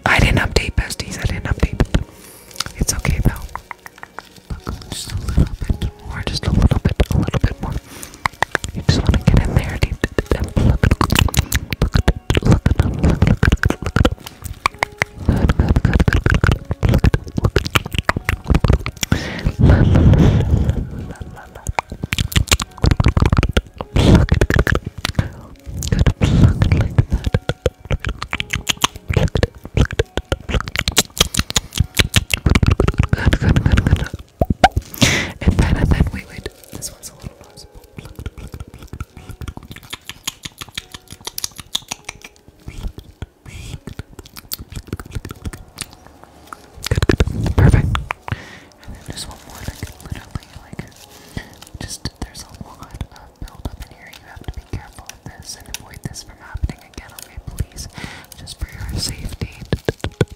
I didn't update besties. I didn't update. It's okay though. just a little bit more. Just a little bit. A little bit more. You just want to get in there. Deep, deep, deep. Look, look, look, look, look, look, look. Good, good, good, good, good. Look, look. La, la, la, la, la. Pluck, pluck like Good, good, good, good. And then, and then, wait, wait. This one's a little noticeable. Good, good, perfect. And then there's one more that can literally, like, just, there's a lot of build up in here. You have to be careful of this and avoid this from happening again, okay? Please, just for your safety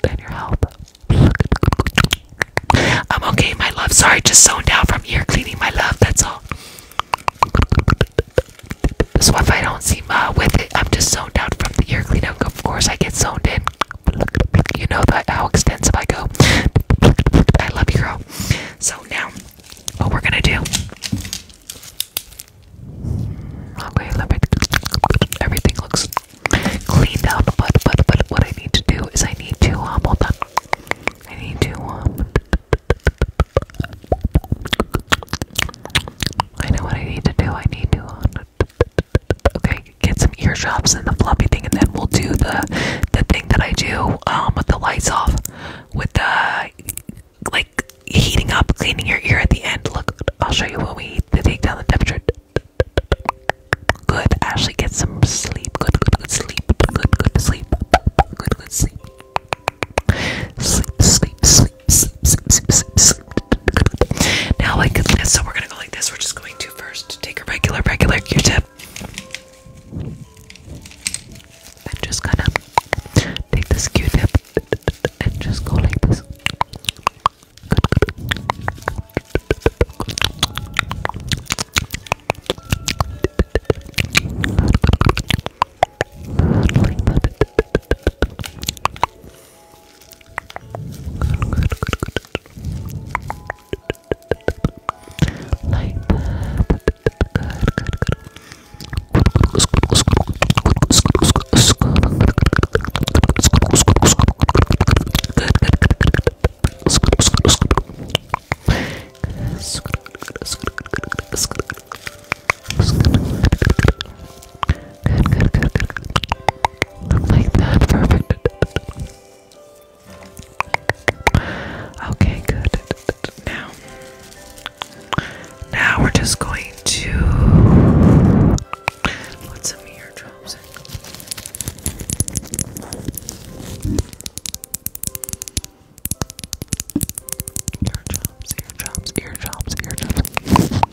and your health. I'm okay, my love. Sorry, just zoned out from ear cleaning, my love. That's all. So if I don't seem uh, with it, I'm just zoned out from the ear cleaning. Of course, I get zoned in. You know how extensive I go. I love you, girl. So now what we're gonna do. Okay, let me. Everything looks cleaned up, but but but what I need to do is I need to um hold on. I need to um. I know what I need to do. I need to. Um, okay, get some ear drops and the fluffy thing, and then we'll do the the thing that I do um with the lights off with the like heating up, cleaning your ear at the end. Look, I'll show you when we take down the temperature. Good, Ashley, get some sleep. Good, good, good sleep. Good, good sleep. Good, good sleep. Sleep, sleep, sleep, sleep, sleep, sleep, sleep. sleep. Now, like, so we're gonna go like this. We're just going to first take a regular, regular Q-tip. I'm just gonna take this Q-tip and just go like this. Like that. Good, good, good. Good, good, good, good. Like that, perfect. Okay, good. Now, now we're just going to put some eardrops in. Eardrops, eardrops, eardrops, eardrops.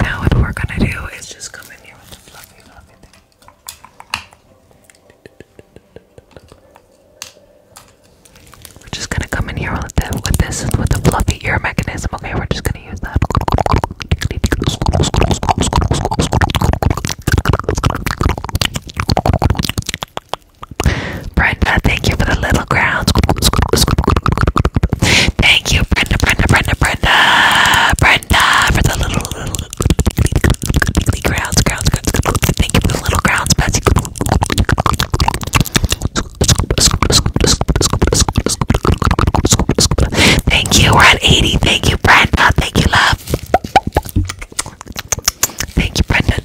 Now what we're gonna do is just come in here with the fluffy We're just gonna come in here with the with this with the fluffy ear mechanism. Okay, we're just gonna gonna use that. Brenda, thank you for the little grounds. Thank you, Brenda, Brenda, Brenda, Brenda, Brenda, for the little, little, little grounds, grounds, grounds. Thank you for the little grounds, Betsy. Thank you, we're at 80. Thank you, Brenda. Thank you, love. Thank you, Brenda.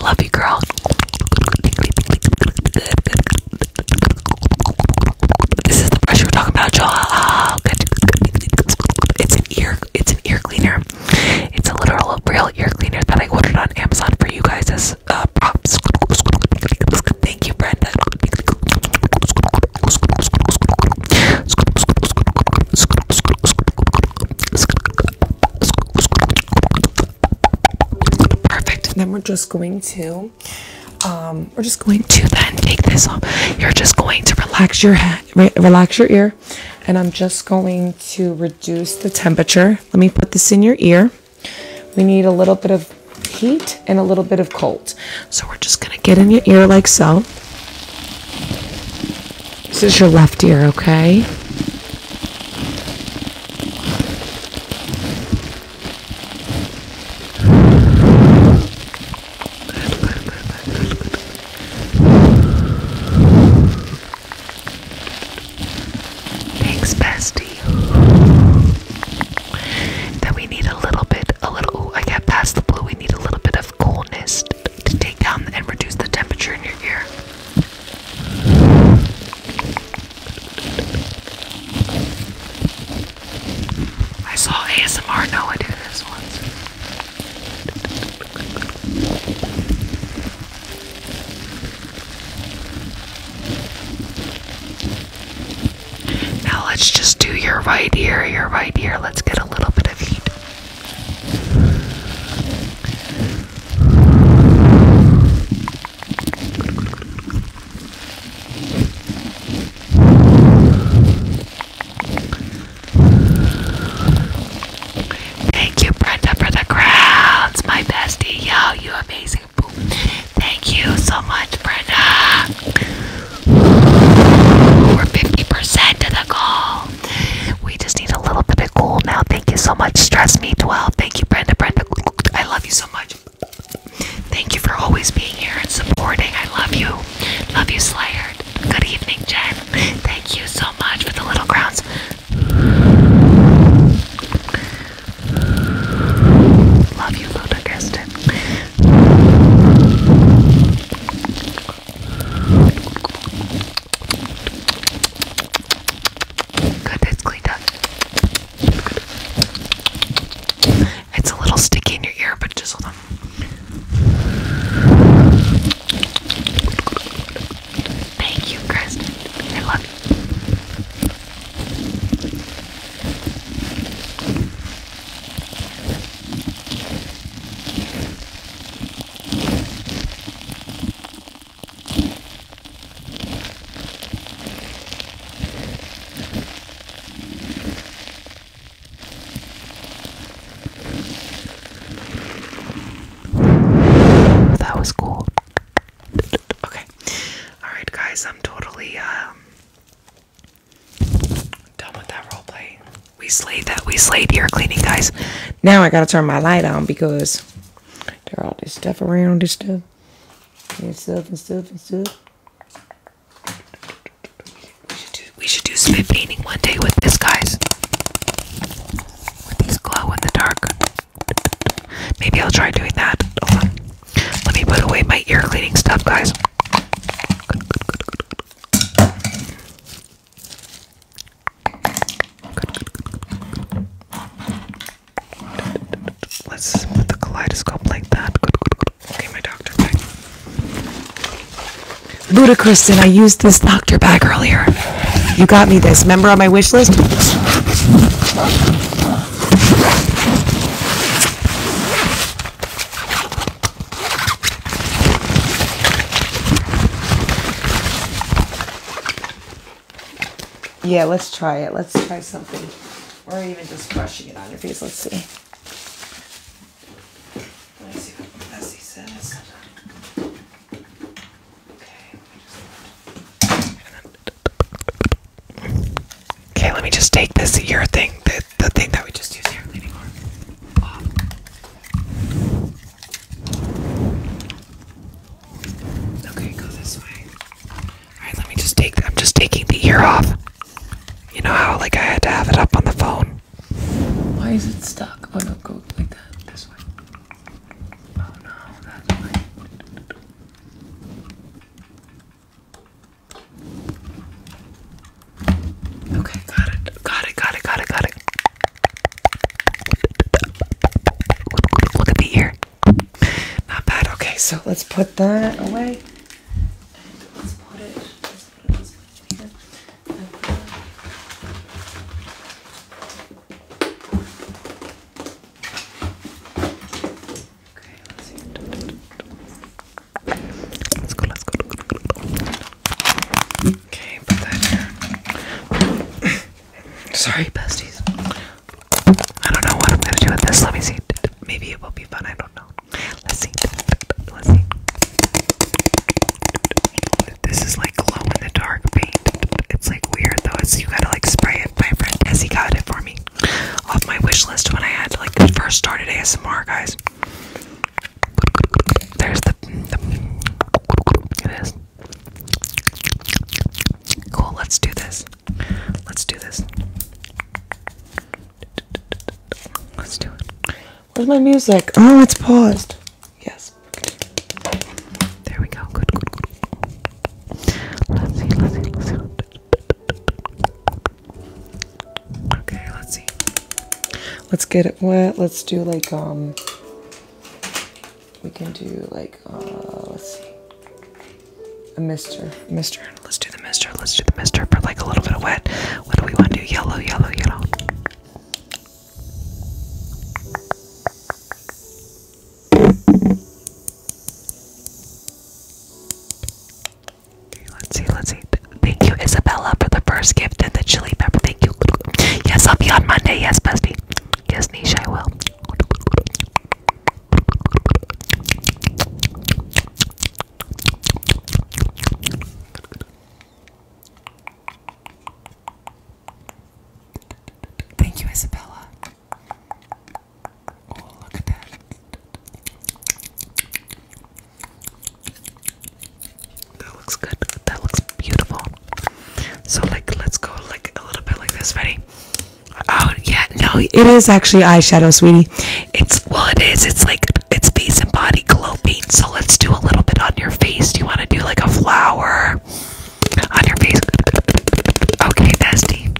Love you, girl. This is the brush we were talking about, y'all. It's an ear, it's an ear cleaner. It's a literal, real ear cleaner that I ordered on Amazon for you guys. Perfect. then we're just going to, um, we're just going to then take this off. You're just going to relax your head, relax your ear, and I'm just going to reduce the temperature. Let me put this in your ear. We need a little bit of heat and a little bit of cold. So we're just going to get in your ear like so. This is your left ear, okay? Thanks, bestie. Then we need a little bit, a little, I got past the blue. We need a little bit of coolness to take down and reduce the temperature in your ear. I saw ASMR Noah do this once. Now let's just do your right ear, your right ear. Let's get a little bit of heat. Thank you, Brenda, for the crowns, my bestie. Yo, you amazing Thank you so much, Brenda. We're 50% to the goal. We just need a little bit of gold now. Thank you so much, Stress Me 12. Thank you, Brenda. Brenda, I love you so much. Thank you for always being here and supporting. I love you. Love you, Slayer. Good evening, Jen. Thank you so much for the little crowns. Love you, Luda Kirsten. Good, it's cleaned up. It's a little sticky in your ear, but just hold on. Thank you, Kristen. I love you. That was cool. Okay. All right, guys, I'm totally um, Done with that role We slayed that. We slayed your cleaning, guys. Now I gotta turn my light on because there all this stuff around this stuff and stuff and stuff and stuff. We should do, we should do spit painting one day with this, guys. With these glow in the dark. Maybe I'll try doing that. Let me put away my ear cleaning stuff, guys. Good, good, Let's put the kaleidoscope like that. Okay, my doctor bag. Ludacriston, I used this doctor bag earlier. You got me this. Member on my wish list? Yeah, let's try it. Let's try something. Or even just brushing it on your face. Let's see. Let's see what Bessie says. Okay. Okay, let me just take this ear thing, the, thing that we just used here anymore. Okay, go this way. Alright, let me just take I'm just taking the ear off. You know how like I had to have it up on the phone. Why is it stuck? Oh no, go like that. This way. Oh no, that way. Okay, got it. Got it, got it, got it, got it. Look at the ear. Not bad. Okay, so let's put that away. let's put it, let's put it this way in put it Okay, let's see. Let's go, let's go. Okay, put that here. Sorry, besties. I don't know what I'm gonna do with this. Let me see. Maybe it will be fun. I don't know. Let's see. Let's see. This is like glow in the dark paint. It's like weird though. It's you gotta like spray it. My friend Essie got it for me off my wish list when I had like first started ASMR, guys. There's the, it is. Cool, let's do this. Let's do this. Let's do it. Where's my music? Oh, it's paused. Yes. There we go. good. Let's see, let's see, let's see. Okay, let's see. Let's get it wet. Let's do like, um, we can do like, uh, let's see. A mister. Mister. Let's do the mister. Let's do the mister for like a little bit of wet. What do we want to do? Yellow, yellow, yellow. Let's see, let's see. Thank you, Isabella, for the first gift and the chili pepper. Thank you. Yes, I'll be on Monday. Yes, bestie. Yes, Nisha, I will. Thank you, Isabella. Oh, look at that. That looks good. That looks beautiful. So, like, let's go like a little bit like this. Ready? Oh, yeah. No, it is actually eyeshadow, sweetie. It's well, it is. It's like it's face and body glow paint. So let's do a little bit on your face. Do you want to do like a flower on your face? Okay, bestie.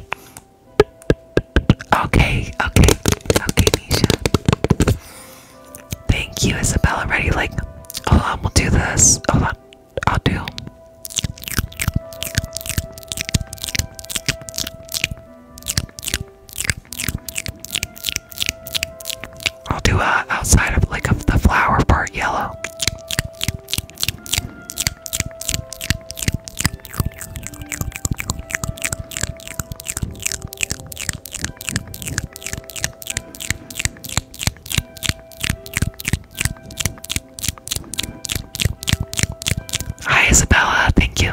Okay, okay, okay, Nisha. Thank you, Isabella. ready. Like, hold on, we'll do this. Hold I'll do. I'll do uh, outside of like of the flower part yellow. Hi, Isabella. Thank you.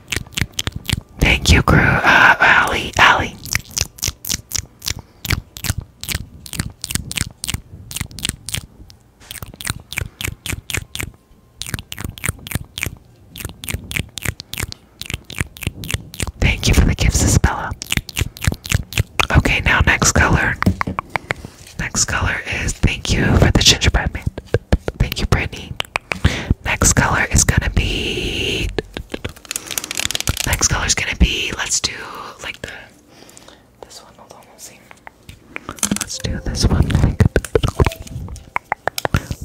Thank you, crew. Uh, Allie, Allie. Thank you for the gifts, Isabella. Okay, now next color. Next color is thank you for the gingerbread man. Thank you, Brittany. Next color is gonna be. Next color is gonna be. Let's do like the. This one. Hold on. Let's Let's do this one.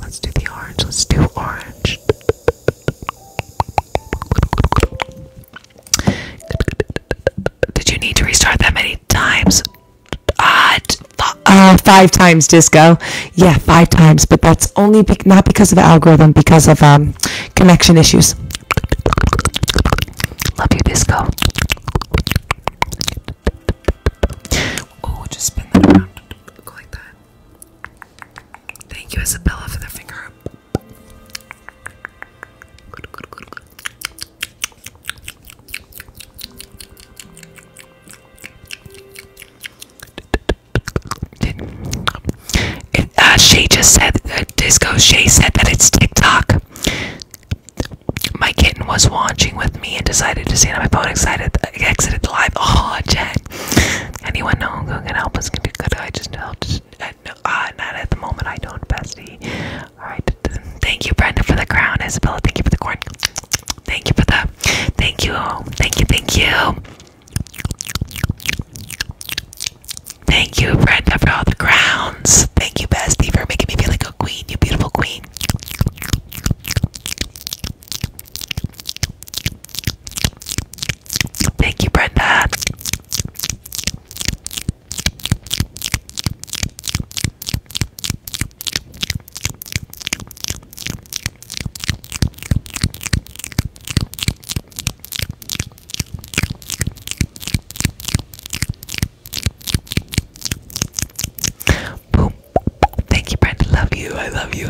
let's do the orange. Let's do orange. Did you need to restart that many times? Uh, uh, five times disco. Yeah, five times, but that's only not because of the algorithm, because of um, connection issues. Love you, disco. Oh, just spin that around. Go like that. Thank you, Isabella, for the finger uh, she just said, uh, Disco She said that it's TikTok. My kitten was watching with me and decided to stand on my phone. Excited, exited the live. Oh, Jack! Anyone know who can help us? good. I just helped? Uh, no, uh, not at the moment. I don't, bestie. All right. Thank you, Brenda, for the crown. Isabella, thank you for the corn. Thank you for the Thank you. Thank you. Thank you. Thank you, Brenda, for all the crowns. Thank you, Bestie, for making me feel like a queen. You beautiful queen. Thank you, Brenda. Boom. Thank you, Brenda. Love you. I love you.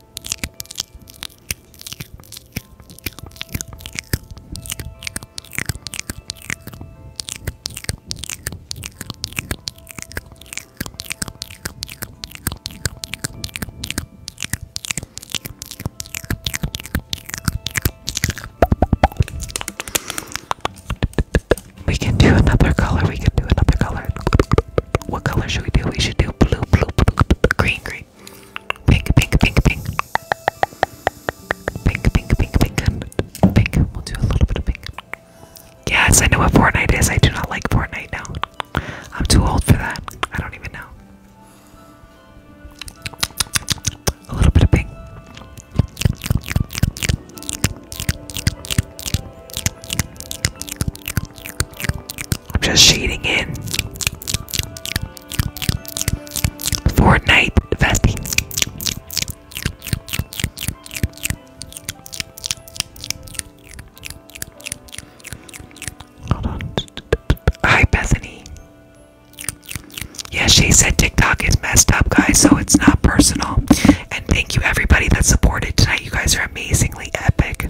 We can do another color. We can do another color. What color should we do? We should do blue, blue, green, green, pink, pink, pink, pink, pink, pink, pink, pink, We'll do a little bit of pink. Yes, I know what Fortnite is. I do not like Fortnite now. I'm too old for that. I don't even know. A little bit of pink. I'm just shading in. Fortnite Vesti. Hold on. Hi, Bethany. Yeah, she said TikTok is messed up, guys, so it's not personal. And thank you, everybody that supported tonight. You guys are amazingly epic.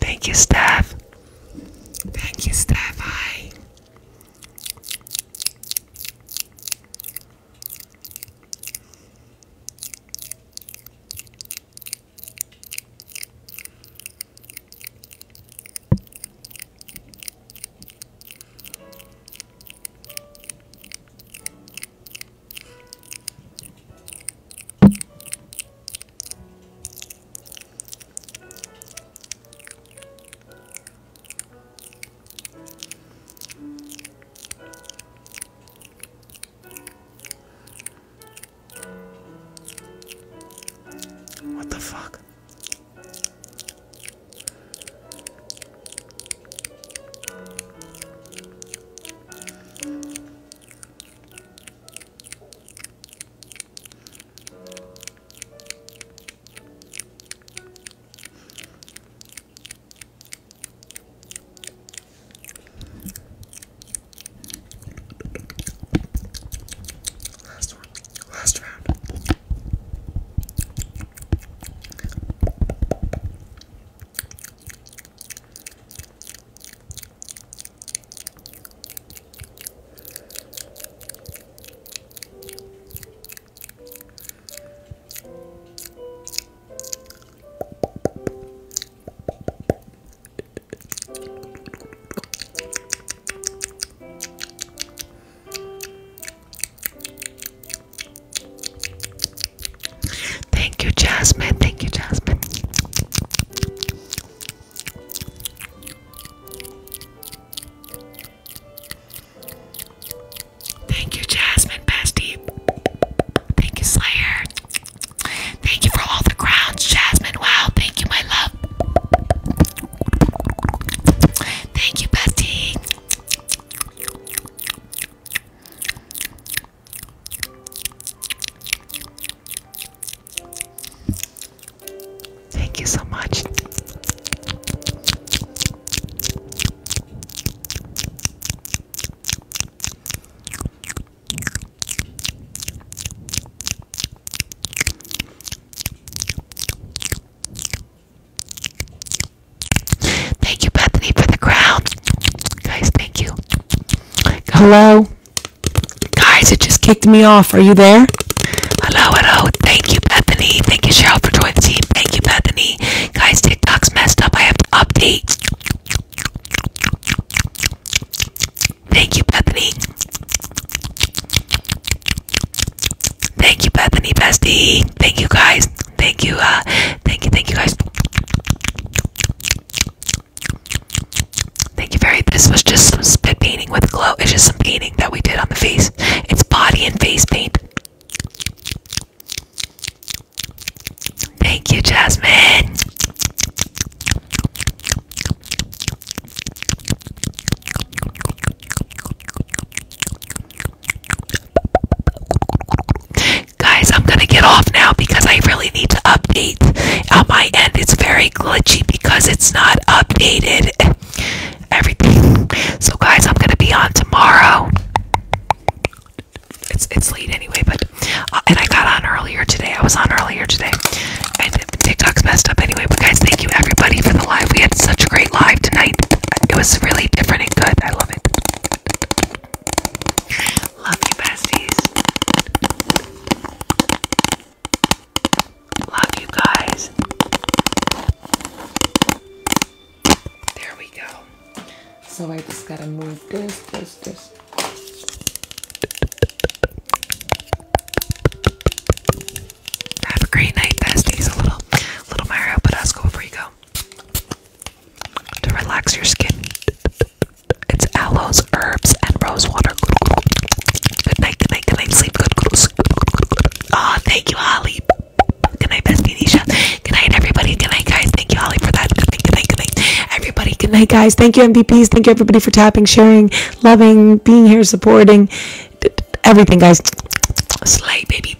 Thank you, staff. Thank you, staff. Hi. What the fuck? Last one, last round. Thank you, Jasmine. Thank you, Jasmine. Thank you, Jasmine Bestie. Thank you, Slayer. Thank you for all the crowns, Jasmine. Wow, thank you, my love. Thank you, Bestie. Thank you so much. Thank you, Bethany, for the crown. Guys, thank you. Hello. Guys, it just kicked me off. Are you there? Hello, hello. Thank you, Bethany. Thank you, Cheryl, for joining the team. Thank you, Bethany. Guys, TikTok's messed up. I have to update. Thank you, Bethany. Thank you, Bethany Bestie. Thank you, guys. Thank you. Uh, thank you, thank you, guys. Thank you very This was just some spit painting with glow. It's just some painting that we did on the face. It's body and face paint. Thank you, Jasmine. Guys, I'm gonna get off now because I really need to update on my end. It's very glitchy because it's not updated. Everything. So guys, I'm gonna be on tomorrow. It's it's late anyway, but uh, and I got on earlier today. I was on earlier today, and TikTok's messed up anyway. But guys, thank you everybody for the live. We had such a great live tonight. It was really different and good. I love it. Love you, besties. Love you guys. There we go. So I just gotta move this, this, this. Have a great night, besties. A little, little Mario Badesco before you go to relax your skin. It's aloes, herbs, and rose water. Good night, good night, good night. Sleep good. Ah, thank you, Holly. Good night, bestie Nisha. Good night, everybody. Good night, guys. Thank you, Holly, for that. Good night, good night, good night. Everybody, good night, guys. Thank you, MVPs. Thank you, everybody, for tapping, sharing, loving, being here, supporting, everything, guys. Slay, baby.